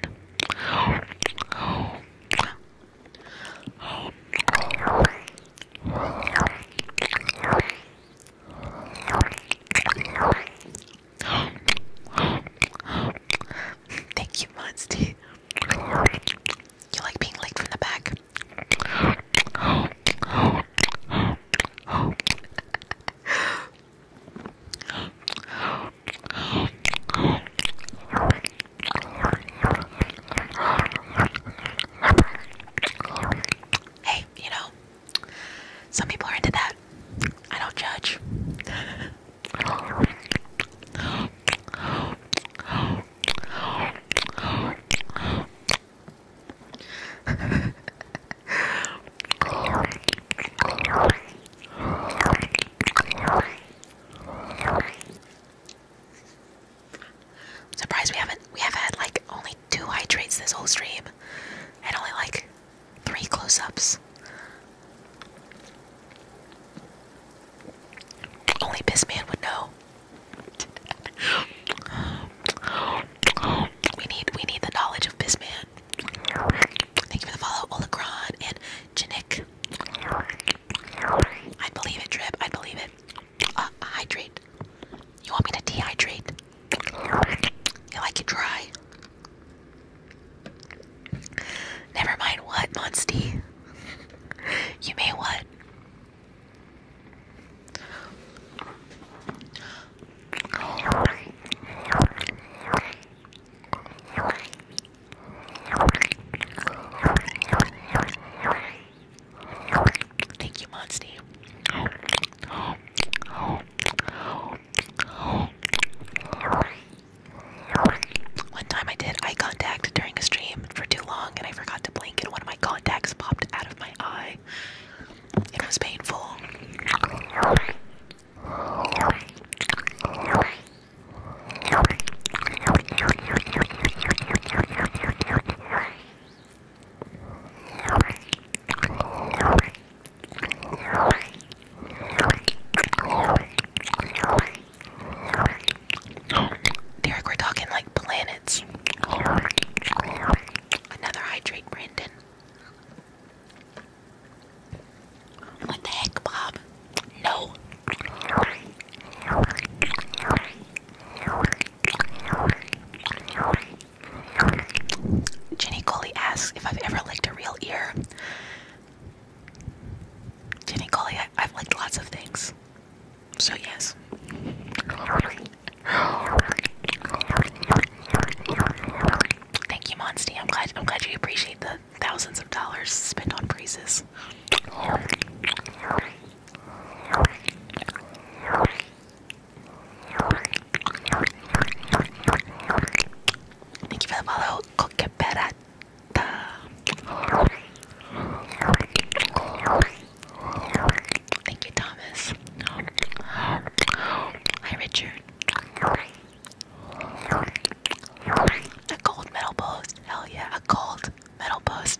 Thank you, Monsty. You like being licked from the back? Hey, you know, some people are into that. I don't judge. I'm surprised we haven't we have had like only two hydrates this whole stream and only like three close-ups. Only Pissman would know. [laughs] We need we need the knowledge of bizman. Thank you for the follow, Olegron and Janik. I believe it, Drip. I believe it. Uh, hydrate. You want me to dehydrate? You like it dry? Never mind what, Monstie. [laughs] you may what? Thank you, Monstie. One time I did eye contact during a stream for too long and I forgot to blink and one of my contacts popped out of my eye. It was painful. Derek, we're talking like planets. Another hydrate, Brandon. What the heck, Bob? No. Jenny Coley asks if I've ever licked a real ear. Jenny Coley, I, have licked lots of things. So, yes. Thank you, Monsty. I'm glad I'm glad you appreciate the thousands of dollars spent on praises. Thank you for the follow, Coqueperata. Thank you, Thomas. Hi, Richard. A gold medal post. Hell yeah, a gold medal post.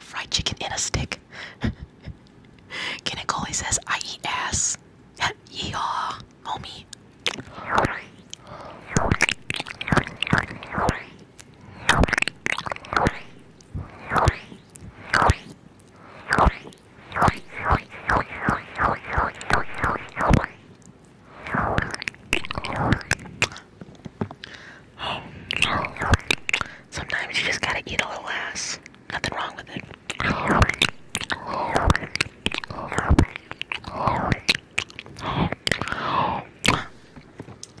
Fried chicken in a stick. [laughs] Kinnicoli says, I eat ass. [laughs] Yeehaw homie. Sometimes you just gotta eat a little ass. Nothing wrong with it.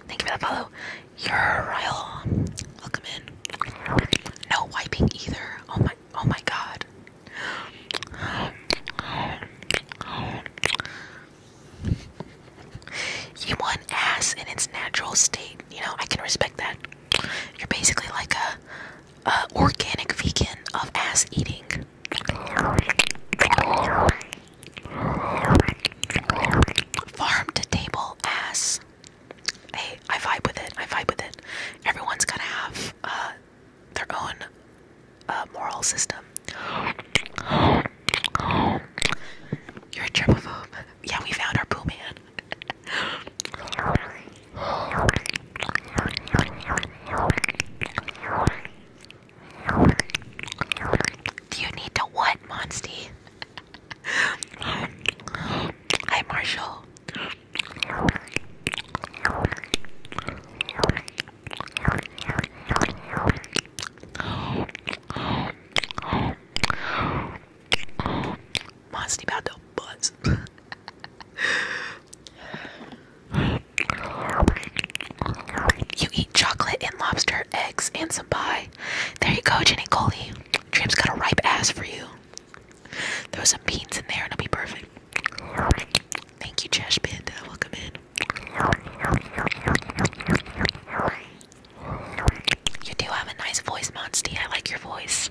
Thank you for that follow. Your Ryle. Welcome in. No wiping either. Oh my oh my god. You want ass in its natural state. You know, I can respect that. You're basically like a uh, organic vegan of ass eating. Farm to table ass. Hey, I vibe with it. I vibe with it. Everyone's gonna have uh, their own uh, moral system. You're a germaphobe. Yeah, we found our poo man. [laughs] Do you need to what, Monsty? Hi, Marshall. Monsty about to buzz. [laughs] You eat chocolate and lobster, eggs, and some pie. There you go, Jenny Coley. Dream's got a ripe ass for you. Throw some beans in there and it'll be perfect. Thank you, Trash Panda. Welcome in. You do have a nice voice, Monstie. I like your voice.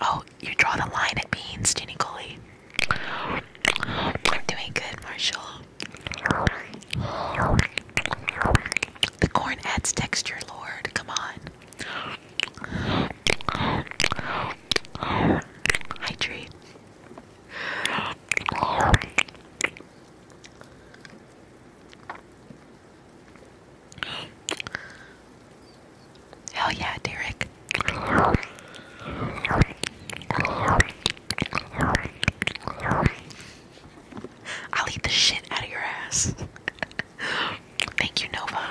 Oh, you draw the line at beans, Jenny Gully. I'm doing good, Marshall. The corn adds texture, Lord. Come on. Hi, Tree. Hell yeah, Derek. I'll eat the shit out of your ass. Thank you, Nova.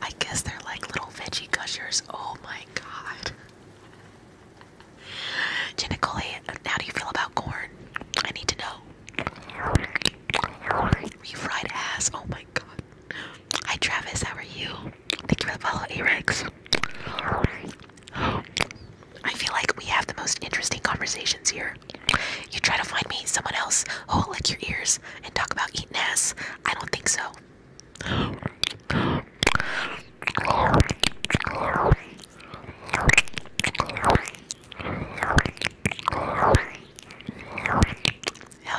I guess they're like little veggie gushers. Oh my god. Jenna Cole, how do you feel about corn? I need to know. You fried ass. Oh my god. Hi Travis, how are you? Thank you for the follow, Arex. I feel like we have the most interesting conversations here. You try to find me someone else who'll lick your ears and talk about eating ass. I don't think so. Hell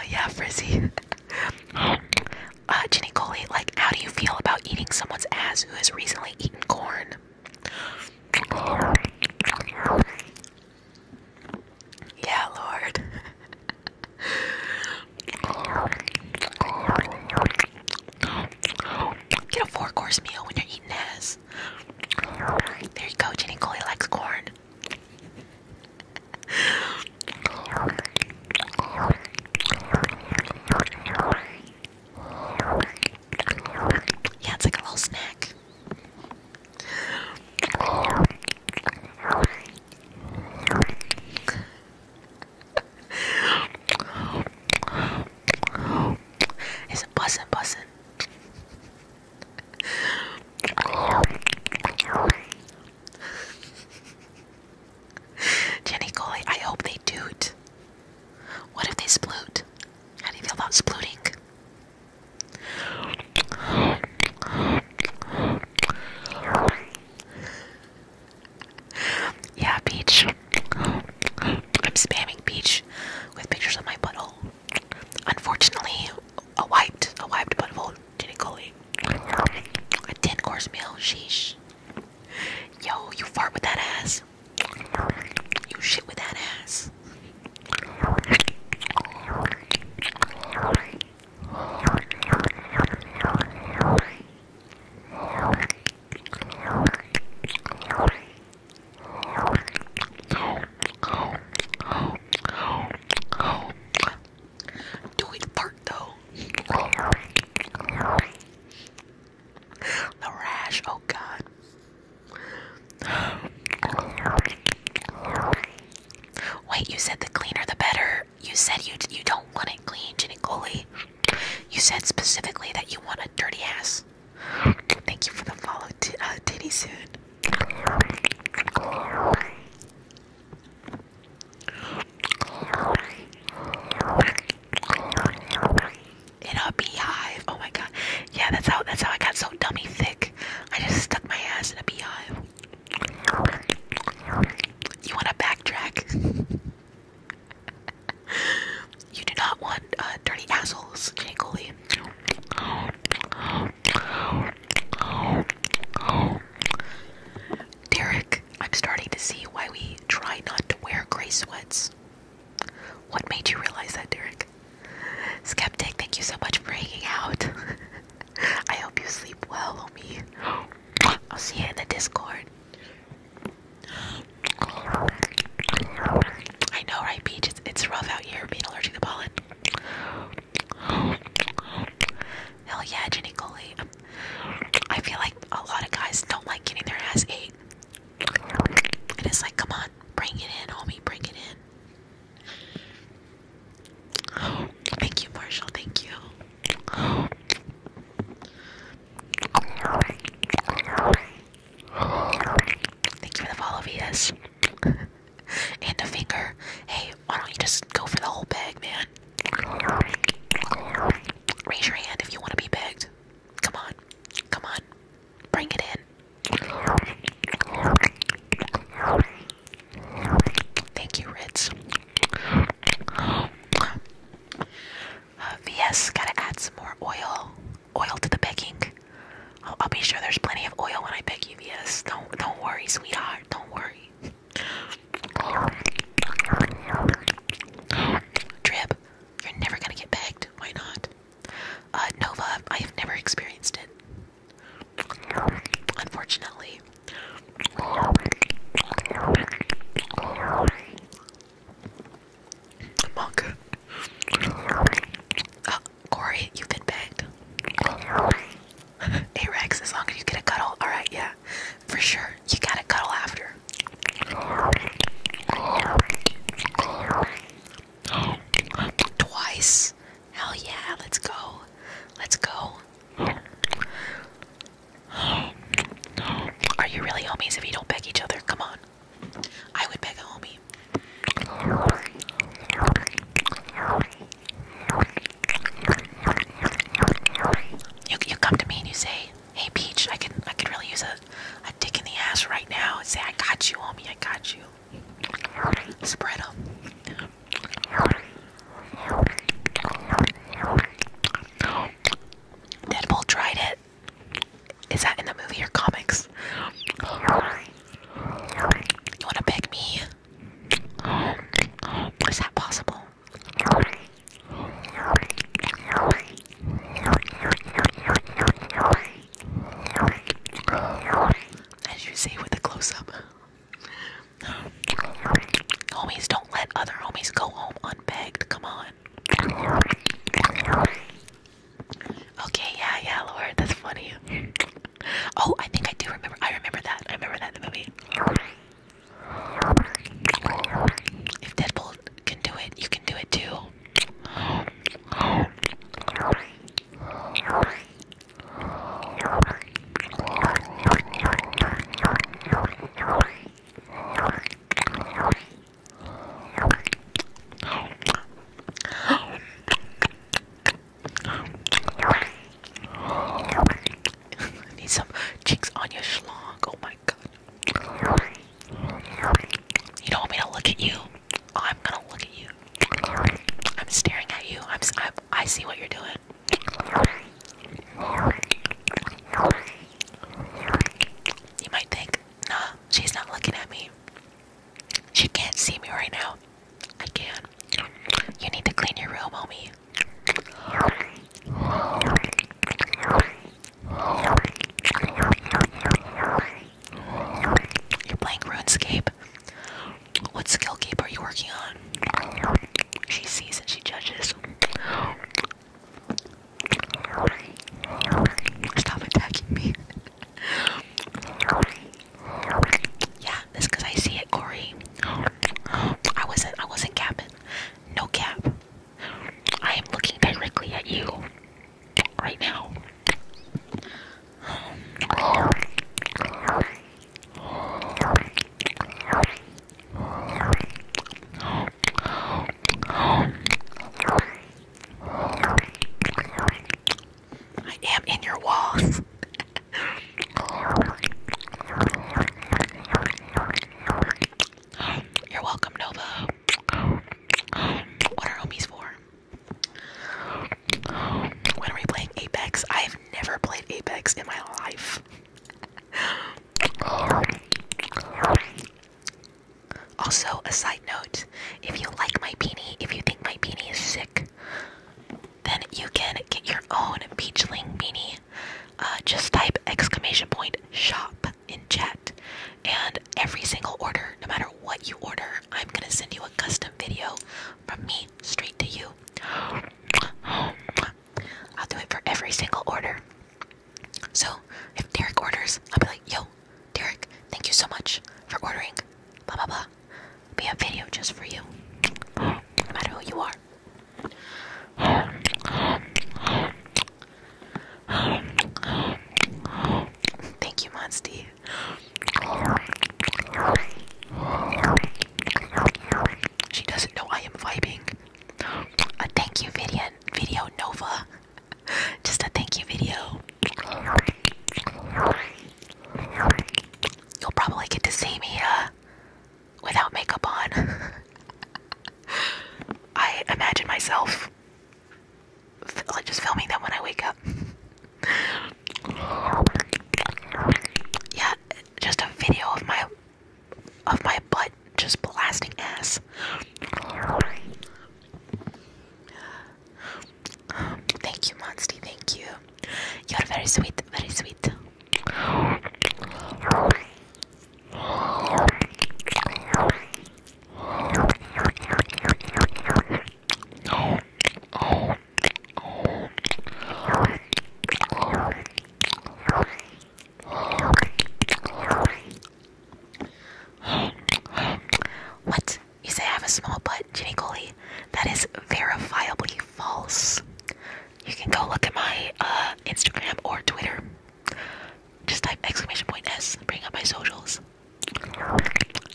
yeah, Frizzy. uh, Jenny Coley, like, how do you feel about eating someone's ass who has recently eaten corn? Yeah, Lord. [laughs] Get a four course meal when you're eating ass. There you go, Jenny Cole likes corn. Yeah, it's like a little snack it's bussin', bussin'. Jenny Coley, I hope they doot. What if they sploot? How do you feel about splooting? yeah, peach. I'm spamming peach with pictures of my butthole. Unfortunately, a wiped, a wiped butthole didn't A 10 course meal, sheesh. Yo, you fart with that ass. You shit with that ass. Do it fart though. The rash, oh god. Wait, you said the cleaner the better you said you you don't want it clean, Ginny You said specifically that you want a dirty ass. Thank you for the follow, t uh, Titty suit In a beehive. Oh my god. Yeah, that's how that's how I got so dummy thick. I just stuck my ass in a beehive. You wanna backtrack? you do not want uh, dirty assholes, Jay Coley. Derek, I'm starting to see why we try not to wear gray sweats. What made you realize that, Derek? Skeptic, thank you so much for hanging out. [laughs] I hope you sleep well, homie. I'll see you in the Discord. I know, right, Peach? It's, it's rough out here being allergic to pollen. Hell yeah, Jenny Coley. I feel like a lot of guys don't like getting their ass ate. And it's like, come on, bring it in, homie, bring it in. Thank you, Marshall. Thank you. Thank you for the follow, Vitas. [laughs] and a finger. Hey, why don't you just go for the whole bag, man? Raise your hand if you want to be begged. Come on. Come on. Bring it in. Thank you, Ritz. Uh, VS, [sighs] gotta add some more oil, oil to the picking. I'll, be sure there's plenty of oil when I pick you, VS. Don't, don't worry, sweetheart. Don't worry. Drip, you're never gonna get pegged. Why not? Uh, Nova, I have never experienced it. Unfortunately i uh, Corey, you can beg. hey [laughs] Rex, as long as you get a cuddle, alright, yeah, for sure. You gotta cuddle after. Twice. Hell yeah, let's go. Let's go. [gasps] Are you really homies if you don't beg each other? Come on. I would beg a homie. You you come to me and you say, "Hey, Peach, I can I can really use a a dick in the ass right now." And say, "I got you, homie. I got you." Spread Deadpool tried it. Is that in the movie or comics? You wanna beg me? Is that possible? As you see with the close up. Homies, don't let other homies go home unbegged. Come on. Okay, yeah, yeah, Lord, that's funny. Oh, I think I do remember. I remember that. I remember that in the movie. If Deadpool can do it, you can do it too. I need some cheeks on your schlong. Oh my god. You don't want me to look at you? Oh, I'm gonna look at you. I'm staring at you. I'm, I, I see what you're doing. You might think, nah, she's not looking at me. She can't see me right now. I can. You need to clean your room, homie. You're playing RuneScape. What skill keep are you working on? She sees and she judges. Stop attacking me. yeah, that's cause I see it, Corey. I wasn't I wasn't capping. No cap. I am looking directly at you right now. I am in your walls. You're welcome, Nova. What are homies for? When are we playing Apex? I have never played Apex in my life. Also, a side note, if you like my beanie, if you think my beanie is sick, then you can get your own Peachling beanie. Uh, just type exclamation point shop in chat, and every single order, no matter what you order, I'm gonna send you a custom video from me straight to you. [gasps] I'll do it for every single order. So if Derek orders, I'll be like, yo, Derek, thank you so much for ordering. Blah blah blah. Be a video just for you. No matter who you are. Thank you, Monsty. She doesn't know I am vibing. A thank you video, video Nova. [laughs] Just a thank you video. You'll probably get to see me uh, without makeup on. [laughs] I imagine myself like just filming them when I wake up. [laughs] yeah, just a video of my of my butt just blasting ass. thank you, Monstie. Thank you. You're very sweet, very sweet. What? You say I have a small butt, Jimmy Coley? That is verifiably false. You can go look at my uh, Instagram or Twitter. Just type exclamation point S, bring up my socials.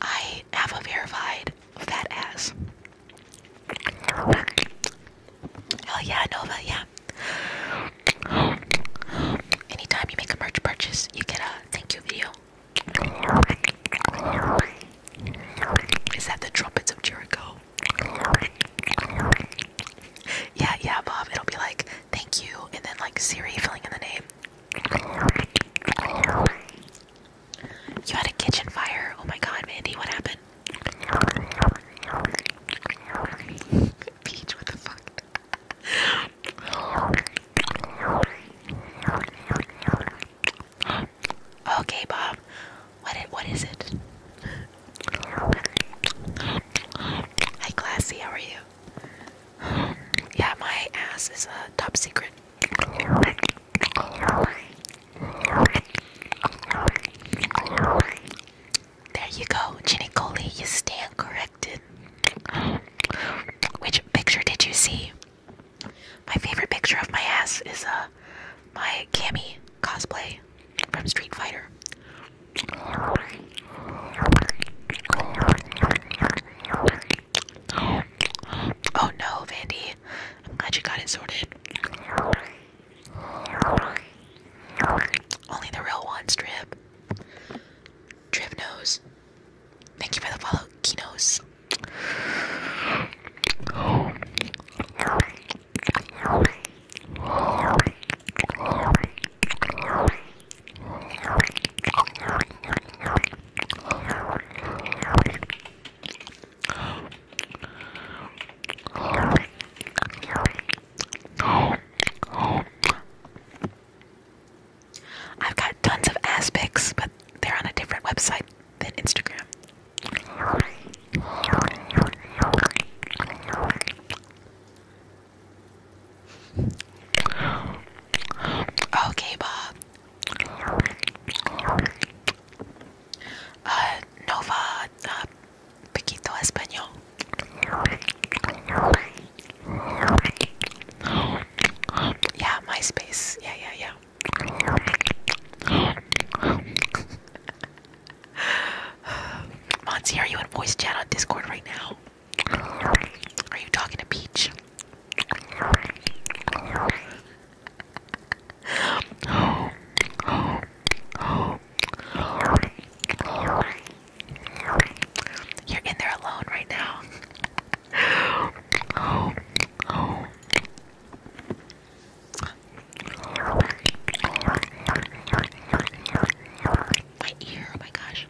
I have a verified fat ass. Hell yeah, Nova, yeah. Anytime you make a merch purchase, you get a thank you video. Is that the trumpets of Jericho? Yeah, yeah, Bob. It'll be like thank you, and then like Siri filling in the name. You had a kitchen fire. Oh my god, Mandy, what happened? Peach, what the fuck? okay, Bob. What what is it? Hi, Classy. How are you? Yeah, my ass is uh, top secret. There you go, Ginny Coley, you stand corrected. Which picture did you see? My favorite picture of my ass is uh my Cammy cosplay from Street Fighter. Oh no, Vandy. I'm glad you got it sorted. Only the real one strip. Drivnose. Thank you for the follow, Kinos. I've got tons of aspects, but they're on a different website than Instagram. Okay, Bob. Uh, Nova uh, Pequito Español. Yeah, MySpace. Yeah, yeah, yeah. Monty, are you in voice chat on Discord right now? Are you talking to Peach? You're in there alone right now. Oh, oh. My ear, oh my gosh.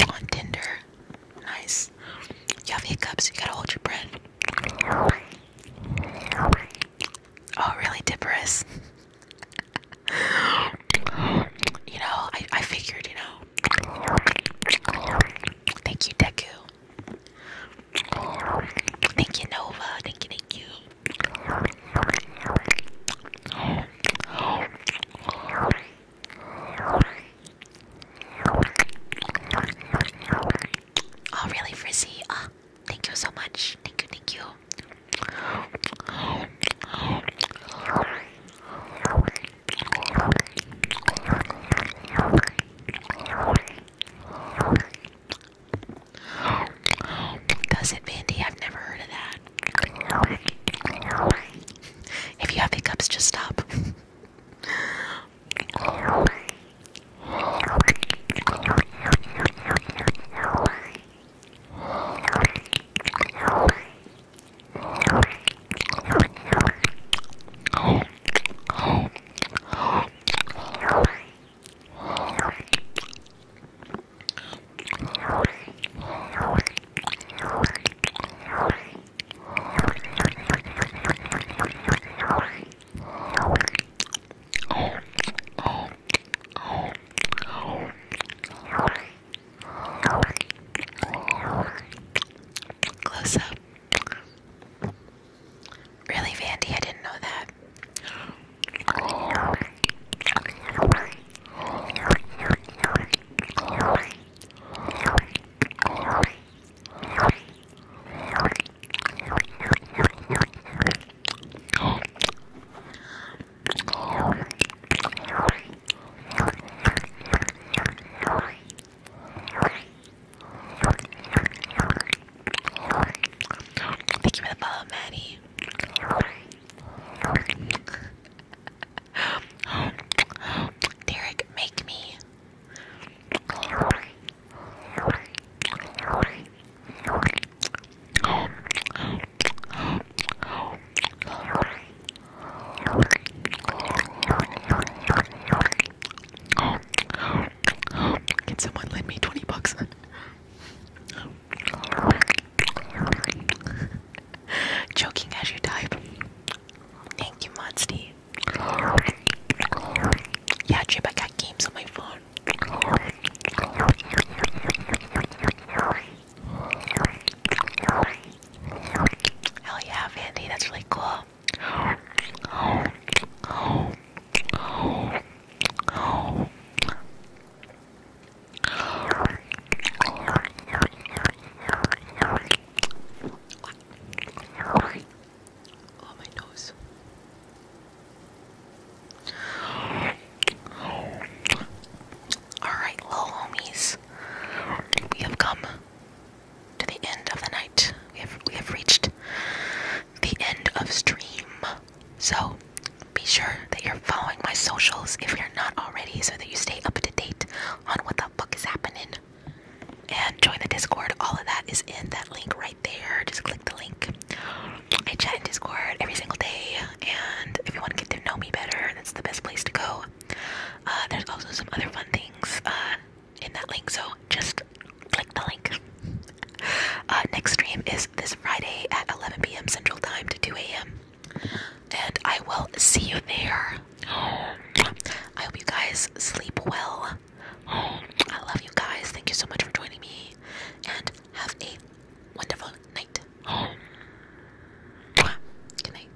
On Tinder, Nice. You have hiccups, you gotta hold your breath. Oh, really, Dipperus? [laughs] you know, I, I figured, you know. Thank you, Deku. Thank you, Nova. Thank you, thank Oh, really, Frizzy? Ah, thank you so much. Thank you, Does it, Mandy? I've never heard of that. If you have hiccups, just stop. [laughs] Close up. Really, Vandy, I didn't know that. Thank you for the follow, Maddie. [gasps] Derek, make me. Can someone lend me 20 bucks? [laughs] Joking as you type. Thank you, Monty. Yeah, Jib, I got games on my phone. Hell yeah, Vandy, that's really cool. Oh, Alright, little homies. We have come to the end of the night. We have we have reached the end of stream. So be sure that you're following my socials if you're not already so that you stay up to date on what the fuck is happening and join the Discord. All of that is in that link right there. Just click the link. I chat in Discord every single day, and if you want to get to know me better, that's the best place to go. Uh, there's also some other fun things uh, in that link, so just click the link. Uh, next stream is this Friday at 11 p.m. Central Time to 2 a.m. And I will see you there. I hope you guys sleep well. I love you guys. Thank you so much for joining me. And have a wonderful night. Good night.